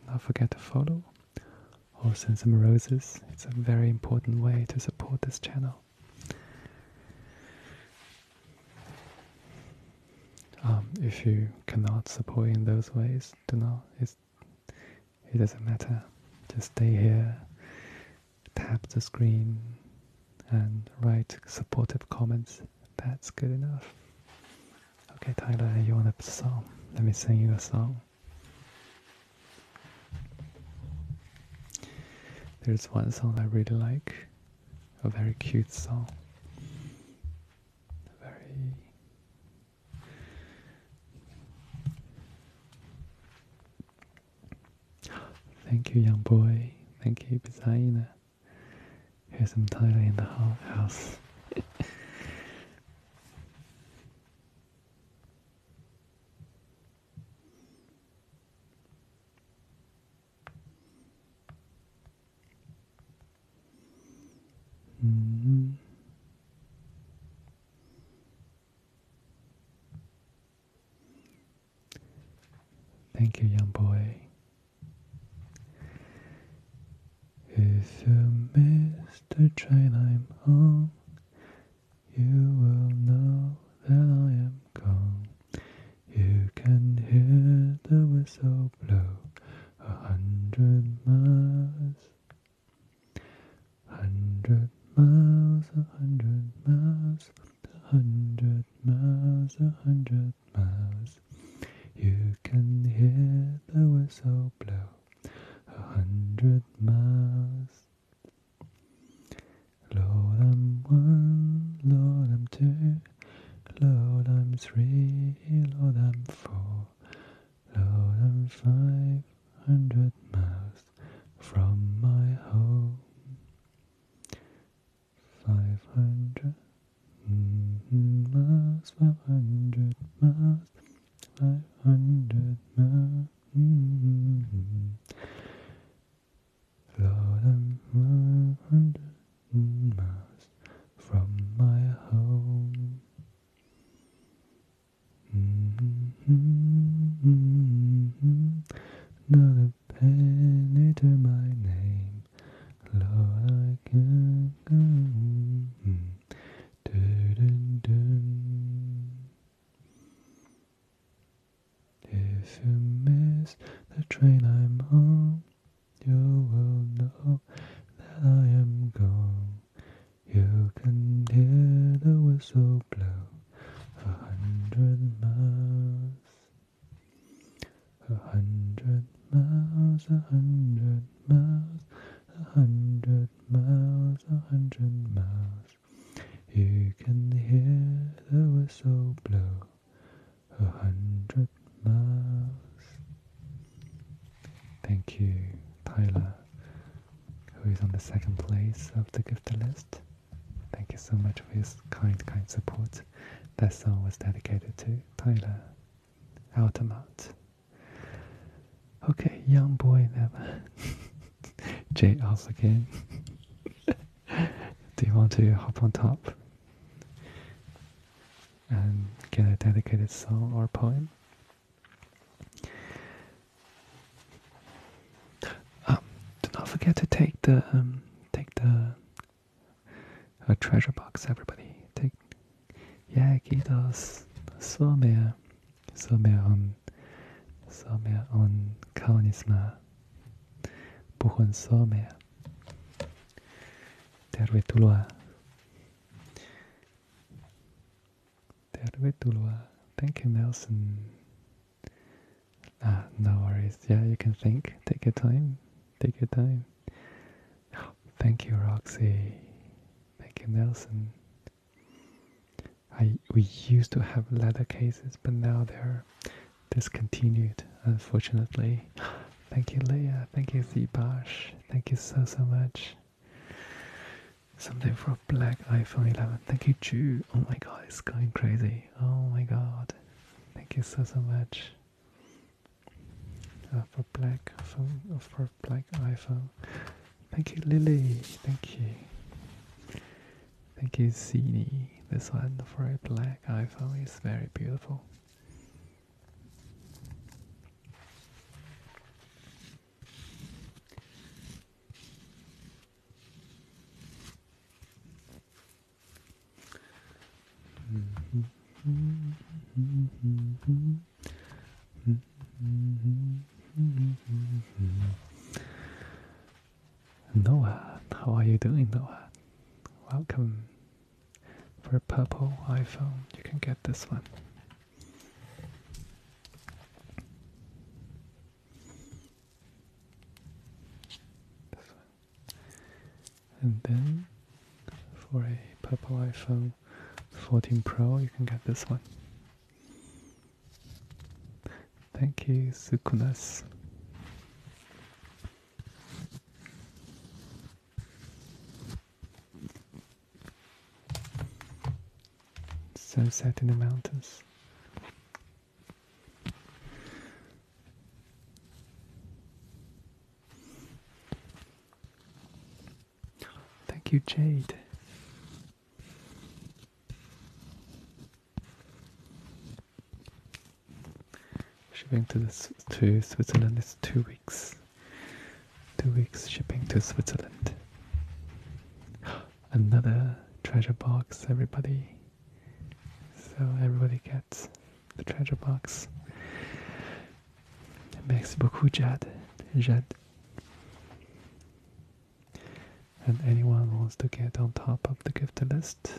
Don't forget to follow or send some roses. It's a very important way to support this channel. Um, if you cannot support in those ways, do not. it doesn't matter. Just stay here, tap the screen, and write supportive comments. That's good enough. Okay, Tyler, you want a song? Let me sing you a song. There's one song I really like. A very cute song. Very. Thank you, young boy. Thank you, Bizaina. Here's some title in the house. Mm-hmm. Thank you, young boy. If you miss the train I'm on, you will know that I am gone. You can hear the whistle blow a hundred miles. Hundred miles, a hundred miles, a hundred miles, a hundred miles. You can hear the whistle blow a hundred miles. Lord, i one, Lord, i two, Lord, I'm three, Lord, I'm four, Lord, I'm five hundred miles from my home. Five hundred mm-hmm, miles, five hundred miles, five hundred miles. Mm-hmm. Lord, I'm five hundred miles from my home. Not a penny my name, Lord, I can go. Mm-hmm. If you miss the train I'm on, you will know that I am gone. You can hear the whistle blow a hundred miles, a hundred miles, a hundred miles, a hundred miles, a hundred miles. You can hear the whistle blow a hundred miles. Thank you, Tyler, who is on the second place of the gift list. Thank you so much for your kind, kind support. That song was dedicated to Tyler Altamont. Okay, young boy never. Jay also again. Do you want to hop on top? and get a dedicated song or poem. Um, do not forget to take the um, take the a treasure box, everybody. Take yeah, kitos somewhere, somewhere on somewhere on kaonisma, buhun somewhere. Tervetuloa. Tervetuloa. Thank you, Nelson. Ah, no worries. Yeah, you can think. Take your time. Take your time. Oh, thank you, Roxy. Thank you, Nelson. I we used to have leather cases, but now they're discontinued, unfortunately. Thank you, Leah. Thank you, Zibash. Thank you so, so much. Something for a black iPhone 11. Thank you, Chu. Oh my god, it's going crazy. Oh my god. Thank you so, so much. Uh, for black phone, uh, for black iPhone. Thank you, Lily. Thank you. Thank you, Zini. This one for a black iPhone is very beautiful. Noah, how are you doing, Noah? Welcome for a purple iPhone. You can get this one. This one. And then for a purple iPhone 14 Pro, you can get this one. Thank you, Sukunas. Sunset in the mountains. Thank you, Jade. Shipping to this to Switzerland is two weeks. Two weeks shipping to Switzerland. Another treasure box, everybody. So everybody gets the treasure box. Merci beaucoup, Jad. Jad. And anyone wants to get on top of the gift list,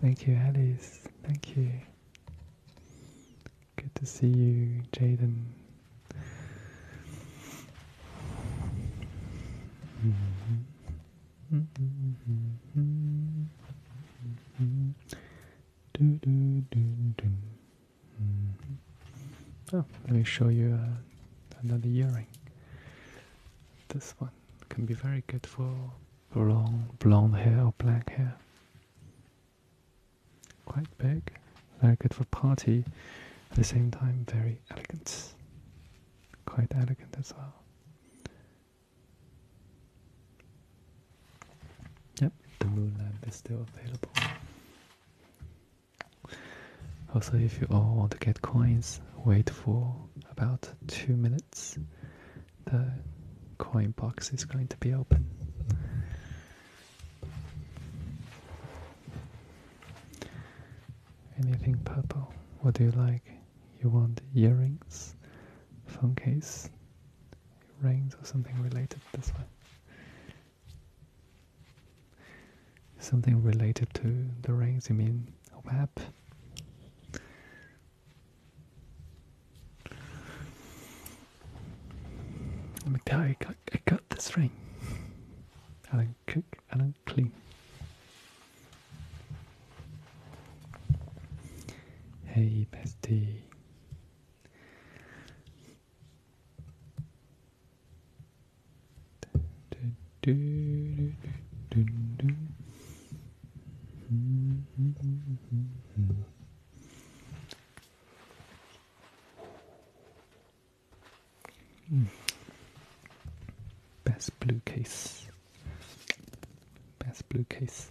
Thank you, Alice. Thank you. Good to see you, Jaden. Mm-hmm. Oh, let me show you uh, another earring. This one can be very good for long blonde hair or black hair. Quite big, very good for party. At the same time, very elegant. Quite elegant as well. Yep, the moon lamp is still available. Also, if you all want to get coins, wait for about two minutes. The coin box is going to be open. Anything purple? What do you like? You want earrings, phone case, rings, or something related this way? something related to the rings, you mean web? I'm I got, I got this ring. I don't cook, I don't clean. Hey, bestie. Best blue case. Best blue case.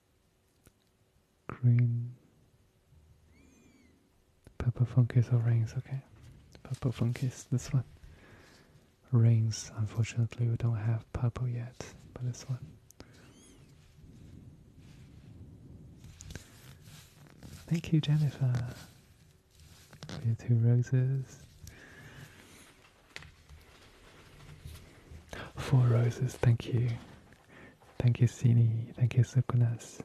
green. Purple fungus or rings, okay. Purple fungus, this one. Rings, unfortunately, we don't have purple yet, but this one. Thank you, Jennifer. two roses. Four roses, thank you. Thank you, Siri. Thank you, Sukunas.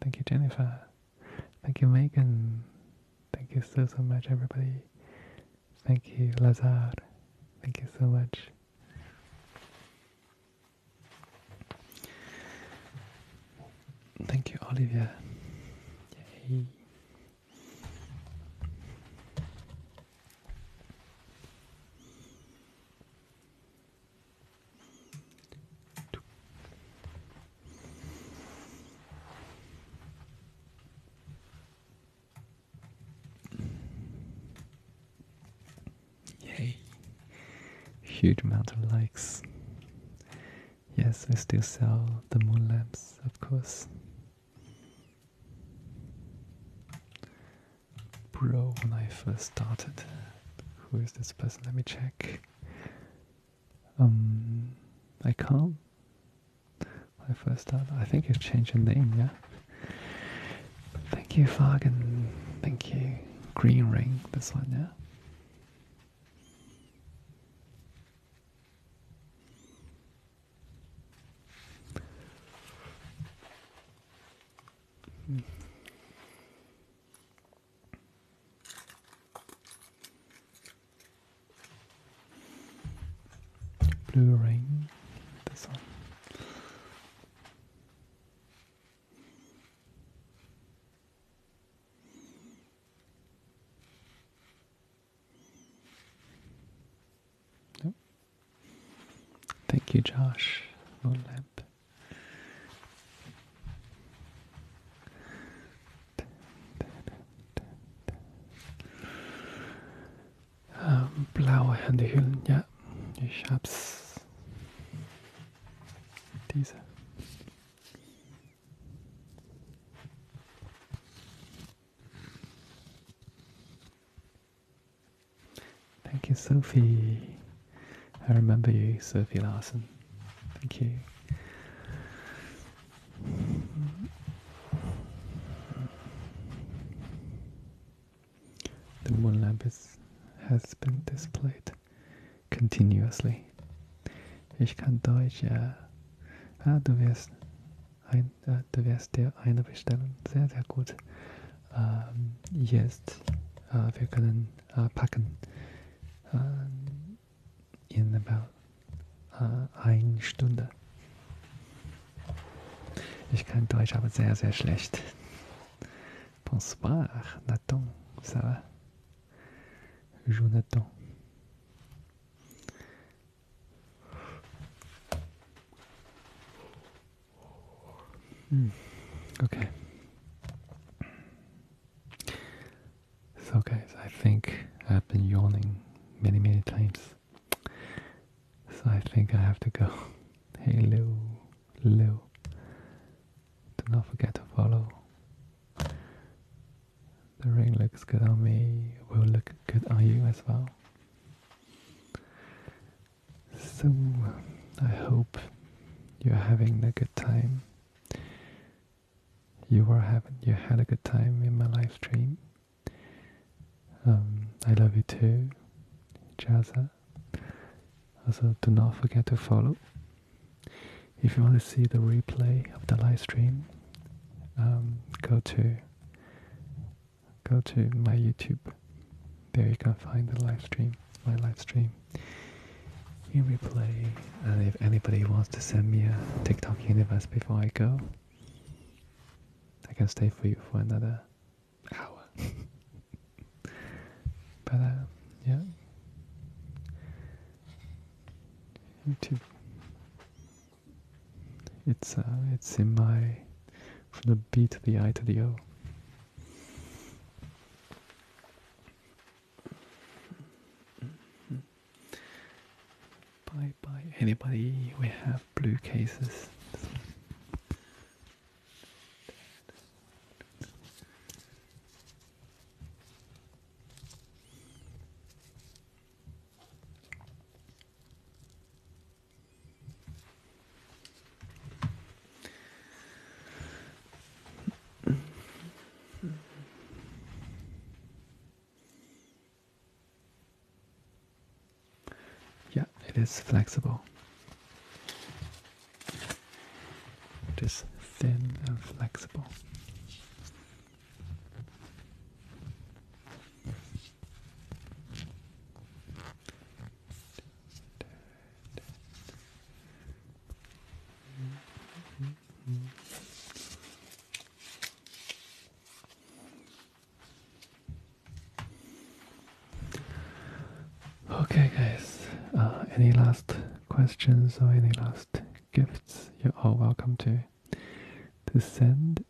Thank you, Jennifer. Thank you, Megan. Thank you so, so much, everybody. Thank you, Lazar. Thank you so much. Thank you, Olivia. Yay! Huge amount of likes. Yes, we still sell the moon lamps, of course bro when I first started. Who is this person? Let me check. Um, I can't. I first started, I think you changed your name, yeah. Thank you, Fagen. Thank you. Green ring, this one, yeah. Blue ring, this one. Yeah. Thank you, Josh. Lamp. Ähm, blaue Handyhüllen, ja, ich hab's. Diese. Thank you, Sophie. I remember you, Sophie Larson. Thank you. The moon lamp has been displayed continuously. Ich kann Deutsch, Ah, du wirst, äh, du wirst dir eine bestellen. Sehr, sehr gut. jetzt ähm, äh, wir können äh, packen äh, in about eine Stunde. Ich kann Deutsch aber sehr, sehr schlecht. Bonsoir, Nathan, ça va? Jonathan. Mm. Okay. So, guys, I think I've been yawning many, many times. So, I think I have to go. Hey, Lou. Lou. Do not forget to follow. The ring looks good on me, will look good on you as well. So, I hope you're having a good time. You are having, you had a good time in my live stream. Um, I love you too, Jazza. Also, do not forget to follow. If you want to see the replay of the live stream, um, go to go to my YouTube. There you can find the live stream, my live stream in replay. And if anybody wants to send me a TikTok universe before I go, I can stay for you for another hour. but uh, yeah, YouTube. It's uh, it's in my from the B to the I to the O. Bye bye. Anybody? We have blue cases. Yeah, it is flexible. It is thin and flexible. Okay, guys. Uh, any last questions or any last gifts? You're all welcome to to send.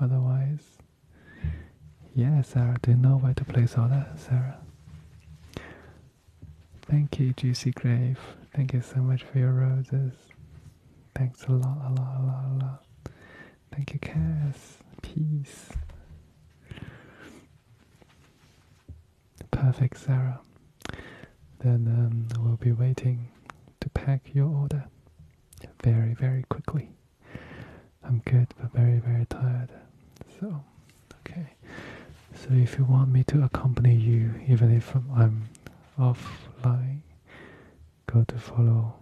Otherwise, yes, Sarah, do you know where to place order, Sarah? Thank you, Juicy Grave. Thank you so much for your roses. Thanks a lot, a lot, a lot, a lot. Thank you, Cass. Peace. Perfect, Sarah. Then um, we'll be waiting to pack your order very, very quickly. I'm good, but very, very tired. So, okay. So if you want me to accompany you, even if I'm offline, go to follow.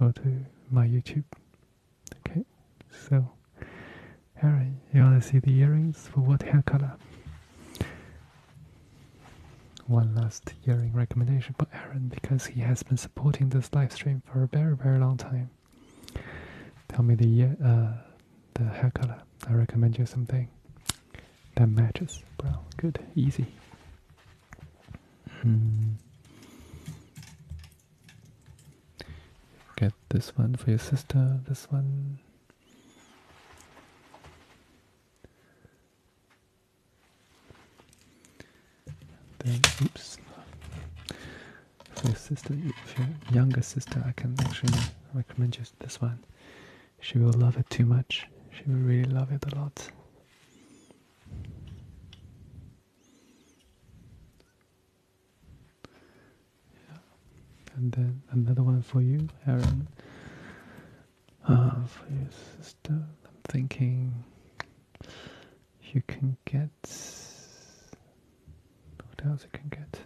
Go to my YouTube. Okay. So, Aaron, you want to see the earrings for what hair color? One last hearing recommendation for Aaron because he has been supporting this live stream for a very, very long time. Tell me the year, uh, the hair color. I recommend you something that matches. Brown, good, easy. Hmm. Get this one for your sister. This one. Then, oops. For your sister, if your younger sister, I can actually recommend you this one. She will love it too much. She will really love it a lot. Yeah. And then another one for you, Aaron. Uh, for your sister, I'm thinking you can get what else you can get?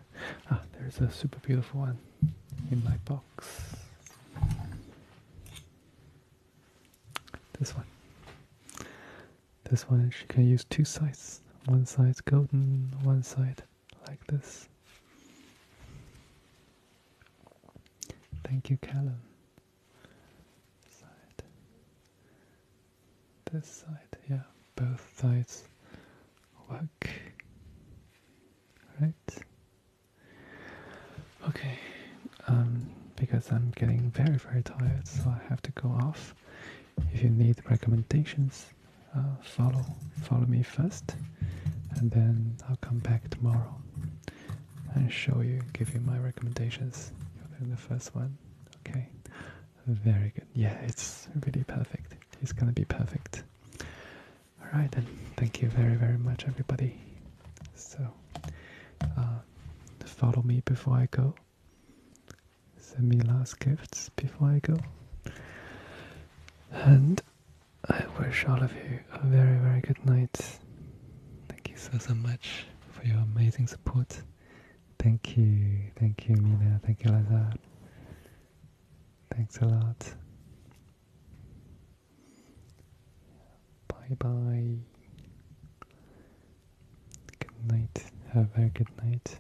Ah, there's a super beautiful one in my box. This one. This one You can use two sides. One side golden, one side like this. Thank you, Callum side, this side, yeah, both sides work, right? Okay, um, because I'm getting very, very tired, so I have to go off. If you need recommendations, uh, follow follow me first, and then I'll come back tomorrow and show you, give you my recommendations. the first one. Okay, very good. Yeah, it's really perfect. It's gonna be perfect. All right, then. Thank you very, very much, everybody. So, uh, follow me before I go. Send me last gifts before I go. And I wish all of you a very, very good night. Thank you so, so much for your amazing support. Thank you, thank you, Mina, thank you, Lazar. Thanks a lot. Bye bye. Good night. Have a good night.